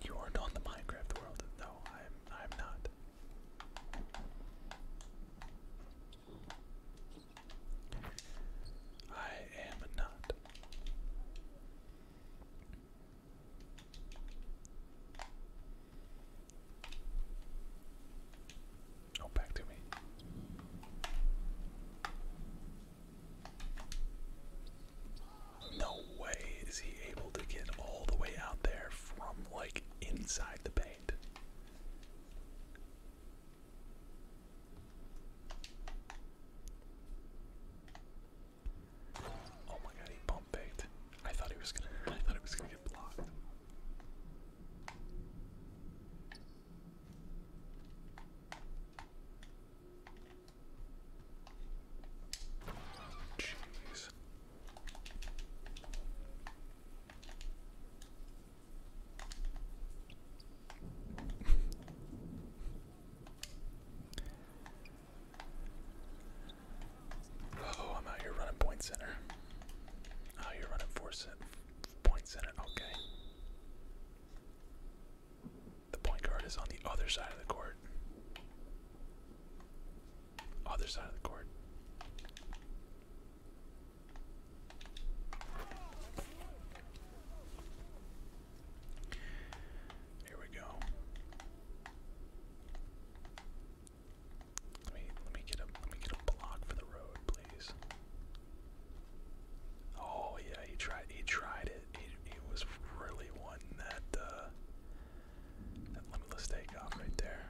You aren't on the Minecraft world. No, I'm I'm not. I am not. Oh, back to me. No way is he able to get all the way out there from like inside the paint. Oh my god, he bump picked. I thought he was gonna I thought it was gonna get blocked. Jeez. Oh, oh, I'm out here running point center. Oh, you're running four cent point center. Okay. The point guard is on the other side of the court. Other side of the court. Here we go. Let me let me get a let me get a block for the road, please. Oh yeah, he tried he tried it. He he was really one that uh that limitless takeoff right there.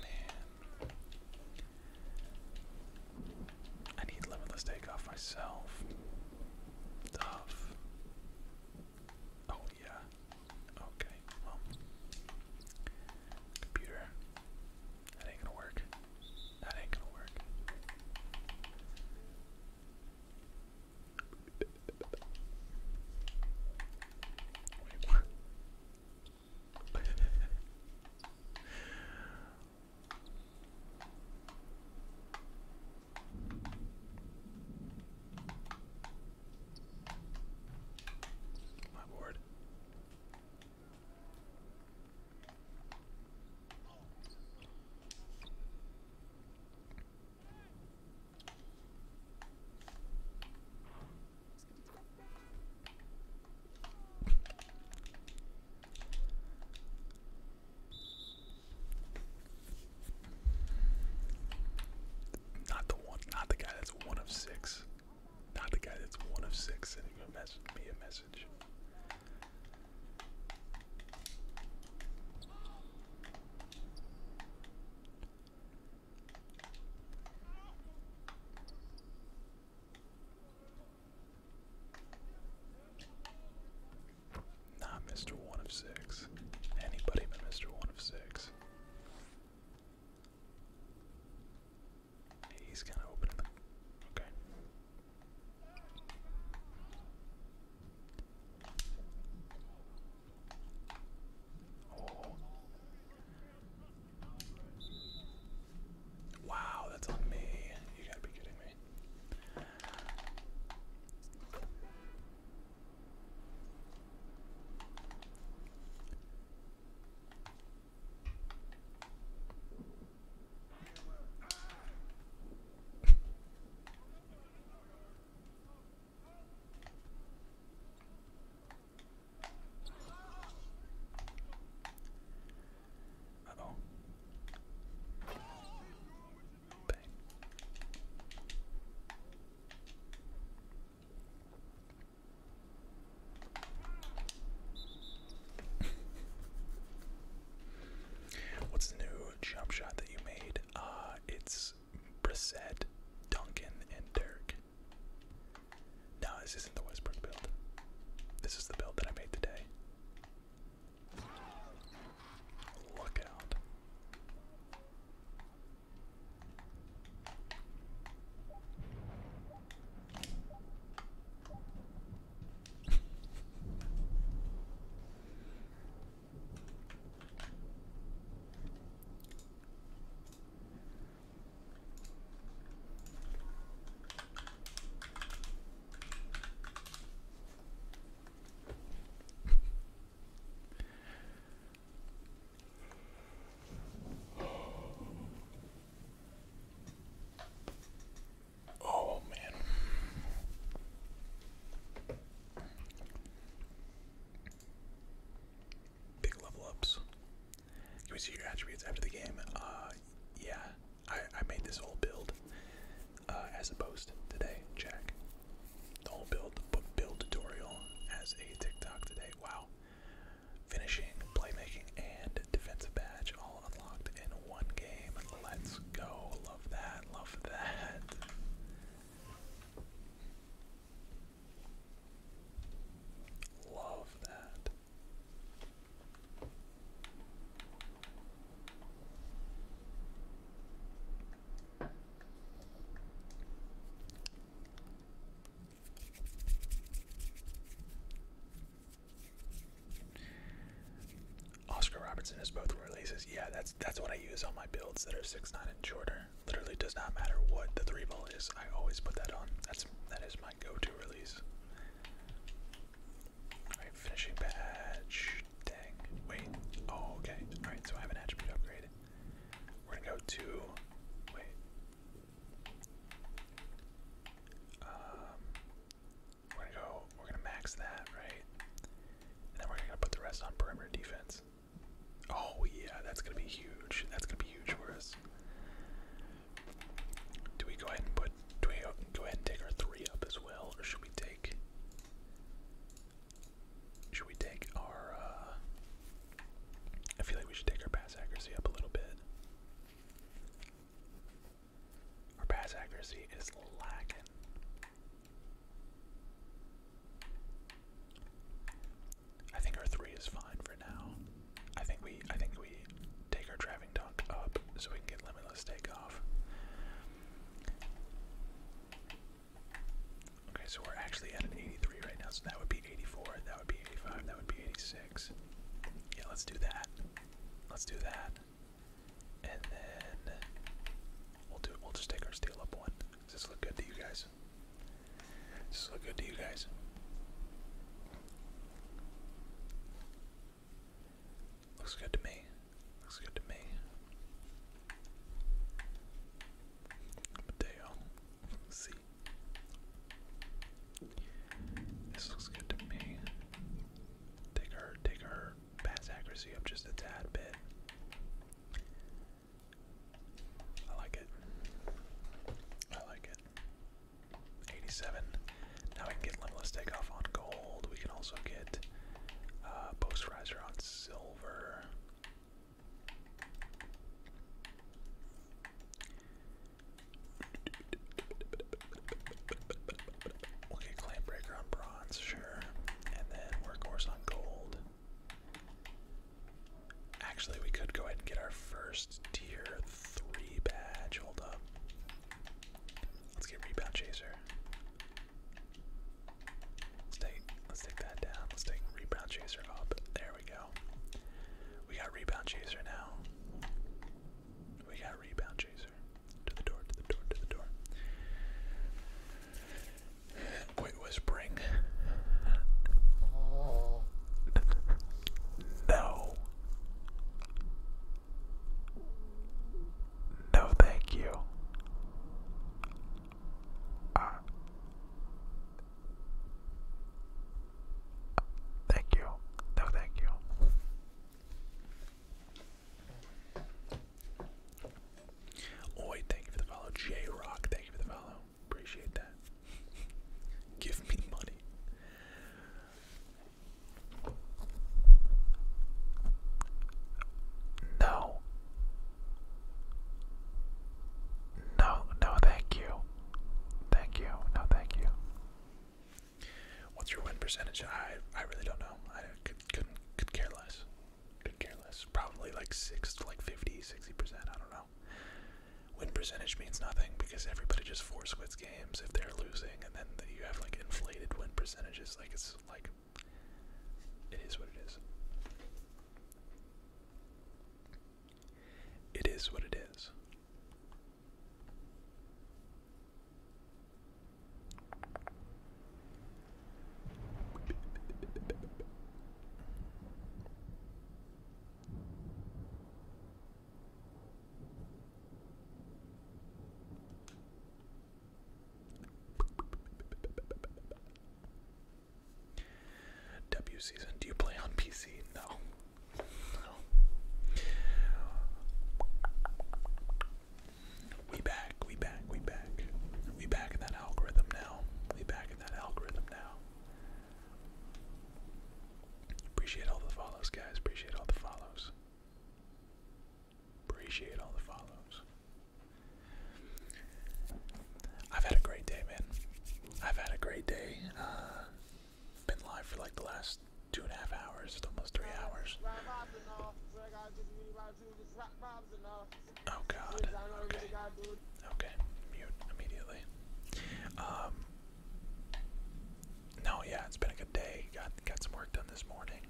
Man, I need limitless takeoff myself. Tough. Oh yeah. Okay. Computer. That ain't gonna work. That ain't gonna work. My board. Not the one, not the guy that's one of six. Not the guy that's one of six sending message, me a message. Not Mr. One of Six. Anybody but Mr. One of Six. He's kind of opening the. Okay. Oh. Wow, that's on me. You gotta be kidding me. Uh-oh. What's the new jump shot that you made? Uh, it's Brissette, Duncan, and Dirk. No, this isn't the Westbrook build. This is the build that I made today. Look out. Oh man. Big level ups. Can we see your attributes after the game? Uh, yeah, I, I made this whole build uh, as a post today, Jack. The whole build, build tutorial as a TikTok today. Wow. Finishing, playmaking, and defensive badge all unlocked in one game. Let's go. Love that. Love that. Love that. Oscar Robertson is both releases. Yeah, that's that's what I use on my builds that are six nine and shorter. Literally does not matter what the three ball is. I always put that on that is my go-to release. Alright, finishing badge. Dang. Wait. Oh, okay. Alright, so I have an attribute upgrade. We're gonna go to wait. Um we're gonna go we're gonna max that, right? And then we're gonna put the rest on perimeter defense. Oh yeah, that's gonna be huge. That's gonna be huge for us. Do we go ahead and put? Do we go ahead and take our three up as well, or should we take? Should we take our? Uh, I feel like we should take our pass accuracy up a little bit. Our pass accuracy is lacking. I think our three is fine for now. I think we I think we take our driving dunk up so we can get limitless takeoff. Okay, so we're actually at an 83 right now, so that would be 84, that would be 85, that would be 86. Yeah, let's do that. Let's do that. And then we'll do We'll just take our steel up one. Does this look good to you guys? Does this look good to you guys? Looks good to me. Looks good to me. Mateo. see. This looks good to me. Take her, pass accuracy up just a tad bit. I like it. I like it. 87. Now we can get Limitless Takeoff on gold. We can also get uh, Post Riser on silver. We'll get Clam Breaker on bronze, sure. And then Workhorse on gold. Actually, we could go ahead and get our first tier three badge. Hold up. Let's get rebound chaser. Let's take let's take that down. Let's take rebound chaser up. There we go. We got rebound chaser now. We got rebound chaser. To the door, to the door, to the door. Wait, whispering. no. No, thank you. Uh, thank you. No, thank you. Oi, thank you for the follow. J Rock, thank you for the follow. Appreciate that. Give me money. No. No, no, thank you. Thank you. No, thank you. What's your win percentage? I I really don't know. I could could care less. Could care less. Probably like six to like 50, percent. I don't know. Win percentage means nothing because everybody just force quits games if they're losing, and then you have like inflated win percentages. Like it's like it is what it is. It is what it is. W season. Do you play on PC? No. We back, we back, we back. We back in that algorithm now. We back in that algorithm now. Appreciate all the follows, guys. Appreciate all the follows. Appreciate all the follows. I've had a great day, man. I've had a great day. Uh, been live for like the last two and a half hours, almost three hours. Oh God. Okay. Okay. Mute immediately. Um, no, yeah, it's been a good day. Got got some work done this morning.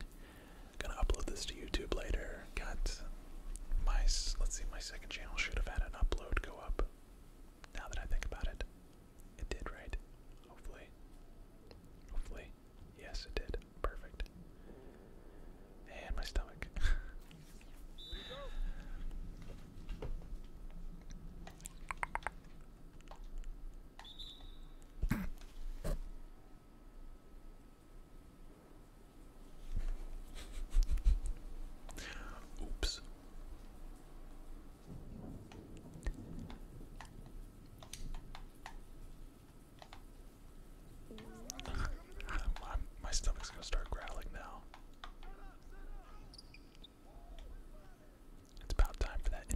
Gonna upload this to YouTube later. Got my let's see, my second channel should have had an upload go up. Now that I think about it, it did, right? Hopefully. Hopefully. Yes, it did. Perfect. And my stomach. Oops. my, my stomach's gonna start growling now. It's about time for that.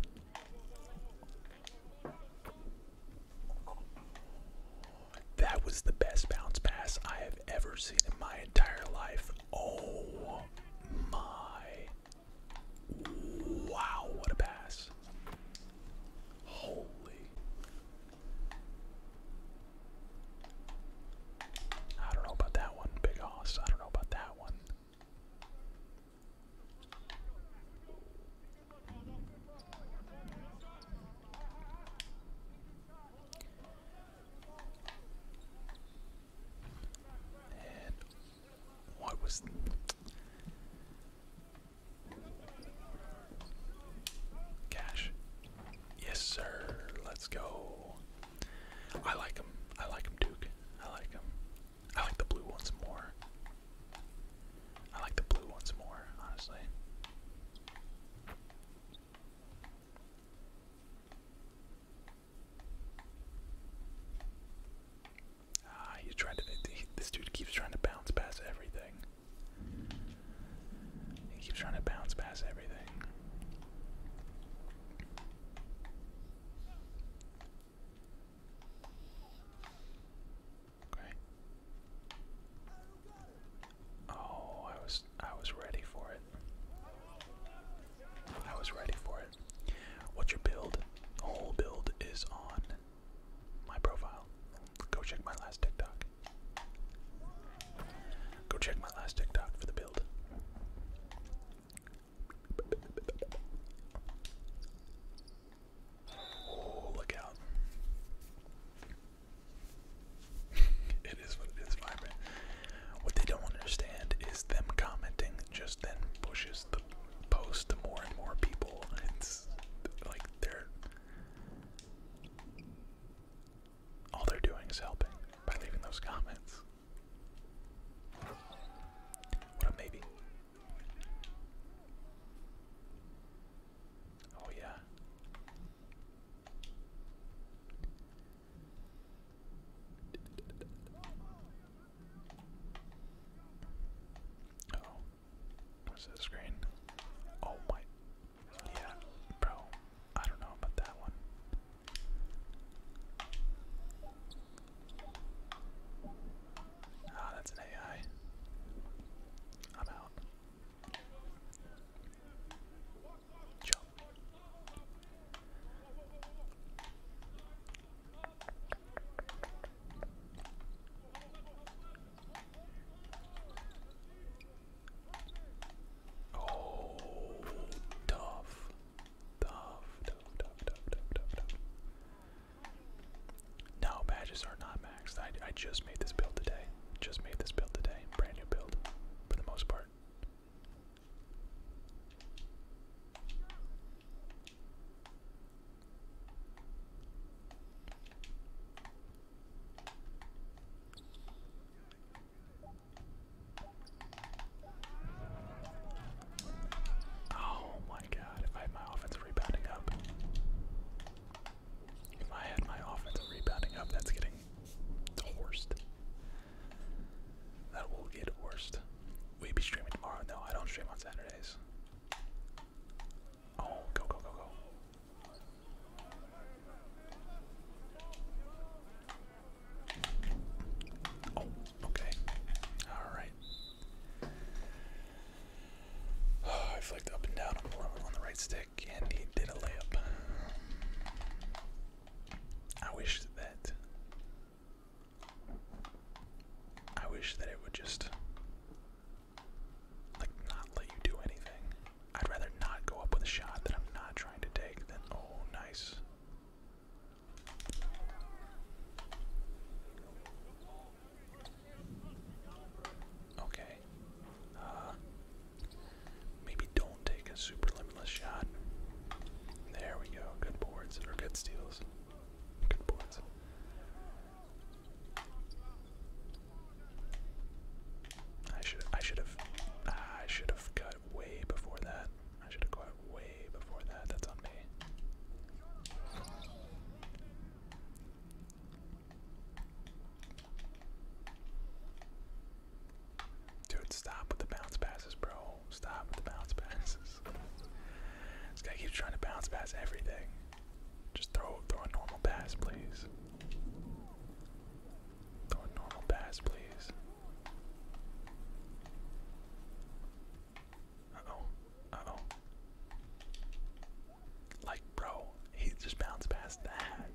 That was the best bounce pass I have ever seen in my entire life. Oh my. Wow, what a pass. Holy. I don't know about that one, Big Hoss. I don't know about that one what was cash? Yes, sir. Let's go. I like him. I like him, Duke. I like him. I like the blue ones more. I like the blue ones more, honestly. Ah, he's trying to. this dude keeps trying to bounce past everything. He keeps trying to bounce past everything. Okay. Oh, I was I was ready for it. I was ready for it. What's your build? Whole build is on my profile. Go check my last TikTok. Go check my last TikTok for the build. Oh, look out. it is what it is, vibrant. What they don't understand is them commenting just then pushes the post to more and more people. It's like they're. All they're doing is helping by leaving those comments. What a maybe. Oh yeah. oh, what's the screen? Oh my, yeah, bro. I don't know about that one. Ah, that's an AI. I'm out. Jump. Oh, tough. No, badges are not maxed. I, I just made this build today. Just made this build today. Brand new build, for the most part. Oh my god, if I had my offensive rebounding up. If I had my offensive rebounding up, that's getting horsed. That will get horsed. We be streaming tomorrow. No, I don't stream on Saturdays. Oh, go, go, go, go. Oh, okay. Alright. I flicked up and down on the right stick, and he did a layup. I wish that. I wish that it would just. Like, not let you do anything. I'd rather not go up with a shot that I'm not trying to take than. Oh, nice. Okay. Uh, maybe don't take a super limitless shot. There we go. Good boards or good steals. Good boards. I should I should have I should have cut way before that. I should have caught way before that. That's on me. Dude, stop with the bounce passes, bro. Stop with the bounce passes. This guy keeps trying to bounce pass everything. Just throw throw a normal pass, please. Throw a normal pass, please. Uh-oh. Uh-oh. Like, bro, he just bounced past that.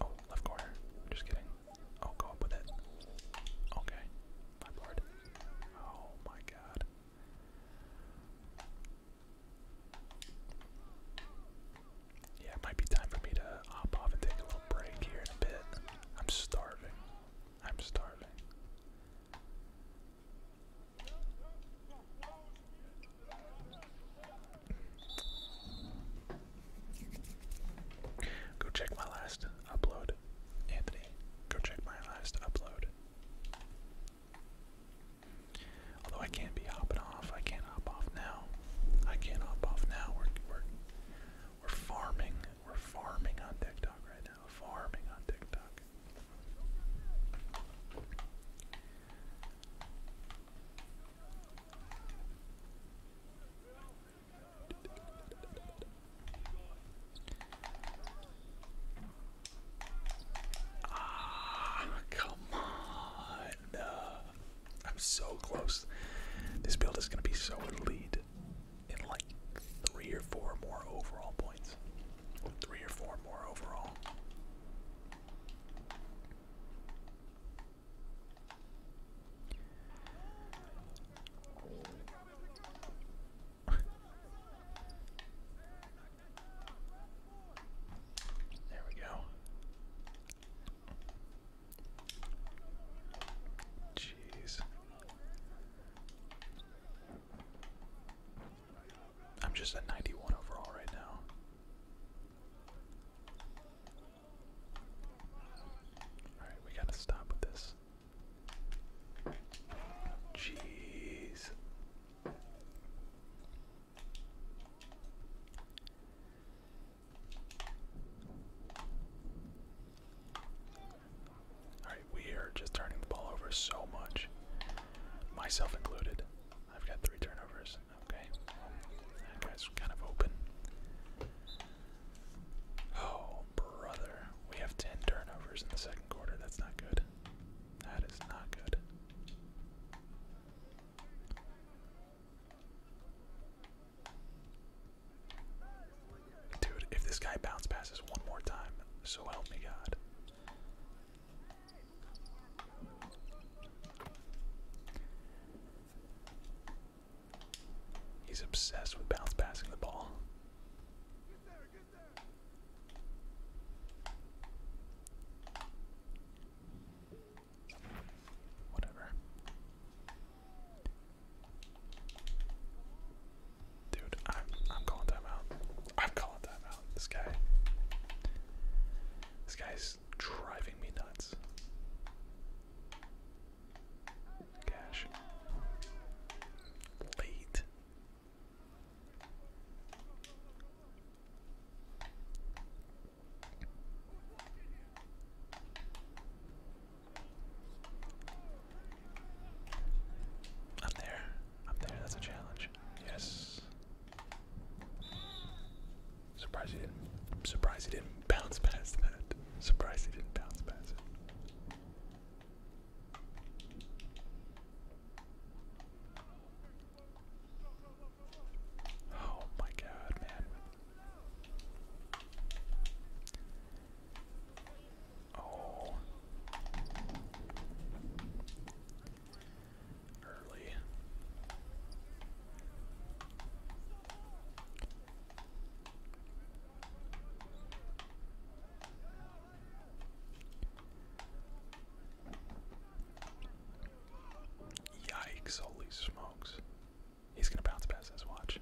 Oh, left corner. Just kidding. Oh, go up with it. Okay. My board. Oh my god yeah, it might be time for me to hop off and take a little break here in a bit. I'm starving. I'm starving. Go check my last upload, Anthony. Go check my last upload. Although I can't be hopping off, I can't hop off now. I can't hop off now. We're farming. We're farming on TikTok right now. Farming on TikTok. Ah, come on. I'm so close. This build is going to be so elite in like three or four more overall points. Three or four more overall. there we go. Jeez. I'm just at 91 overall right now. Alright, we gotta stop with this. Jeez. Alright, we are just turning the ball over so much. Myself included. I've got three turnovers. Okay. That guy's kind of open. Oh, brother. We have 10 turnovers in the second quarter. That's not good. That is not good. Dude, if this guy bounce passes one more time, so help me God. He's obsessed with bounce passing the ball. Whatever. Dude, I'm I'm calling time I'm calling time This guy. This guy's driving me nuts. Gosh. Late. Up there. Up there, that's a challenge. Yes. Surprised he didn't surprised he didn't bounce past that. Surprised he didn't bounce past it. Oh my god, man. Oh. Early. Yikes, holy smokes. He's gonna bounce past his watch.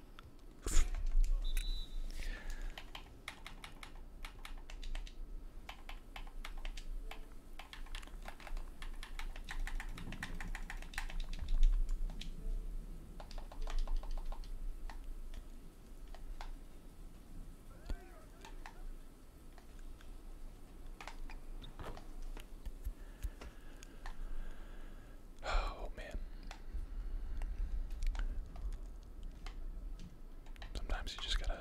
Oh man. Sometimes you just gotta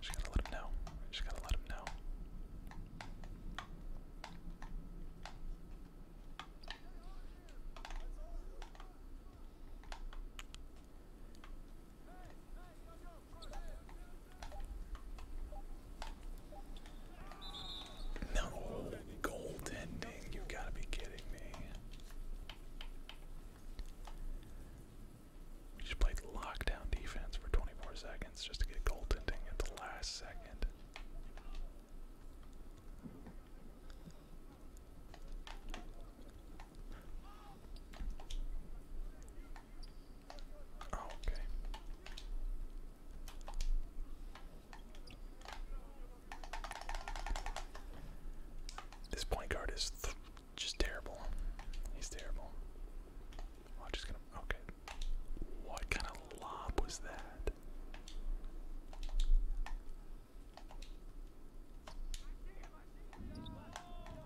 just gotta let him know. Just gotta let him know. No goaltending. You gotta be kidding me. We just played lockdown defense for 24 seconds just to get goaltending at the last second. Oh, okay. This point guard is just terrible. He's terrible. Oh, I'm just gonna. Okay. What kind of lob was that?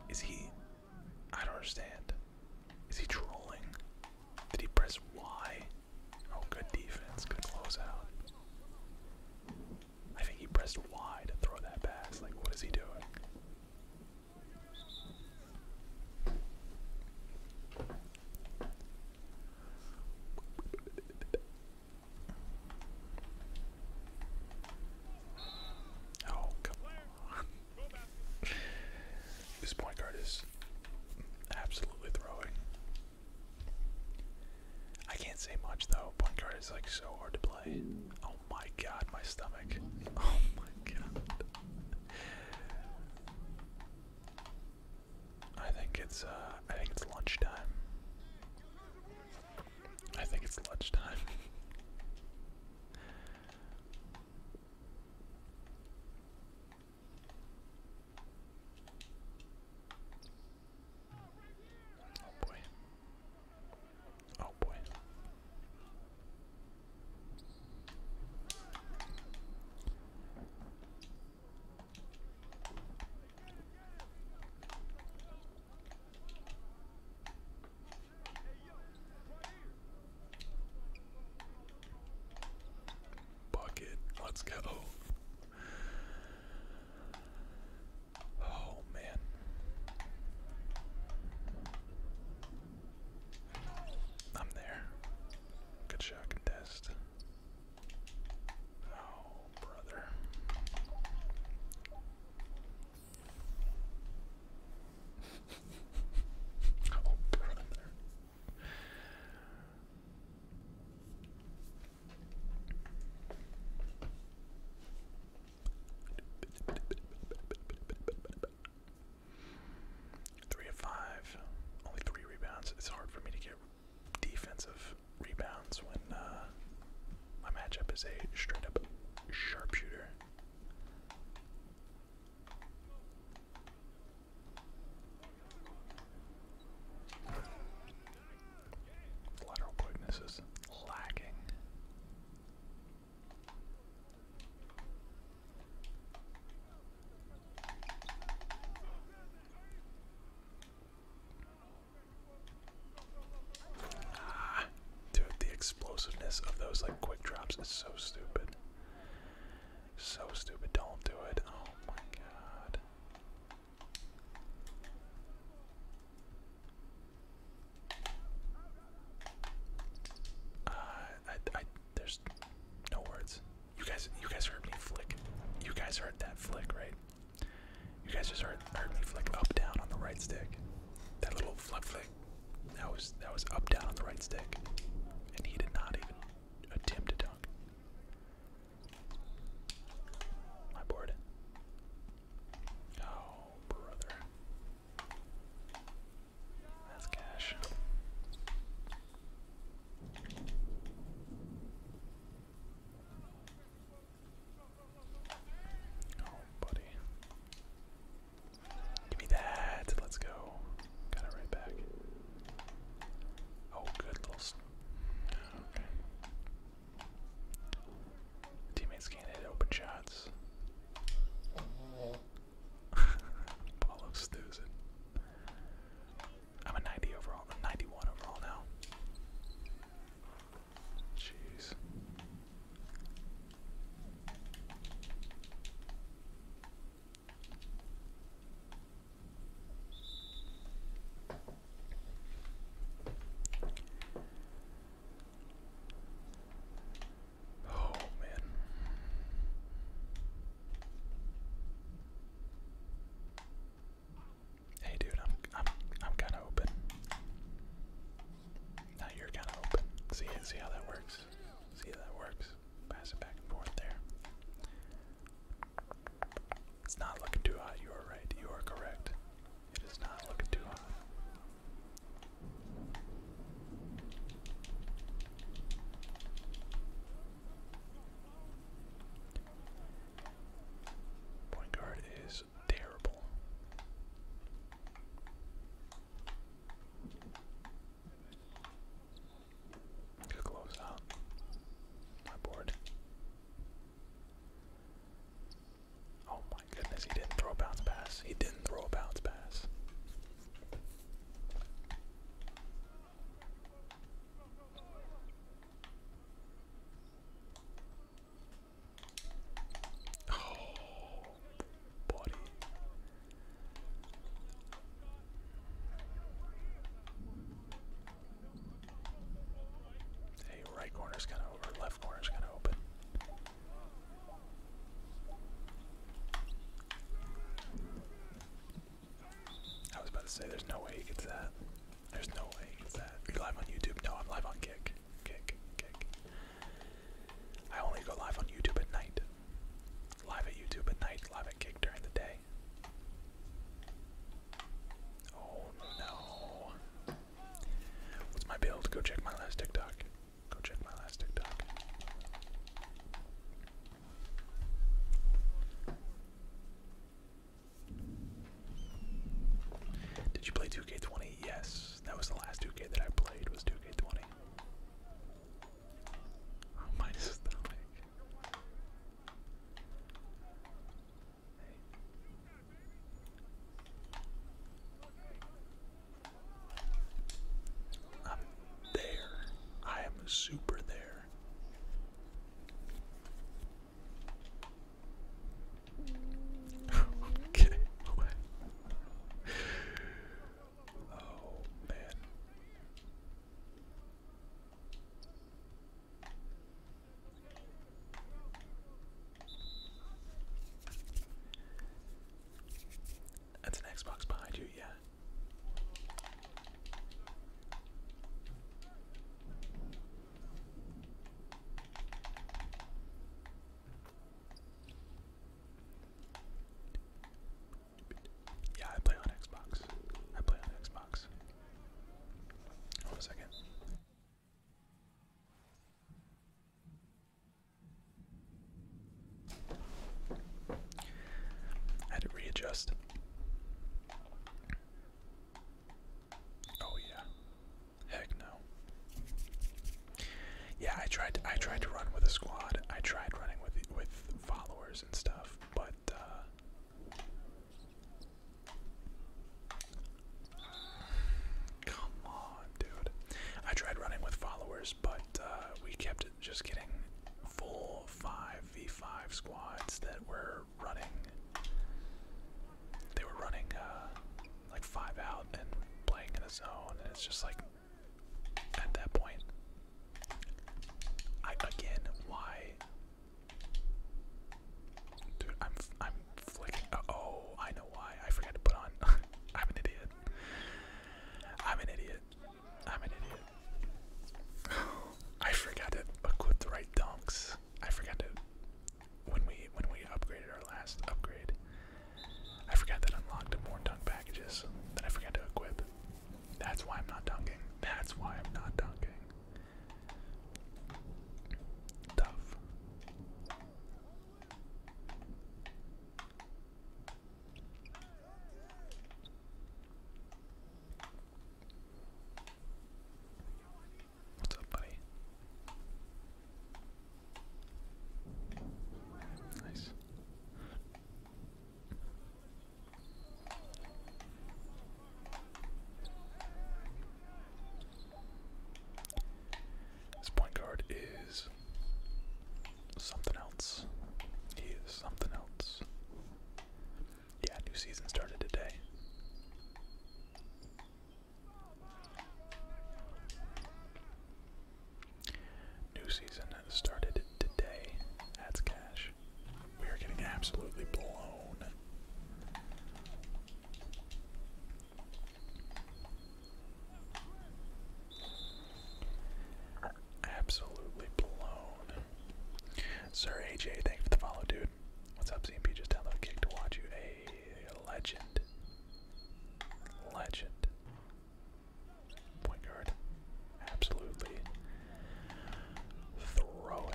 Is he. I don't understand. Is he trolling? Did he press Y? Oh, good defense. Good closeout. I think he pressed Y to throw that pass. Like, what is he doing? Oh, come on. this point guard is absolutely throwing I can't say much though. Point guard is like so hard to play. Oh my god, my stomach. Oh my god. I think it's uh I think it's lunchtime. I think it's lunchtime. Oh boy. Oh boy. Bucket, let's go. Oh man. I'm there. Good shot contest. Oh, brother. oh, brother. Three of five, only three rebounds. It's hard for me to get defensive rebounds when uh, my matchup is a straight up sharpshooter. Lateral quickness lagging. Ah, dude, the explosiveness of those like quick drops is so stupid. So stupid. Don't do it. Oh my god. Uh, I, I, there's no words. You guys, you guys heard me flick. You guys heard that flick, right? You guys just heard, heard me flick up down on the right stick. That little flip flick. That was that was up down on the right stick, and he did not even attempt to dunk. My board. Oh, brother. That's cash. Oh, buddy. Give me that. Let's go. Got it right back. Oh, good little. Teammates can't hit open shots. Paulo stews it. I'm a 90 overall, I'm 91 overall now. Jeez. Oh, man. Hey, dude, I'm I'm I'm kind of open. Now you're kind of open. See see how that works. See how that works. Pass it back and forth there. It's not looking too hot. You are right. You are correct. It is not looking too hot. Point guard is terrible close out my board. Oh my goodness, he didn't throw a bounce pass. He didn't throw a bounce pass. Oh, body. Hey, right is kind of over, left corner is kind of open. I was about to say, there's no way he gets that. There's no way he gets that. Are live on YouTube? No, I'm live on Kick. Kick, Kick. I only go live on YouTube at night. Live at YouTube at night, live at Kick during the day. Oh no. What's my build? Go check my last TikTok. Go check my last TikTok. Did you play 2K20? Yes. That was the last 2K that I played was 2K20. Oh, minus the I'm there. I am super there. okay. oh man. That's an Xbox behind you, yeah. Yeah, I play on Xbox. I play on Xbox. Hold a second. I had to readjust. Oh yeah. Heck no. Yeah, I tried I tried to run with a squad. I tried running with with followers and stuff, but uh, Come on, dude. I tried running with followers, but uh, we kept just getting full 5v5 squads that were running. They were running uh, like 5 out and playing in a zone, and it's just like, at that point, I, again, why Dude, I'm I'm flicking. Uh, oh, I know why. I forgot to put on. I'm an idiot. I'm an idiot. I'm an idiot. I forgot to equip the right dunks. I forgot to when we when we upgraded our last upgrade. I forgot that unlocked more dunk packages that I forgot to equip. That's why I'm not dunking. That's why I'm not dunking. Tough. What's up, buddy? Nice. This point guard is something else. He is something else. Yeah, new season started today. New season started today. That's cash. We are getting absolutely blown. Absolutely blown. Sir AJ, thank you for the follow, dude. What's up, CMP? Just download kick to watch you. A legend. Legend. Point guard. Absolutely throwing.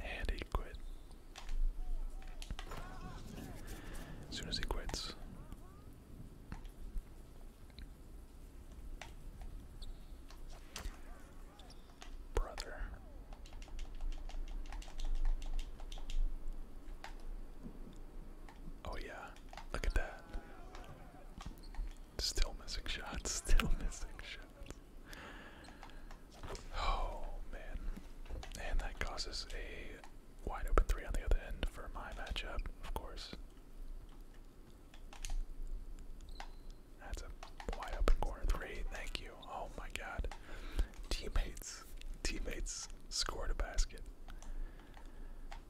And he quit. As soon as he quits. Brother, Oh, yeah, look at that. Still missing shots, still missing shots. Oh, man. And that causes a wide open three on the other end for my matchup, of course. That's a wide open corner three. Thank you. Oh my god. Teammates. Teammates scored a basket.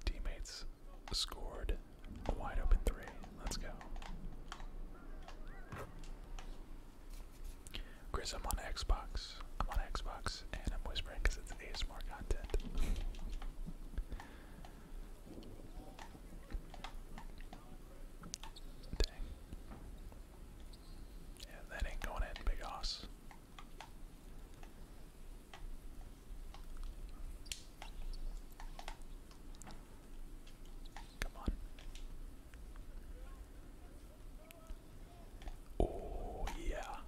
Teammates scored a wide open three. Let's go. Chris, I'm on Xbox. I'm on Xbox and I'm whispering it's ASMR content. Yeah, that ain't going in, big ass. Come on. Oh, yeah.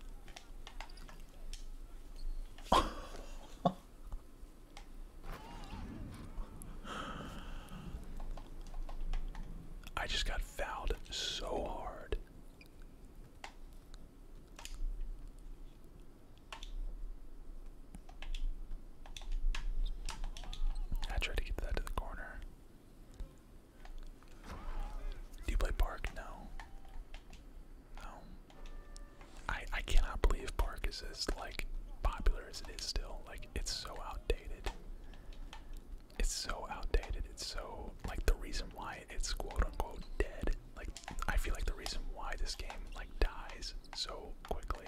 I just got fouled so hard. I tried to get that to the corner. Do you play Park? No. No. I I cannot believe Park is as like popular as it is still. Like it's so outdated it's so outdated. It's so like the reason why it's quote unquote dead. Like I feel like the reason why this game like dies so quickly.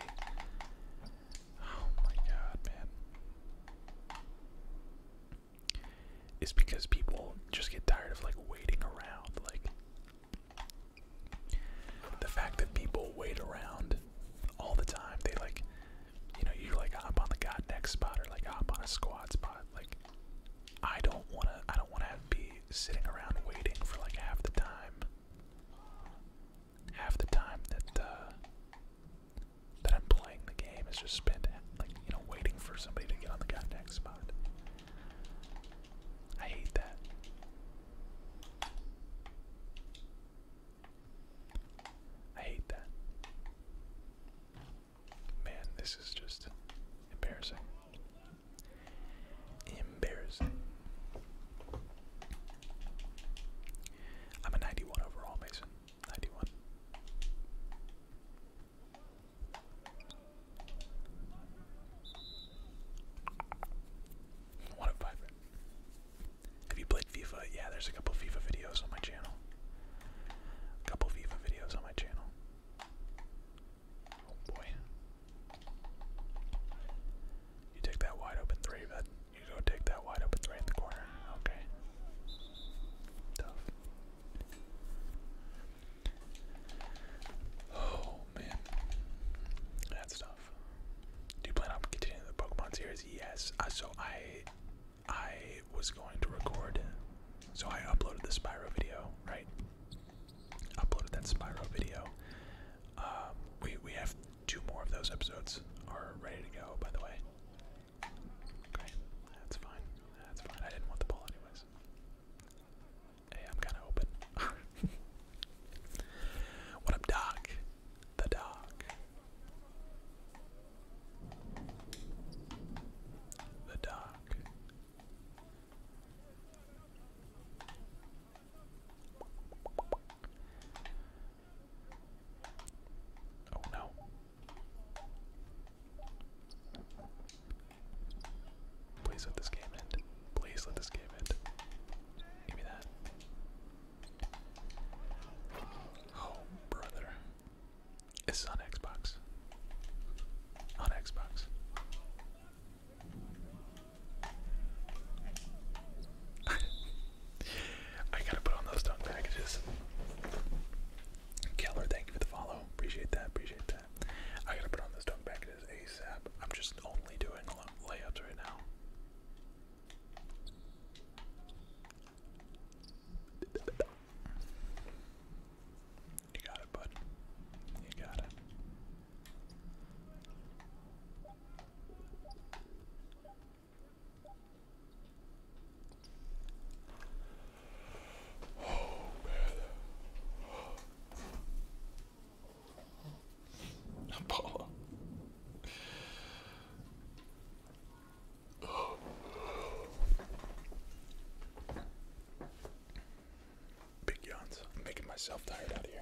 Oh my god, man. It's because people just get tired of like waiting around. Like the fact that people wait around all the time, they like you know, you are like hop on the god next spot or like hop on a squad spot. Like, I don't wanna, I don't wanna be sitting around waiting for like half the time, half the time that uh, that I'm playing the game is just spent like you know waiting for somebody to get on the god next spot. I hate that. I hate that. Man, this is just embarrassing. Embarrassing. I'm a 91 overall, Mason. 91. What a vibrant. Have you played FIFA? Yeah, there's a couple FIFA videos on my channel a couple Viva videos on my channel. Oh boy. You take that wide open three, but you go take that wide open three in the corner. Okay. Tough. Oh man. That's tough. Do you plan on continuing the Pokemon series? Yes. Uh, so I I was going to record, so I uploaded the Spyro video, right? Uploaded that Spyro video. Um, we we have two more of those episodes are ready to go. By the way, okay, that's fine. That's fine. I didn't want the ball anyways. Hey, I'm kind of open. what up, Doc? The Doc. The dark. Oh no. Please let this game end. Please let this game end. Give me that. Oh, brother. It's on Xbox. On Xbox. I gotta put on those dunk packages. Keller, thank you for the follow. Appreciate that. Appreciate that. I gotta put on those dunk packages ASAP. I'm just only doing layups right now. You got it, bud. You got it. Oh, man. Apollo. Big yawns. making myself tired out of here.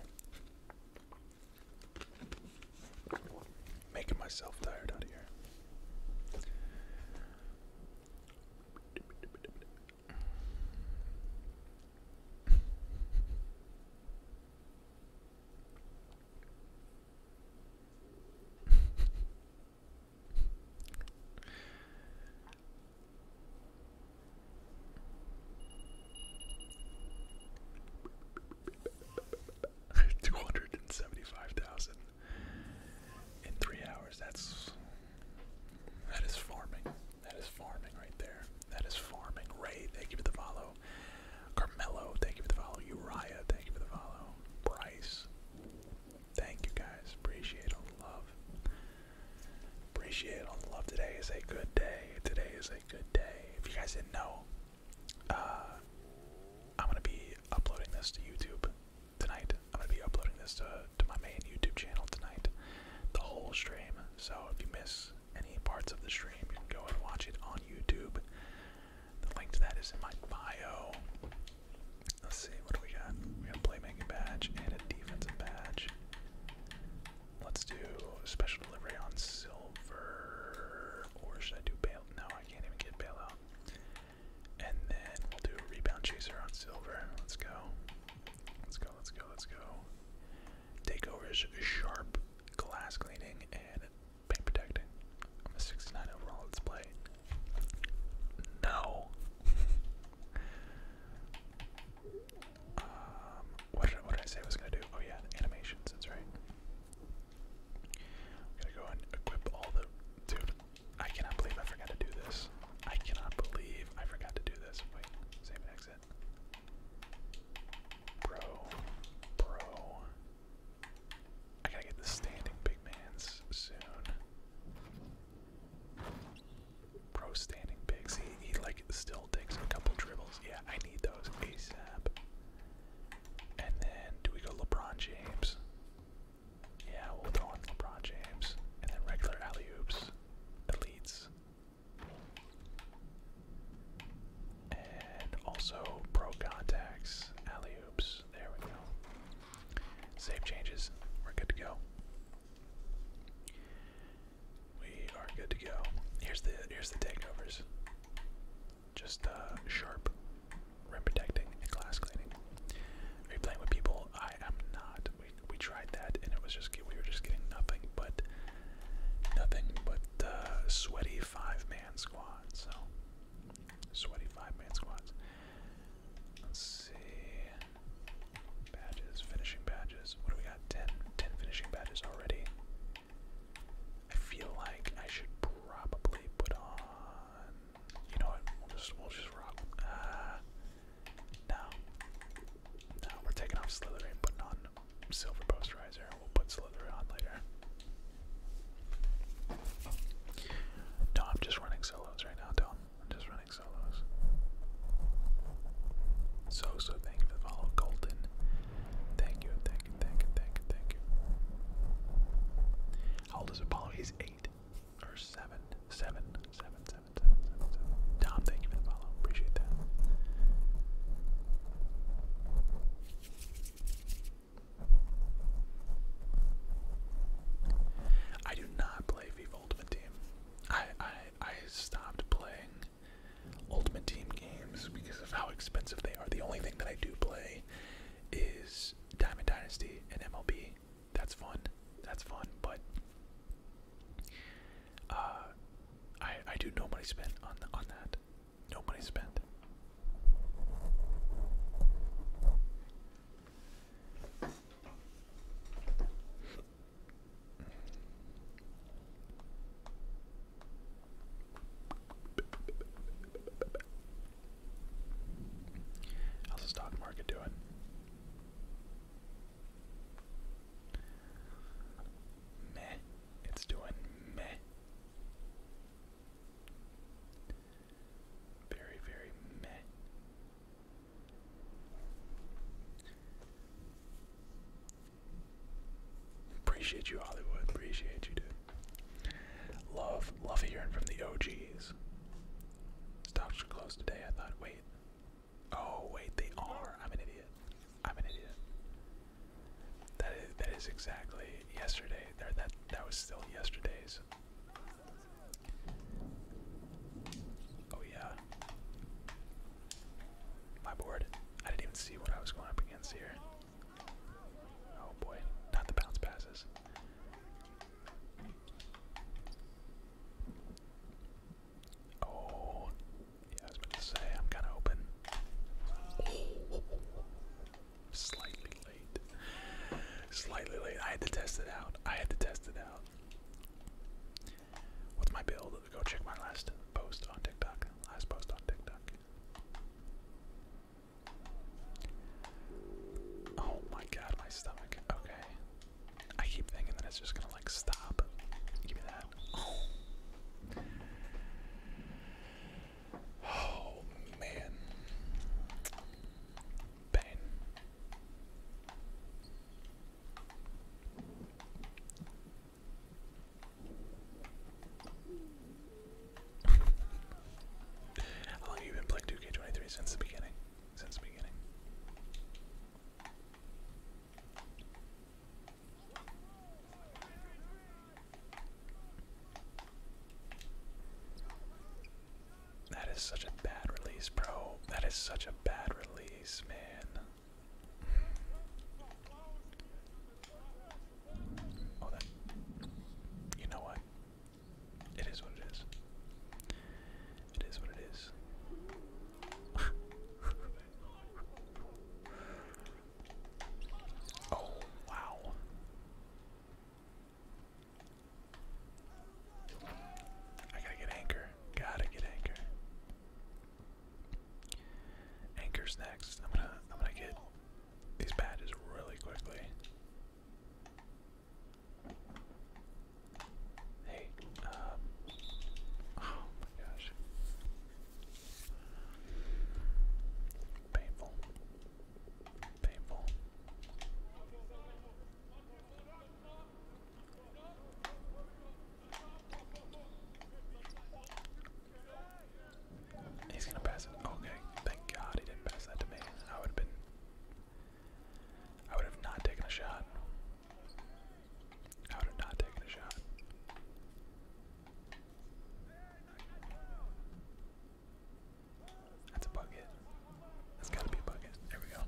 Making myself tired out of here. Two hundred and seventy-five thousand in three hours. That's that is farming. That is farming right there. That is farming. Ray, thank you for the follow. Carmelo, thank you for the follow. Uriah, thank you for the follow. Bryce, Thank you guys. Appreciate all the love. Appreciate all the love. Today is a good day. Today is a good day. If you guys didn't know, uh, I'm gonna be uploading this to YouTube tonight. I'm gonna be uploading this to to my main YouTube channel tonight. The whole stream. So if you miss any parts of the stream, you can go and watch it on YouTube. The link to that is in my bio. Let's see, what do we got? We got a playmaking badge and a defensive badge. Let's do special delivery on silver. Or should I do bail? No, I can't even get bailout. And then we'll do a rebound chaser on silver. Let's go. Let's go, let's go, let's go. Takeover sharp glass cleaning and paint protecting. I'm a 69 overall let play. No. um, what did, I say I was gonna do? Oh yeah, animations, that's right. I'm gonna go and equip all the dude. I cannot believe I forgot to do this. I cannot believe I forgot to do this. Wait, save exit. Bro, bro, I gotta get the standing big man's soon. Pro standing bigs. He, he like still takes a couple dribbles. Yeah, I need those ASAP. And then do we go LeBron James? Yeah, we'll throw in LeBron James. And then regular alley oops. Elites. And also pro contacts, alley oops. There we go. Save changes. We're good to go. We are good to go. Here's the here's the takeovers. Just uh, sharp, rim protecting, and glass cleaning. Are you playing with people? I am not. We we tried that, and it was just we were just getting nothing but nothing but uh, sweaty five man squads. So sweaty five man squads. Let's see. Badges, finishing badges. What do we got? 10, finishing badges already. I feel like I should probably put on. You know what? We'll just we'll just rock. Uh, no, no. We're taking off Slytherin, putting on Silver posterizer, and We'll put Slytherin on later. No, I'm just running solos right now, do I'm just running solos. So, so thank you for the follow, Colton. Thank you, thank you, thank you, thank you, thank you. How old is Apollo? He's eight or seven. Seven, seven, seven, seven, seven, seven. Tom, thank you for the follow. Appreciate that. I not play FIFA Ultimate Team. I I I stopped playing Ultimate Team games because of how expensive they are. The only thing that I do play is Diamond Dynasty and MLB. That's fun. That's fun, but uh I I do no money spent on on that. No money spent. How's the stock market doing? Meh. It's doing meh. Very, very meh. Appreciate you, Hollywood. Appreciate you, dude. Love, love hearing from the OGs. Stops are closed today. I thought, wait. Oh, wait, they are. I'm an idiot. I'm an idiot. That is that is exactly yesterday. There that that was still yesterday's Oh yeah. My board. I didn't even see what I was going up against here. Oh boy, not the bounce passes. Oh, yeah, I was about to say, I'm kind of open. Slightly Slightly late. I had to test it out. I had to test it out. What's my build? Go check my last post on TikTok. Last post on TikTok. Oh my god, my stomach. Okay. I keep thinking that it's just gonna like stop. Give me that. Oh man pain. How long have you been playing 2K23 since the beginning? Since the beginning. That is such a bad release, bro. That is such a bad release, man. Oh, that. You know what? It is what it is. It is what it is. oh, wow. I gotta get anchor. Gotta get anchor. Anchor's next. I'm gonna I'm gonna get these badges really quickly. Hey, um, Oh my gosh. Painful. Painful. He's gonna pass it. Okay, thank God he didn't pass that to me. I would have been. I would have not taken a shot. I would have not taken a shot. That's a bucket. That's gotta be a bucket. There we go.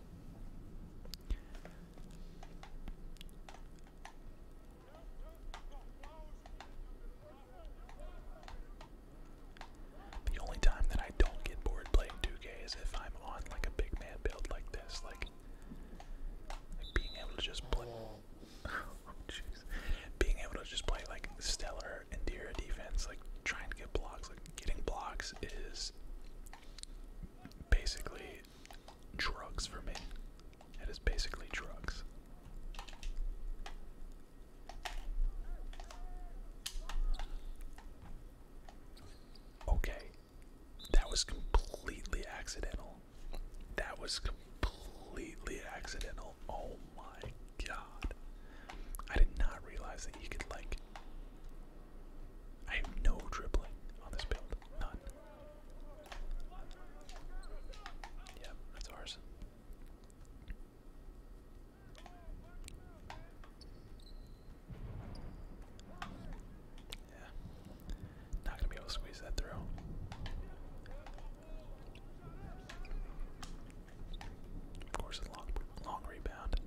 The only time that I don't get bored playing 2K is if I'm on like a big man build like this, like, being able to just play. Oh, being able to just play like stellar and defense, like trying to get blocks, like Getting blocks is basically drugs for me. It is basically drugs. Okay. That was completely accidental. That was completely accidental. Oh my god. I did not realize that you could, like, I have no dribbling on this build. None. Yep, that's ours. Yeah. Not gonna be able to squeeze that through. Of course, a long, long rebound.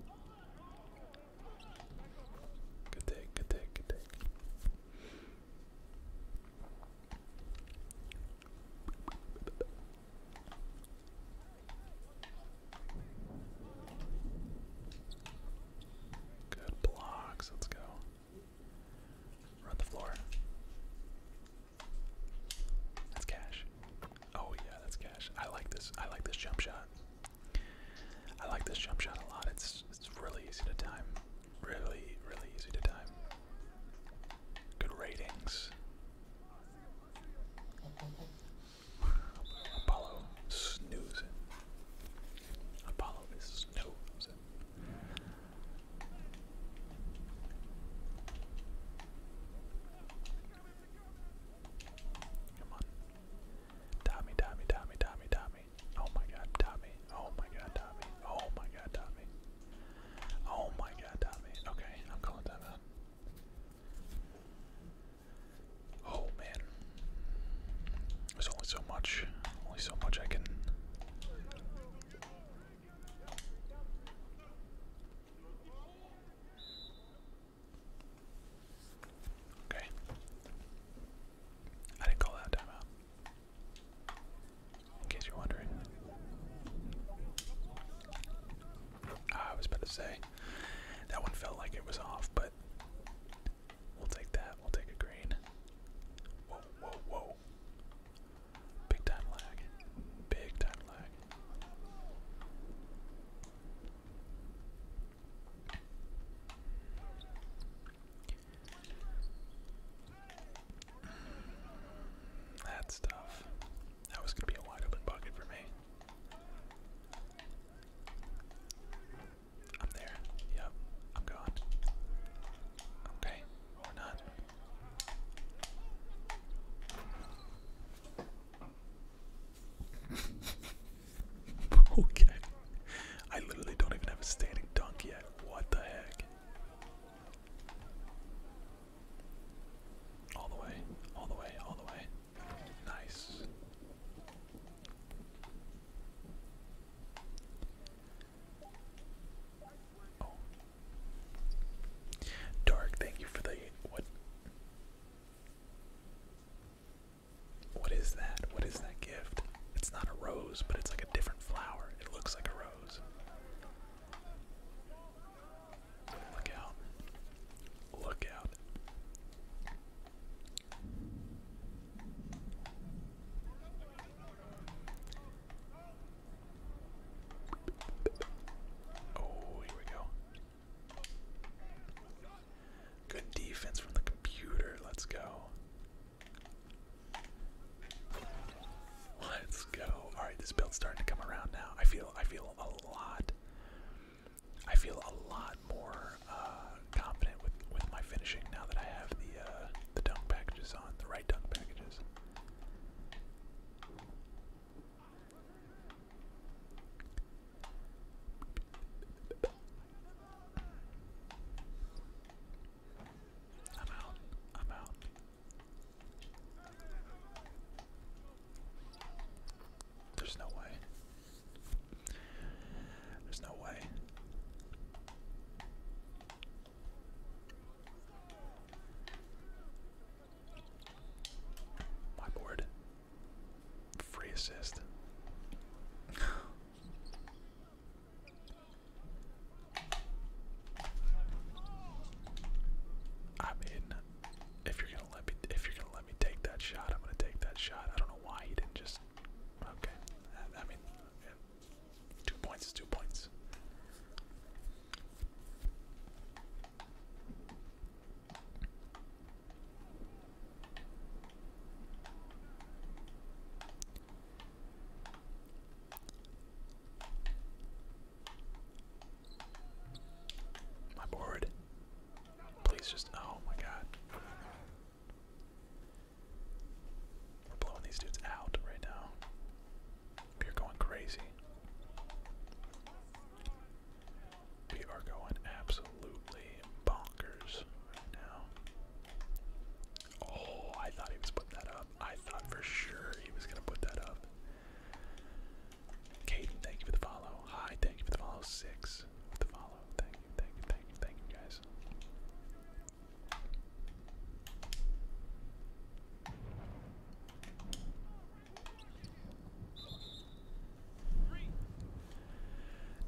Good take, good take, good take. Good blocks, let's go. Run the floor. That's cash. Oh yeah, that's cash. I like this. I like this jump shot. I like this jump shot a lot. It's it's really easy to time. Really, really easy to time. Good ratings. Apollo snoozing. Apollo is snoozing. Tommy, Tommy, Tommy, Tommy, Tommy. Oh my god, Tommy. Oh my god, Tommy. Oh my god, Tommy. Oh my god, Tommy. Okay, I'm calling that out. Oh man. There's only so much. Only so much I can. Okay. I didn't call out timeout. In case you're wondering. I was about to say that one felt like it was off, but we'll take that. We'll take a green. Whoa, whoa, whoa. Big time lag. Big time lag. That's tough. That was going to be a wide open bucket for me. I'm there. Yep. I'm gone. Okay. Or not. okay. I literally don't even have a standing dunk yet. What the heck? All the way, all the way, all the way. Nice. Oh. Dark, thank you for the what? What is that? What is that gift? It's not a rose, but it's like a different flower. It looks like a rose. Look out. Look out. Oh, here we go. Good defense from the computer. Let's go. Let's go. Alright, this build's starting to come around now. I feel I feel a lot I feel a lot more uh, confident with, with my finishing now that I have the uh, the dunk packages on, the right dunk packages. I'm out. I'm out. There's no way. There's no way. My board. Free assist. I mean, if you're gonna let me, if you're gonna let me take that shot, I'm gonna take that shot. I don't know why he didn't just. Okay, I, mean, two points is two points. My board. Please just. Oh my god. We're blowing these dudes out right now. You're going crazy. We are going absolutely bonkers right now. Oh, I thought he was putting that up. I thought for sure he was going to put that up. Caden, thank you for the follow. Hi, thank you for the follow. Six the follow. Thank you, thank you, thank you, thank you, guys.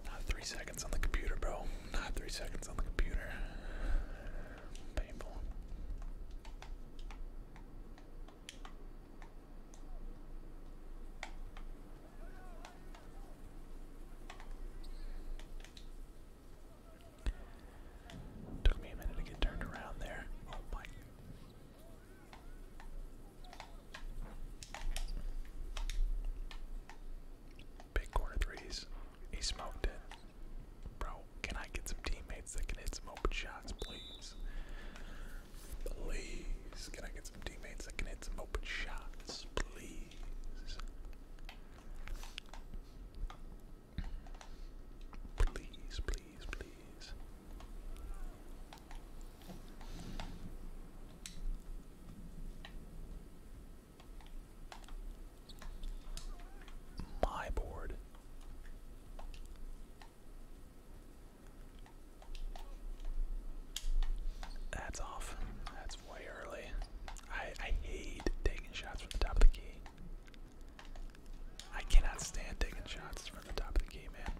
Not three seconds on the computer, bro. Not three seconds on the computer. Painful. Took me a minute to get turned around there. Oh my Big corner threes. He smoked it. Bro, can I get some teammates that can hit some open shots, please? Please, can I get some teammates that can hit some open shots, please? Please, please, please. My board. That's off. That's way early. I, I hate taking shots from the top of the key. I cannot stand taking shots from the top of the key, man.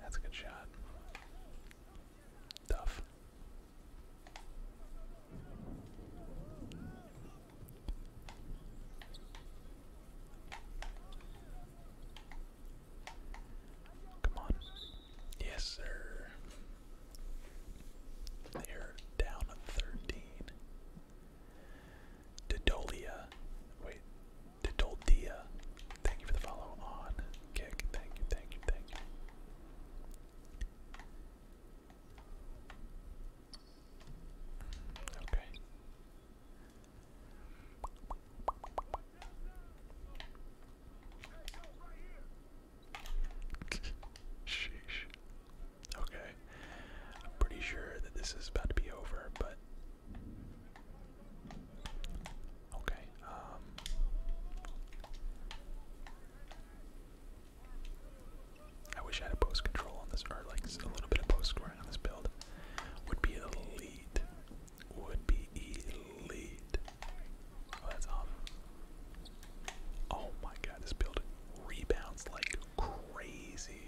That's a good shot. Tough. Come on. Yes, sir. They're down 13. Didolia. Wait. Didoldia. Thank you for the follow on kick. Thank you, thank you, thank you. Okay. Sheesh. Okay. I'm pretty sure that this is about to be over, but. Okay. Um. I wish I had a post control on this, or like a little bit of post scoring on this build. Would be elite. Would be elite. Oh, um, oh, my god, this building rebounds like crazy.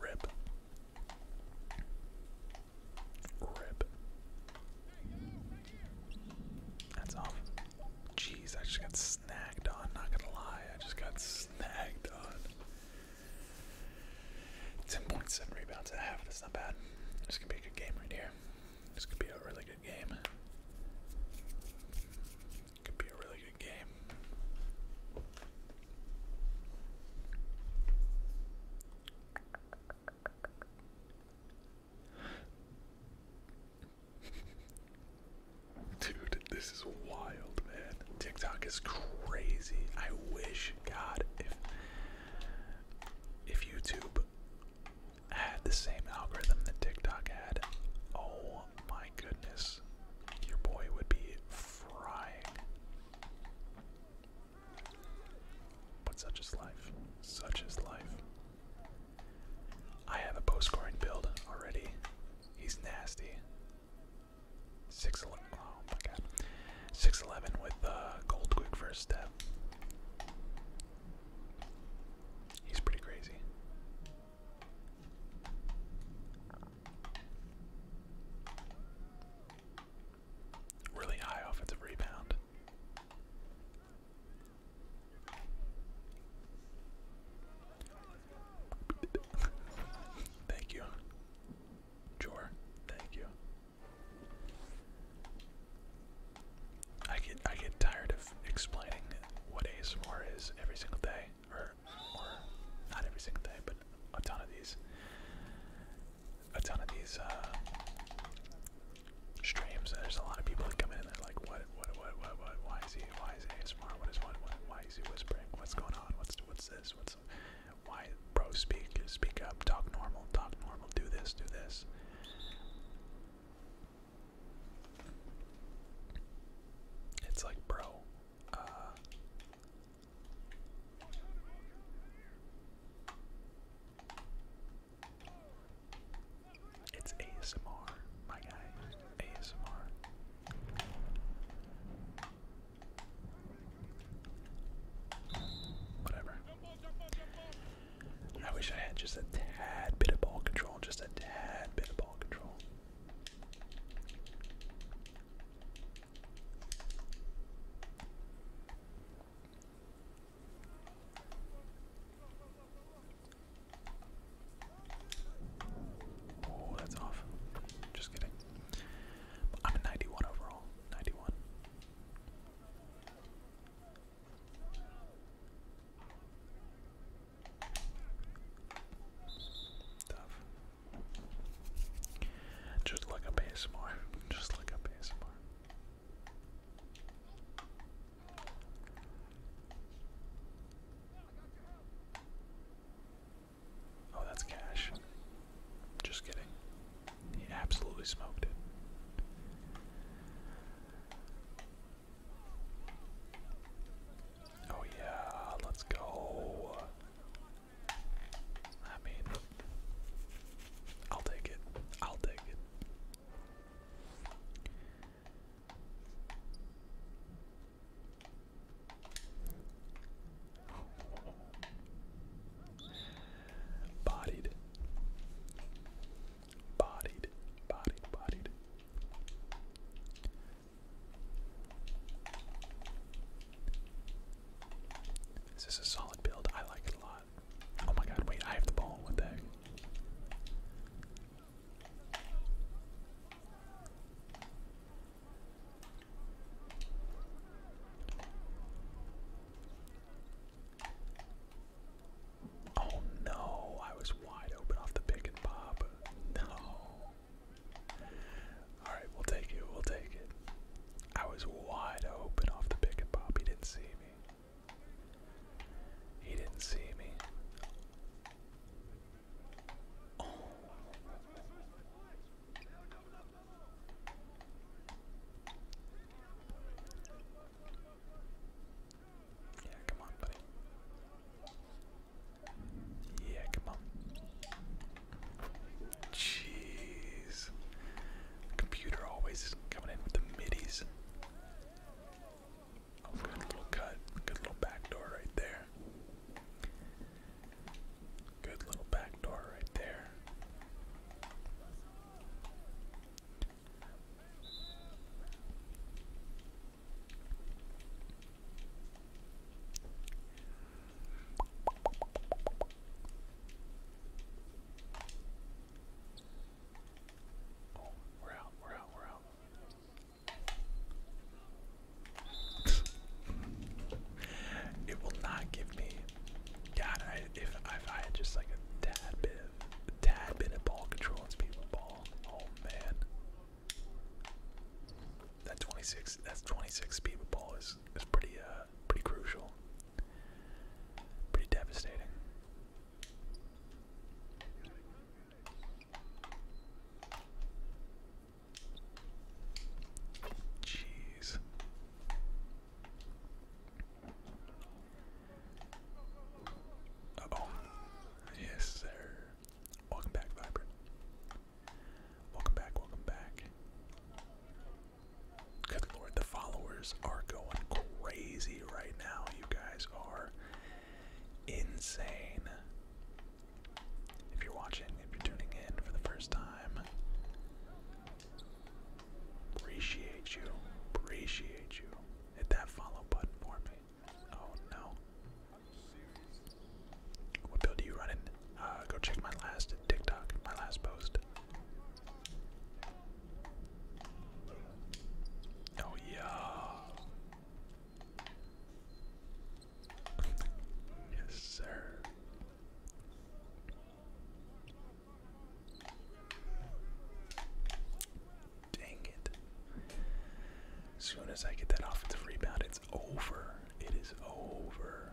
Rip. Rip. That's off. Um, jeez, I just got snagged on, not gonna lie. I just got snagged on. 10.7 rebounds at half, that's not bad. This could be a good game right here. This could be a really good game. Could be a really good game. Dude, this is wild, man. TikTok is crazy. I wish, God, if if YouTube had the same algorithm that TikTok had, oh my goodness, your boy would be frying. But such is life. Such is life. I have a post scoring build already. He's nasty. Six eleven. Oh my god. Six eleven with uh, a gold quick first step. He's pretty crazy. Really high offensive rebound thank you. Jor, thank you. I get I get tired of explaining what ASMR is every single day, or or not every single day, but a ton of these, a ton of these uh, streams. There's a lot of people that come in and like, what, what, what, what, what? Why is he? why is ASMR? What is he whispering? What's going on? What's what's this? What's why? Bro, speak, speak up, talk normal, talk normal. Do this, do this. It's like, bro. Uh, it's ASMR, my guys. ASMR. Whatever. I wish I had just a tad bit of ball control, just a tad bit of ball control. Oh, that's off. Just kidding. I'm a 91 overall. 91. Tough. Just look up ASMR. Just look up ASMR. Oh, that's cash. Just kidding. He absolutely smoked it. Oh, yeah, let's go. I mean, I'll take it. I'll take it. Bodied. Bodied. Bodied. Bodied. This a solid build. I like it a lot. Oh my god, wait, I have the ball. What the Oh no, I was wide open off the pick and pop. No. Alright, we'll take it, we'll take it. I was wide open off the pick and pop. He didn't see me. He didn't see me. Yeah, come on, buddy. Yeah, come on. Jeez. Computer always coming in with the middies. Oh, good little cut. Good little back door right there. Good little back door right there. Oh, we're out, we're out, we're out it will not give me. God, if, I just like a tad bit, tad bit of ball control and speed oh man, that 26, that's 26 speed ball is is pretty uh pretty crucial, pretty devastating. Jeez. oh. Yes, sir. Welcome back, Vibrant. Welcome back, welcome back. Good lord, the followers are going crazy right now. You guys are insane. If you're watching, if you're tuning in for the first time, appreciate you, appreciate you. Hit that follow button for me. Oh no. What build are you running? Uh, go check my last TikTok, my last post. Oh yeah. Yes, sir. Dang it. As soon as I get that offensive rebound, it's over. It is over.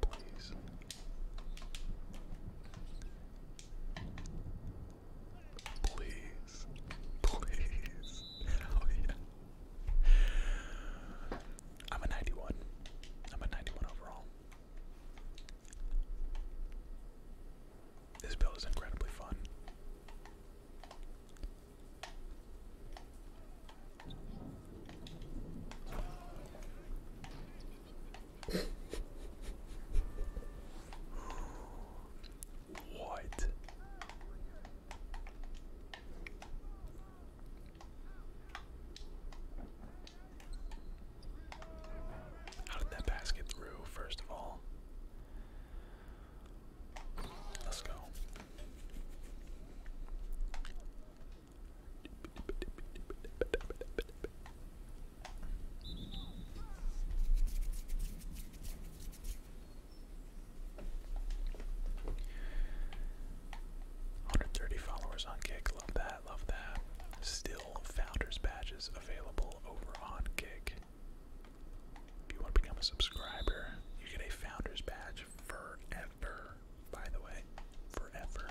Please. Please. Please. Oh, I'm a 91. I'm a 91 overall. This build is incredibly fun. what? How did that pass get through, first of all? Let's go. Hundred thirty followers on Kick. Love that. Love that. Still founders badges available over on Kick. If you want to become a subscriber, you get a founder's badge forever, by the way. Forever.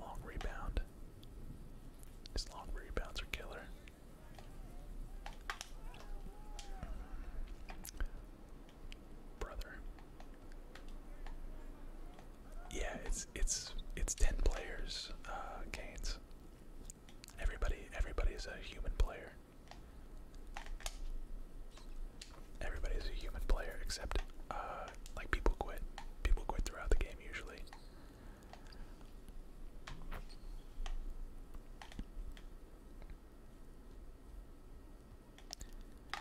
Long rebound. These long rebounds are killer. Brother. Yeah, it's it's it's ten players, uh, Canes. Everybody everybody's a human player. Everybody's a human player except uh, like people quit. People quit throughout the game usually.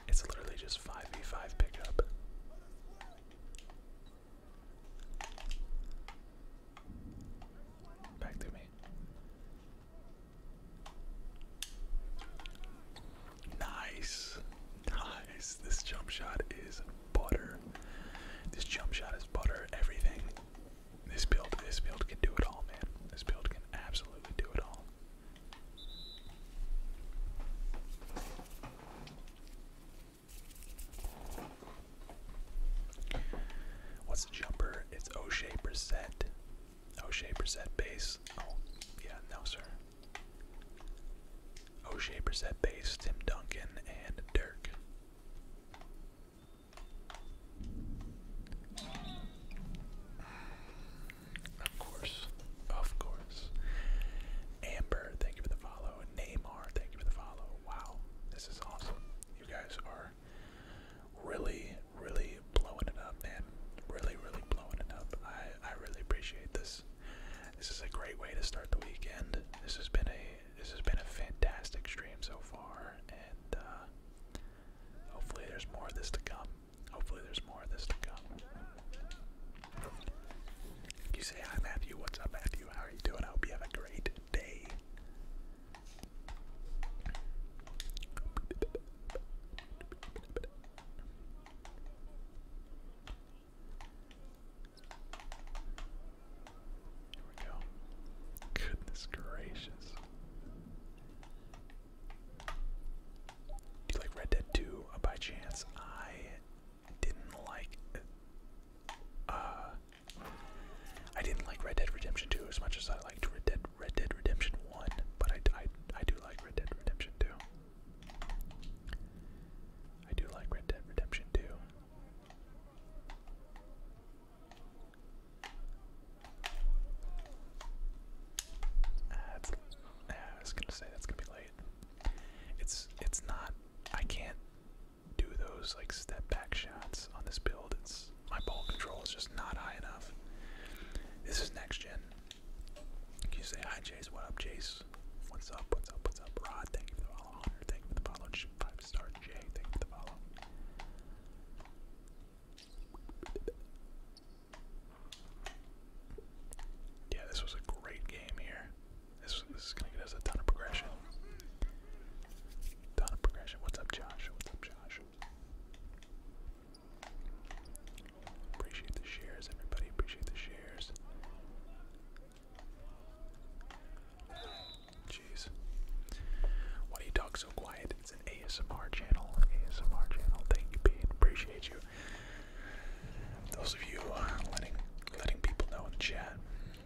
It's literally just 5v5 pickup. Back to me. Nice. Nice. This jump shot is butter. This jump shot is butter. Everything. This build, this build can do it all, man. This build can absolutely do it all. What's the jumper? It's O'Shea Brissett. O'Shea Brissett base. Oh, yeah, no, sir. O'Shea Brissett base, Tim Duncan, and Dirk. Of course. Of course. Amber, thank you for the follow. Neymar, thank you for the follow. Wow, this is awesome. You guys are really, really blowing it up, man. Really, really blowing it up. I, I really appreciate this. This is a great way to start the weekend. This has been a this has been a fantastic stream so far, and uh, hopefully there's more of this to come. Hopefully there's more of this to come. You say hi, Matthew. What's up, Matthew? How are you doing? I hope you have a great day. Here we go. Goodness gracious. Do you like Red Dead 2? Uh, by chance, I didn't like. Uh, I didn't like Red Dead Redemption 2 as much as I liked Red Dead Red Dead Redemption 1, but I, I, I do like Red Dead Redemption 2. I do like Red Dead Redemption 2. Uh, it's, I was gonna say that's gonna be late. It's it's not. I can't do those like step back shots on this build. It's my ball control is just not high enough. This is next gen, can you say hi, Jace? What up, Jace? What's up? What's up? What's up? Rod, thank you for the follow. Hunter, thank you for the follow. Five star Jay, thank you for the follow. Yeah, this was a great game here. This, this is gonna get us a ton of progression. Ton of progression. What's up, Josh? What's up, Josh? Appreciate the shares, everybody. Appreciate the shares. Jeez. Why do you talk so quiet? It's an ASMR channel. ASMR channel. Thank you, Pete. Appreciate you. Those of you uh, letting letting people know in the chat,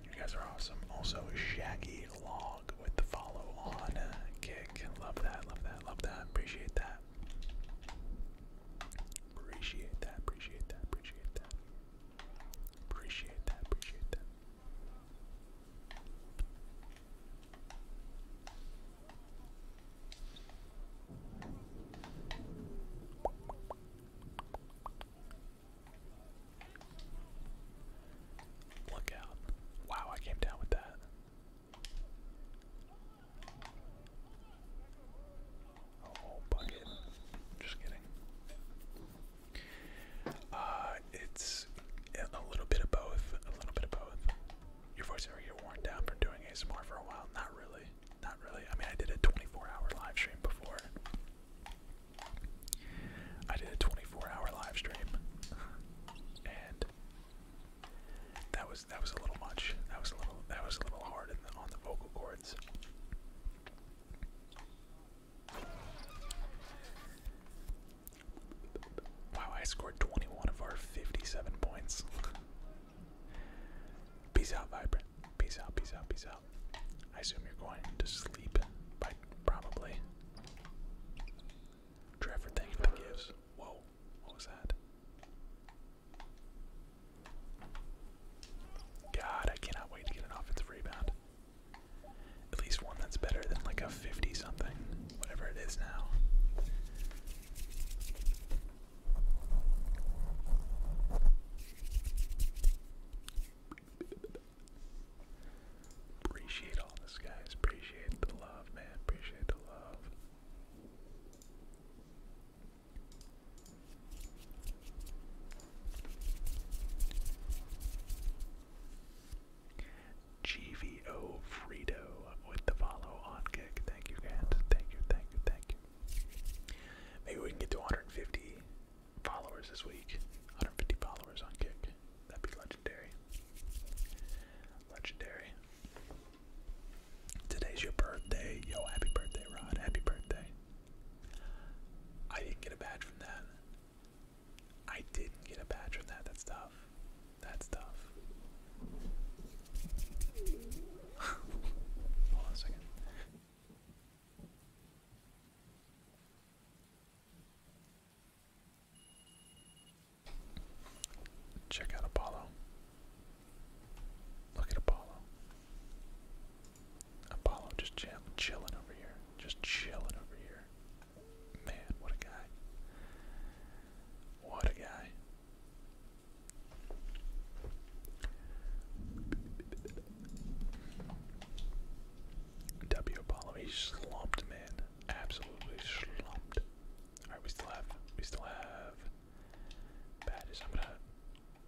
you guys are awesome. Also, Shaggy Log with the follow on uh, kick. Love that. Love that. Love that. Appreciate that. Appreciate that, appreciate that, appreciate that. Appreciate that, appreciate that. Look out. Wow, I came down with that. Oh, Just kidding. Uh, it's a little bit of both. A little bit of both. Your voice ever get worn down from doing ASMR for a while? Not really. Not really. I mean, I did a 24-hour live stream before. I did a 24-hour live stream, and that was that was a little much. That was a little that was a little hard on the vocal cords. Wow, I scored 21 of our 57 points. peace out, Vibrant. Peace out, peace out, peace out. I assume you're going to sleep probably. Trevor, thank you for the gifts. Whoa. What was that? God, I cannot wait to get an offensive rebound. At least one that's better than like a 50 something, whatever it is now. Appreciate all this, guys. Appreciate the love, man. Appreciate the love. GVO Frito with the follow on kick. Thank you guys. Thank you, thank you, thank you. Maybe we can get to 150 followers this week. 150 followers on kick. That'd be legendary. Legendary. Today's your birthday. Yo, happy birthday, Rod. Happy birthday. I didn't get a badge from that. I didn't get a badge from that. That's tough. That's tough. Hold on a second. Check out Apollo. Look at Apollo. Apollo just chill, chilling over here. Just chilling over here. Man, what a guy. What a guy. W Apollo, he slumped, man. Absolutely slumped. Alright, we still have we still have that is, I'm gonna,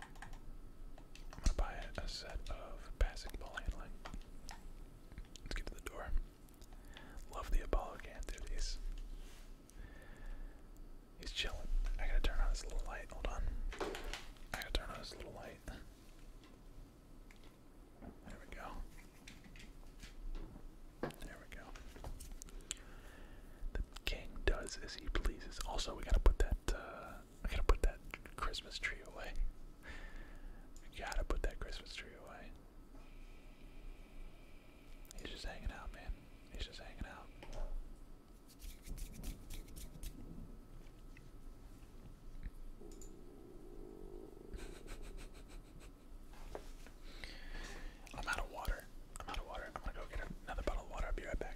I'm gonna buy a, a set of passing ball handling. Let's get to the door. Love the Apollo can, He's, he's chilling. I gotta turn on this little light. Hold on. I gotta turn on this little light. There we go. There we go. The king does as he pleases. Also, we gotta put that. Uh, I gotta put that Christmas tree away. I gotta put that Christmas tree away. He's just hanging out, man. He's just hanging out. I'm out of water. I'm out of water. I'm gonna go get another bottle of water. I'll be right back.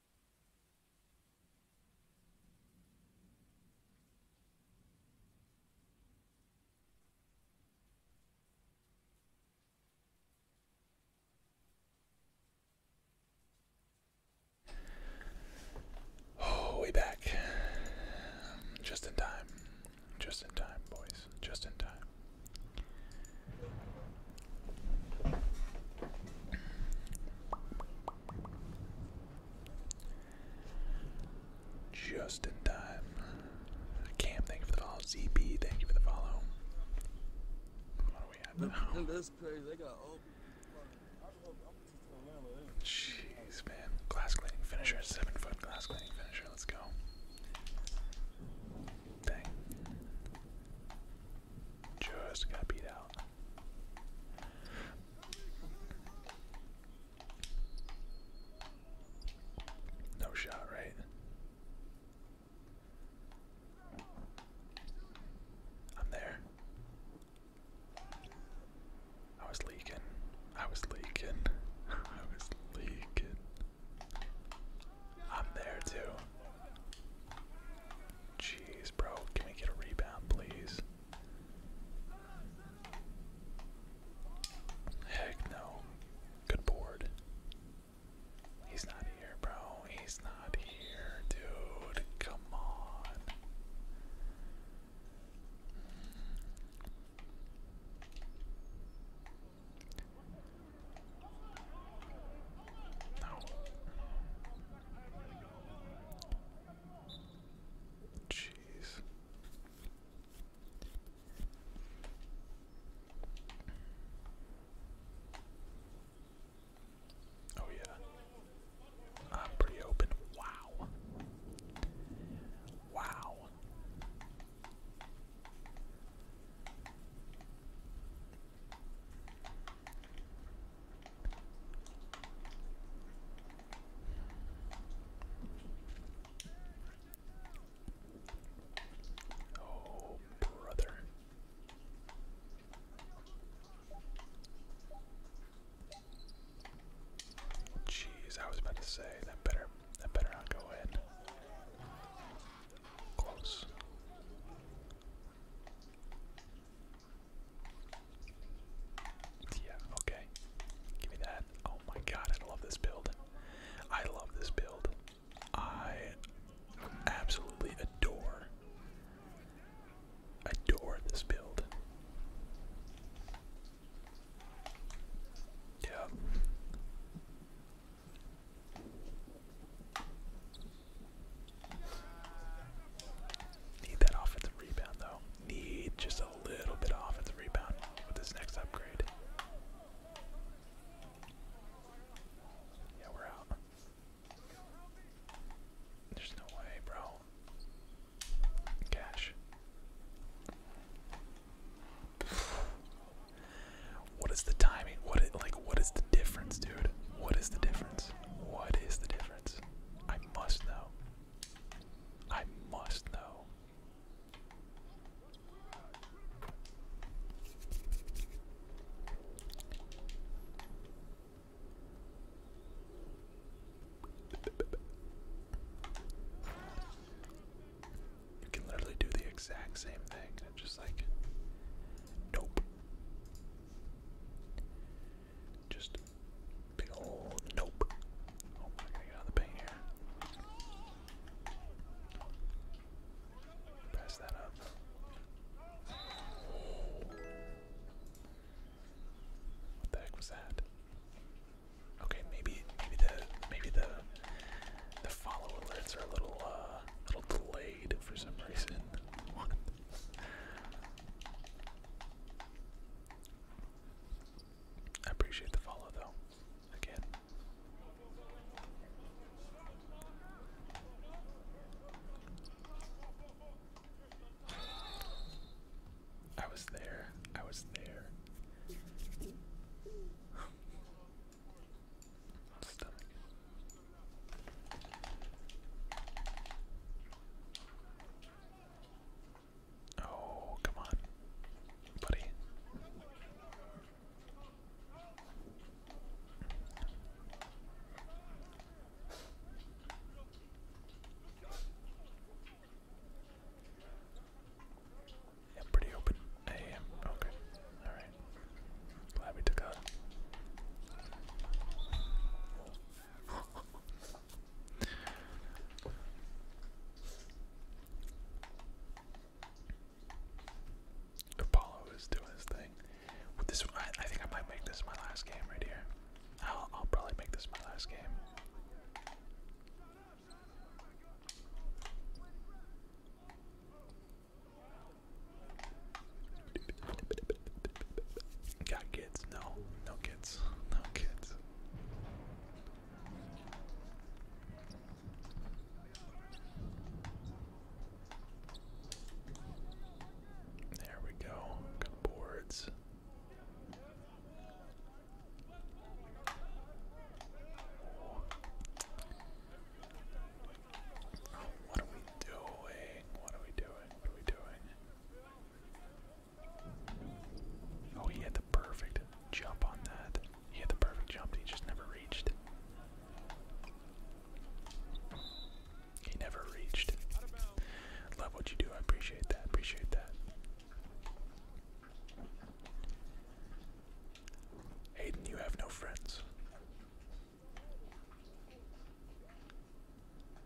Oh, way back. Just in time. Just in time, boys. Just in time. Just in time. Cam, thank you for the follow. ZB, thank you for the follow. What do we have now? Jeez, man. Glass cleaning finisher. Seven foot glass cleaning finisher. Let's go. Dang. Just got beat out. No shot, right? I'm there. I was leaking. I was leaking. I was leaking. I'm there too. Jeez, bro. Can we get a rebound, please? Heck no. Good board. He's not here, bro. He's not here, dude. Come on. No. Jeez. Oh, yeah. I'm pretty open. Wow. Wow. Oh, brother. Jeez, I was about to say that better that better not go in. Close. Yeah, okay. Give me that. Oh my god, I love this build. I love this build. I absolutely adore adore this build. Yeah. Need that offensive rebound though. Need just a little bit of offensive rebound with this next upgrade. Yeah, we're out. There's no way, bro. Cash. What is the timing? What is, like what is the difference, dude? What is the difference? What is the difference? I must know. I must know. You can literally do the exact same thing and just like, nope. Just nope. Oh, I gotta get out the paint here. Press that up. What the heck was that? Okay, maybe maybe the maybe the the follow alerts are a little uh little delayed for some reason. I appreciate the follow though. Again. I was there. I was there. Stomach. Oh, come on, buddy. Yeah, pretty open. I am. Okay. Alright. Glad we took a Apollo is doing his thing. this, I, think I might make this my last game right here. I'll probably make this my last game. Got kids? No, no kids, no kids. There we go. Got boards. what are we doing? What are we doing? What are we doing? Oh, he had the perfect jump on that. He had the perfect jump he just never reached. He never reached. Love what you do. I appreciate that. Appreciate that. Aiden, you have no friends.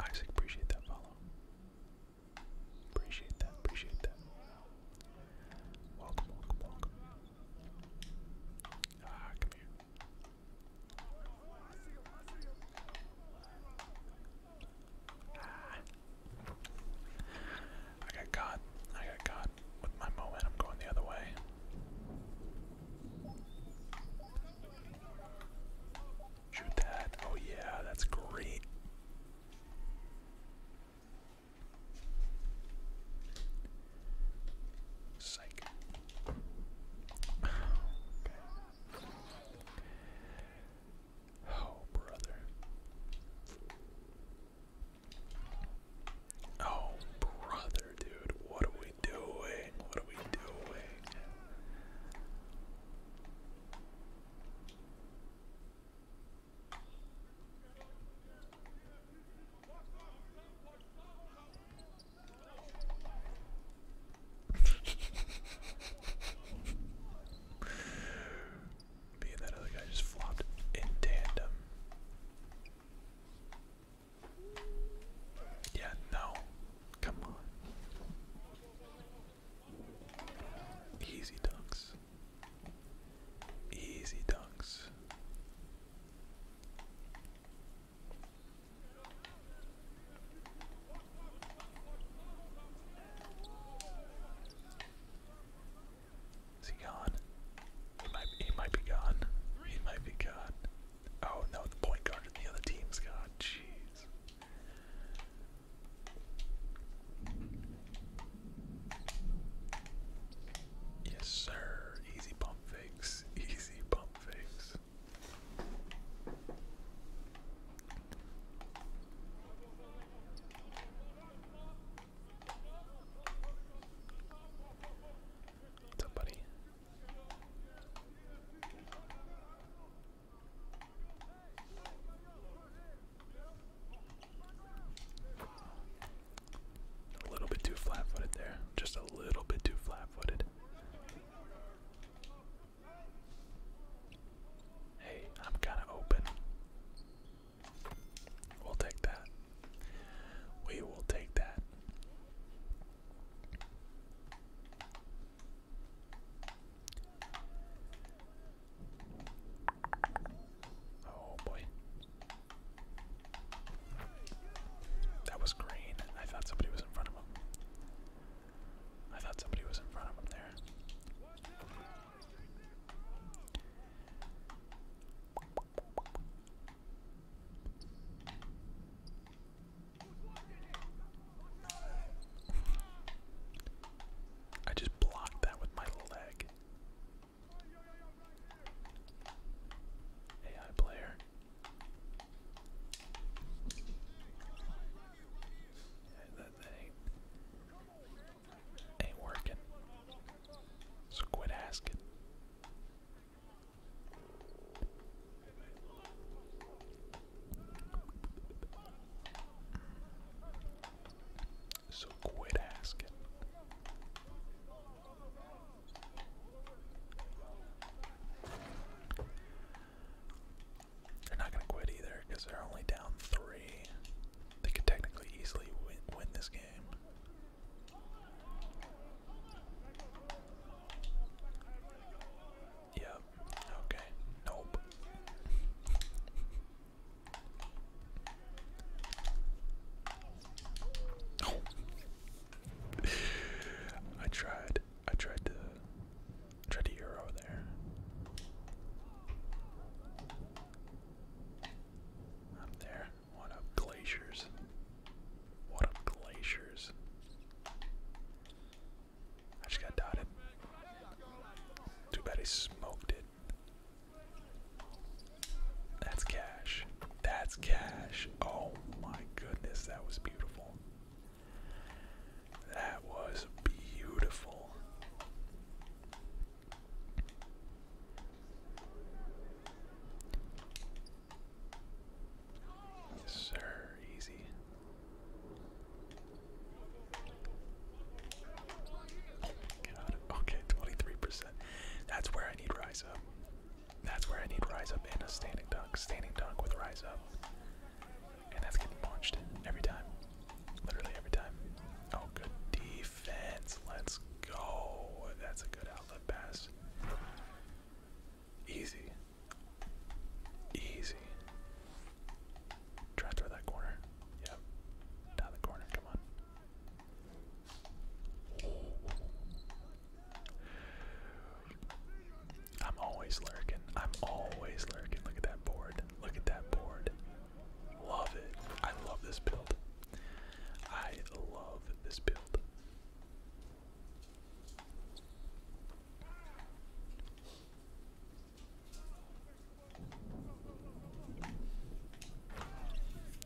Isaac, appreciate that follow. Appreciate that, appreciate that. Welcome, welcome, welcome. Ah, come here. Ah. I got caught. I got caught with my momentum going the other way. Shoot that. Oh, yeah, that's great. Psych. Oh, brother. Oh, brother, dude. What are we doing? What are we doing? Me and that other guy just flopped in tandem. Yeah, no. Come on. Easy dunks. Easy dunks. Is he gone? He might, he might be gone. He might be gone. Oh no, the point guard in the other team's gone. Jeez. Yes, sir. Easy pump fakes. Easy pump fakes. What's up, buddy? A little bit too flat footed there. Just a little bit too flat footed. Hey, I'm kind of open. We'll take that. We will take that. Oh boy. That was green. I thought somebody was in front of him. I thought somebody was in front of him there. I just blocked that with my leg. AI player. that ain't, ain't working. So quit asking. So quit asking. They're not going to quit either because they're only down three. They could technically easily win, win this game. Yep. Okay. Nope. I tried. I tried to tried to euro there. Up there. What up glaciers? What up glaciers? I just got dotted. Too bad he smoked it. That's cash. That's cash. Oh my goodness, that was beautiful. That was beautiful. sir. Easy okay, 23%. That's where I need Rise Up. That's where I need Rise Up and a standing dunk. Standing dunk with Rise Up. And that's getting punched every time. Literally every time. Oh, good defense. Let's go. That's a good outlet pass. Easy. Easy. Try through that corner. Yep. Down the corner. Come on. I'm always lurking. I'm always lurking. Look at that board. Look at that board. Love it. I love this build. I love this build.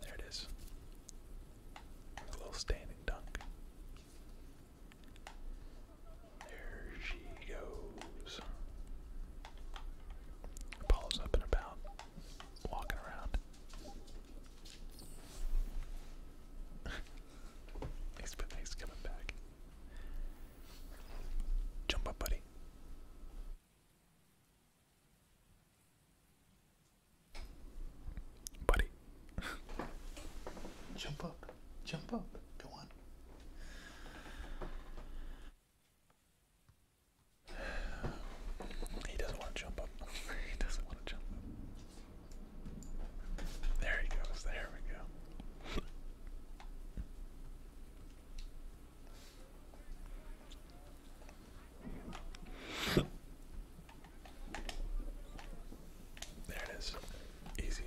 There it is. A little standing dunk. There she goes. Paul's up and about, walking around. he's, he's coming back. Jump up, buddy. Buddy. Jump up. Jump up. Go on. He doesn't want to jump up. he doesn't want to jump up. There he goes. There we go. There it is. Easy.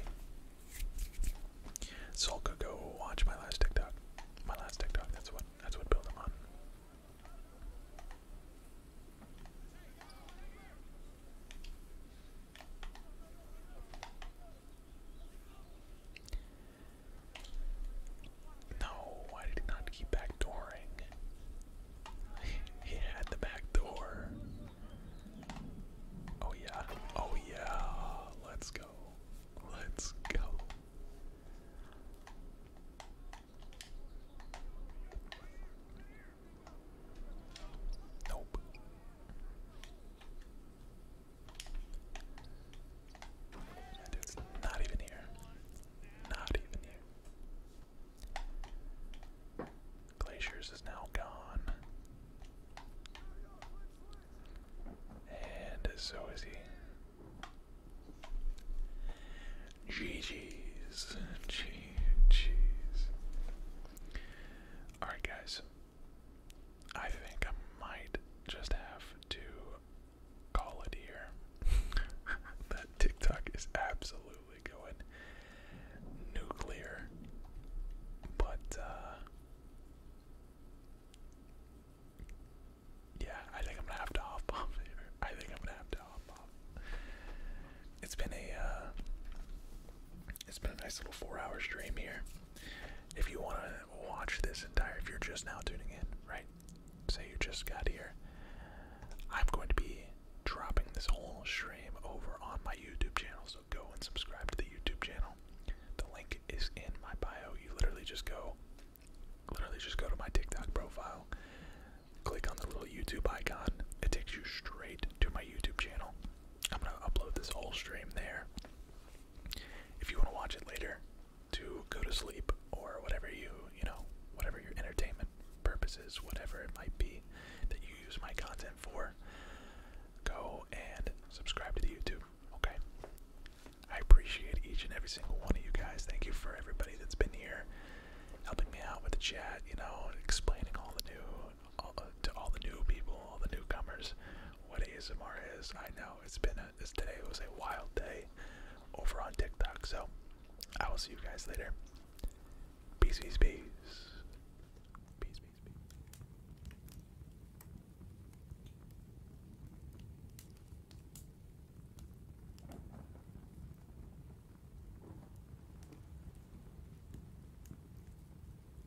Soul go watch my last TikTok. My last TikTok, that's what that's what built him on. No, why did he not keep backdooring? he had the back door. Oh yeah. Oh yeah. Let's go. Let's go. Nope. That not even here. Not even here. Glaciers is now gone. And so is he. GG's. GG's. Alright, guys. I think I might just have to call it here. that TikTok is absolutely going nuclear. But, uh, Yeah, I think I'm gonna have to hop off here. I think I'm gonna have to hop off. It's been a uh, it's been a nice little four hours stream here. If you want to watch this entire, if you're just now tuning in, right? Say you just got here. I'm going to be dropping this whole stream over on my YouTube channel, so go and subscribe to the YouTube channel. The link is in my bio. You literally just go, literally just go to my TikTok profile, click on the little YouTube icon. It takes you straight to my YouTube channel. I'm gonna upload this whole stream there if you want to watch it later to go to sleep or whatever you, you know, whatever your entertainment purposes, whatever it might be that you use my content for, go and subscribe to the YouTube, okay? I appreciate each and every single one of you guys. Thank you for everybody that's been here helping me out with the chat, you know, explaining all the new to all the new people, all the newcomers, what ASMR is. I know it's been a, this today was a wild day over on TikTok. So I will see you guys later. Peace, peace, peace. Peace, peace, peace.